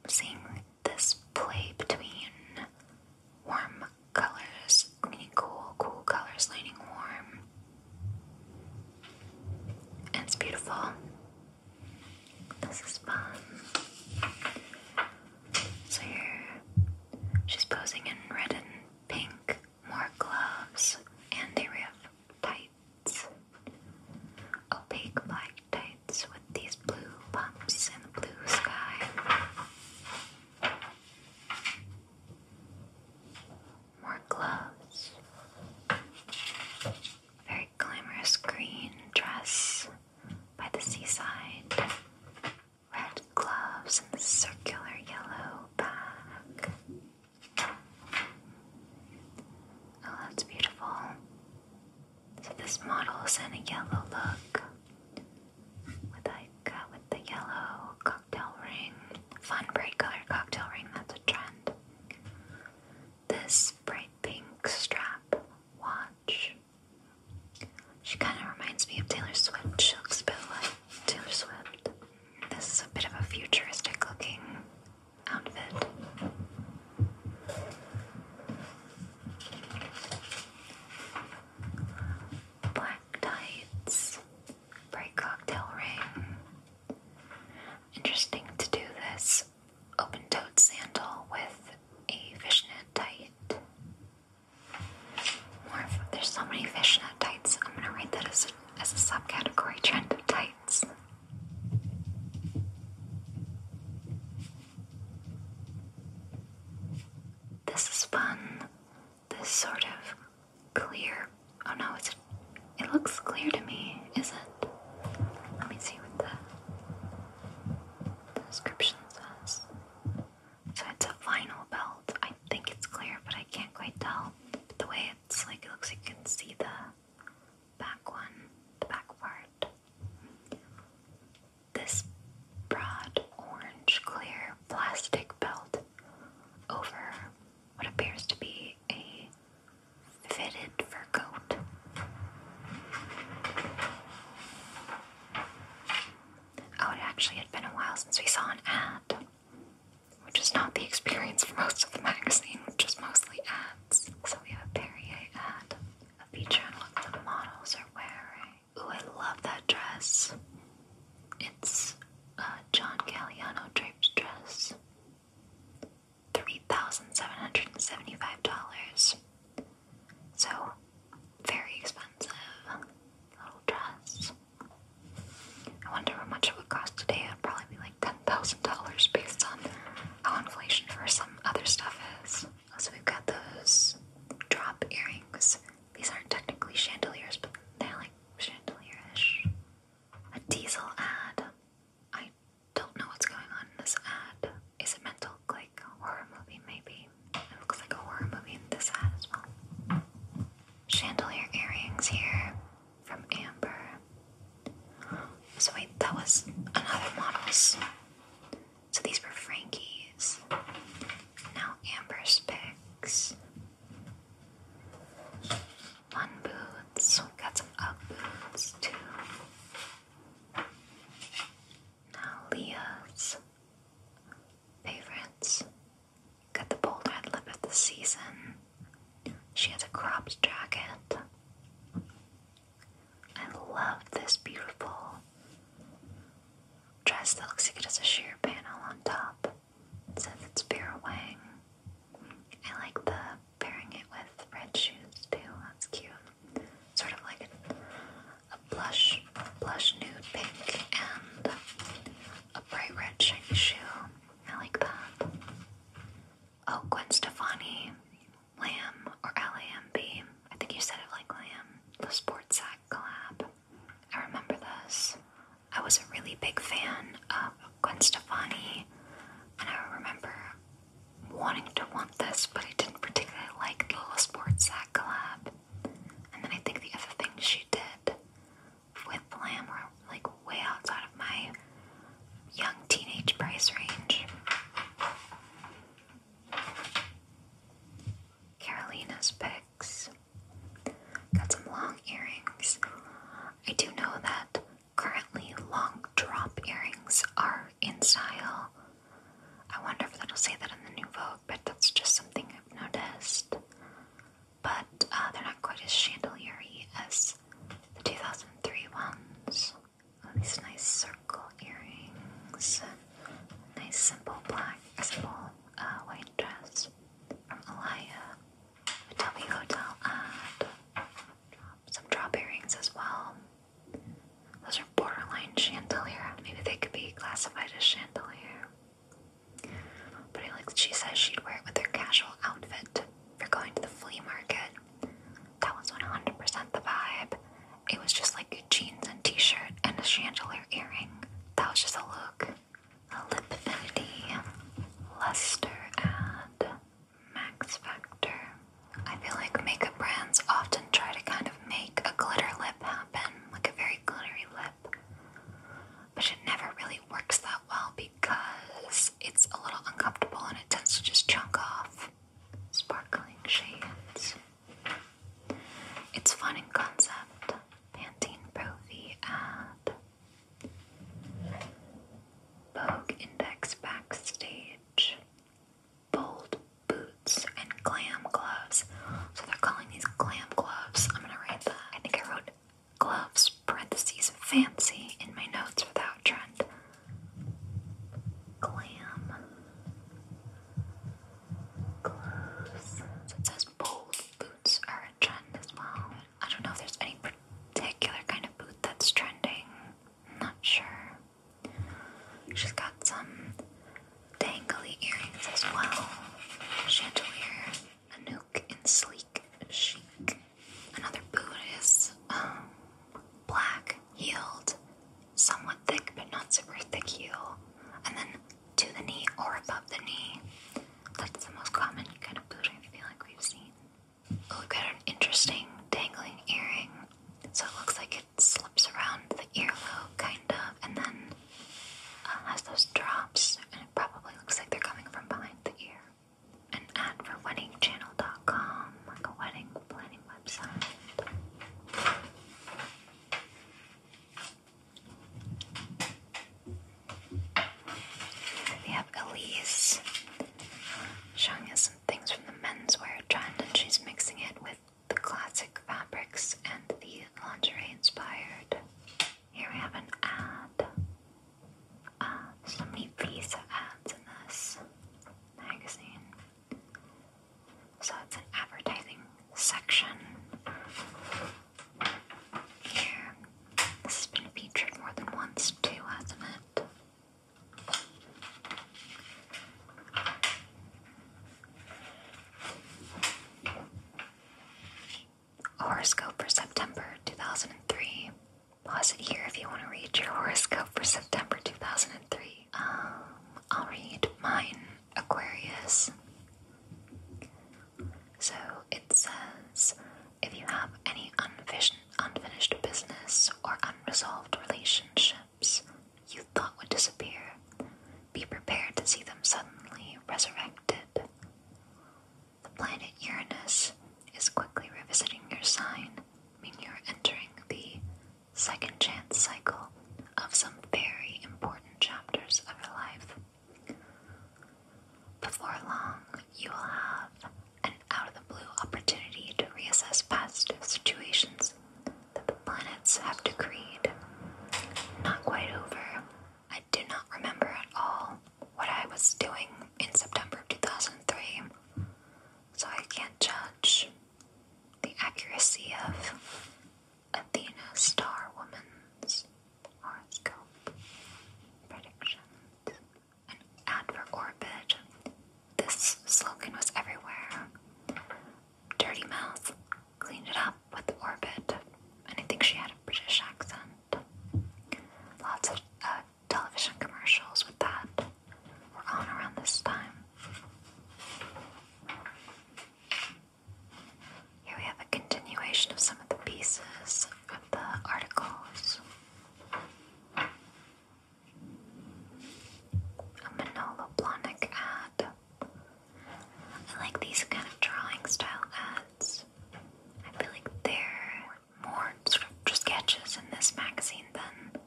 Speaker 1: seeing this play between warm colors, meaning cool, cool colors leaning warm. And it's beautiful. This is fun. So here, she's posing in red and pink, more gloves, and they have tights. Opaque black tights with these blue bumps and the blue sky. More gloves very glamorous green dress by the seaside, red gloves, and the circular yellow bag. Oh, that's beautiful. So this model is a yellow look with like uh, with the yellow cocktail ring, fun bright color cocktail ring. That's a trend this bright pink strap watch. She kind of reminds me of Taylor Swift. She looks a bit like Taylor Swift. This is a bit of a futuristic looking outfit. Black tights, bright cocktail ring. Interesting to do this open-toed sandal with a fishnet tight. there's so many fishnet tights. I'm gonna write that as as a subcategory trend of tights. This is fun. This sort of clear. Oh no, it's, it looks clear to me, is it? Let me see what the description says. So it's a vinyl belt. I think it's clear, but I can't quite tell. the way it's like, it looks you can see the back one, the back part. This broad orange clear plastic belt over what appears to be a fitted for coat. Oh, it actually had been a while since we saw an ad, which is not the experience for most of the magazine, which is mostly ads. So we have a Perrier ad, a feature on what the models are wearing. Ooh, I love that dress. It's a John Galliano draped dress. $3,775. So, very expensive little dress. I wonder how much it would cost today. It would probably be like $10,000 based on how inflation for some other stuff is. Also, we've got those drop earrings. These aren't technically chandeliers, but they're like chandelier ish. A diesel ad. I don't know what's going on in this ad. Is it meant like a horror movie, maybe? It looks like a horror movie in this ad as well. Chandelier earrings here from Amber. So, wait, that was another model's. So, these were Frankie's. Now, Amber's picks. One boots. got some up boots, too. Now Leo's favorites got the bold red lip of the season. She has a cropped jacket. I love this beautiful dress that looks like it has a sheer panel on top. says it's Vera Wang. I like the pairing it with red shoes too. That's cute. Sort of like a, blush, blush nude pink and a bright red shiny shoe. I like that. Oh, Gwen Stefani, Lamb or L-A-M-B. I think you said it like Lamb. The Sports Sack collab. I remember this. I was a really big fan of Gwen Stefani, and I remember wanting to want this, but I didn't particularly like the little sports sack collab. And then I think the other thing she did with Lamb were like way outside of my young teenage price range. Carolina's picks. Got some long earrings. I do know that currently long drop earrings are in style. I wonder if that'll say that in the new Vogue, but that's just something I've noticed. But uh, they're not quite as chandelier as the 2003 ones. these nice circle earrings, nice simple black, simple uh, white dress from Alaya. The Hotel ad. Some drop earrings as well. Those are borderline chandelier. Maybe they could be classified as chandelier. But I like she says she'd wear it with her casual outfit for going to the flea market. That was 100% the vibe. It was just like jeans and t-shirt and a chandelier earring. That was just a look. A lip affinity, luster, and Max Factor. I feel like makeup brands often try to kind of make a glitter lip happen, like a very glittery lip, but it never really works that well because it's a little uncomfortable and it tends to just chunk off sparkling shades. It's fun in concept. Pantene Pro-V Vogue Index Backstage bold boots and glam gloves. So they're calling these glam gloves. I'm gonna write that. I think I wrote gloves parentheses fancy in my notes without trend. Glam gloves. So it says bold boots are a trend as well. I don't know if there's any particular kind of boot that's trending. not sure. She's got some dangly earrings as well. Chandelier, Anouk and sleek chic. Another boot is um, black heeled, somewhat thick but not super thick heel, and then to the knee or above the knee. That's the most common kind of boot I feel like we've seen. Oh, we've got an interesting dangling earring so it looks like it slips around the earlobe, kind of, and then uh, has those drops, and it probably looks like they're coming from behind the ear. An ad for weddingchannel.com, like a wedding planning website. We have Elise uh, showing us some things from the menswear trend, and she's mixing it with the classic fabrics and the lingerie inspired. Here we have an ad. Uh, so many Visa ads in this magazine. So it's an advertising section. Here. This has been featured more than once too, hasn't it? Horoscope for September 2003. Pause it here if you want to read your horoscope for September 2003. Um, I'll read mine, Aquarius. So it says if you have any unfinished, unfinished business or unresolved relationship, you thought would disappear. Be prepared to see them suddenly resurrected. The planet Uranus is quickly revisiting your sign, meaning you're entering the second chance cycle of some very important chapters of your life. Before long, you will have an out of the blue opportunity to reassess past situations that the planets have decreed. Not quite over. I do not remember at all what I was doing in September of 2003, so I can't judge the accuracy of Athena Star Woman's horoscope predictions. An ad for Orbit this slogan was everywhere. Dirty Mouth cleaned it up with Orbit, and I think she had a British accent. Lots of uh, television commercials with that were going around this time. Here we have a continuation of some of the pieces of the articles. A monoplonic ad. I like these kind of drawing style ads. I feel like they're more sort of sketches in this magazine than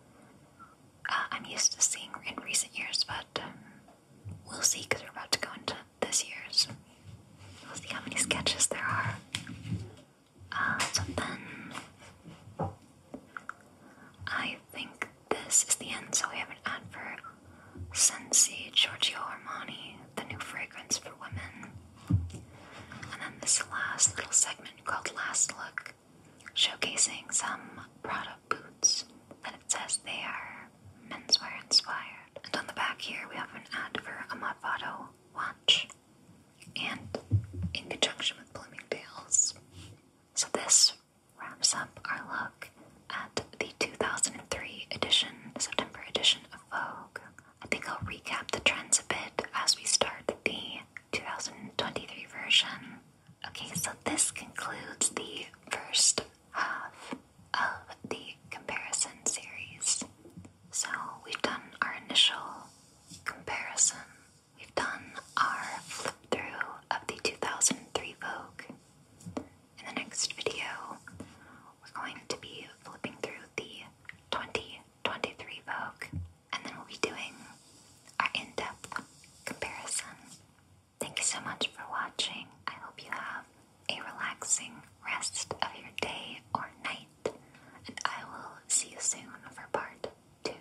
Speaker 1: uh, I'm used to seeing in recent years, but um, we'll see because we're about to go into this year's. We'll see how many sketches there are. Uh, so I think this is the end, so we have an ad for Sensi Giorgio Armani, the new fragrance for women. And then this last little segment called Last Look, showcasing some Prada boots and it says they are menswear inspired. And on the back here, we have an ad for a Modvato watch, and in conjunction with Bloomingdale's. So this wraps up our look at the 2003 edition, September edition of Vogue. I think I'll recap the trends a bit as we start the 2023 version. Okay, so this concludes the first half of the comparison series. So we've done our initial comparison We've done our flip through of the 2003 Vogue. In the next video, we're going to be flipping through the 2023 Vogue, and then we'll be doing our in depth comparison. Thank you so much for watching. I hope you have a relaxing rest of your day or night, and I will see you soon for part two.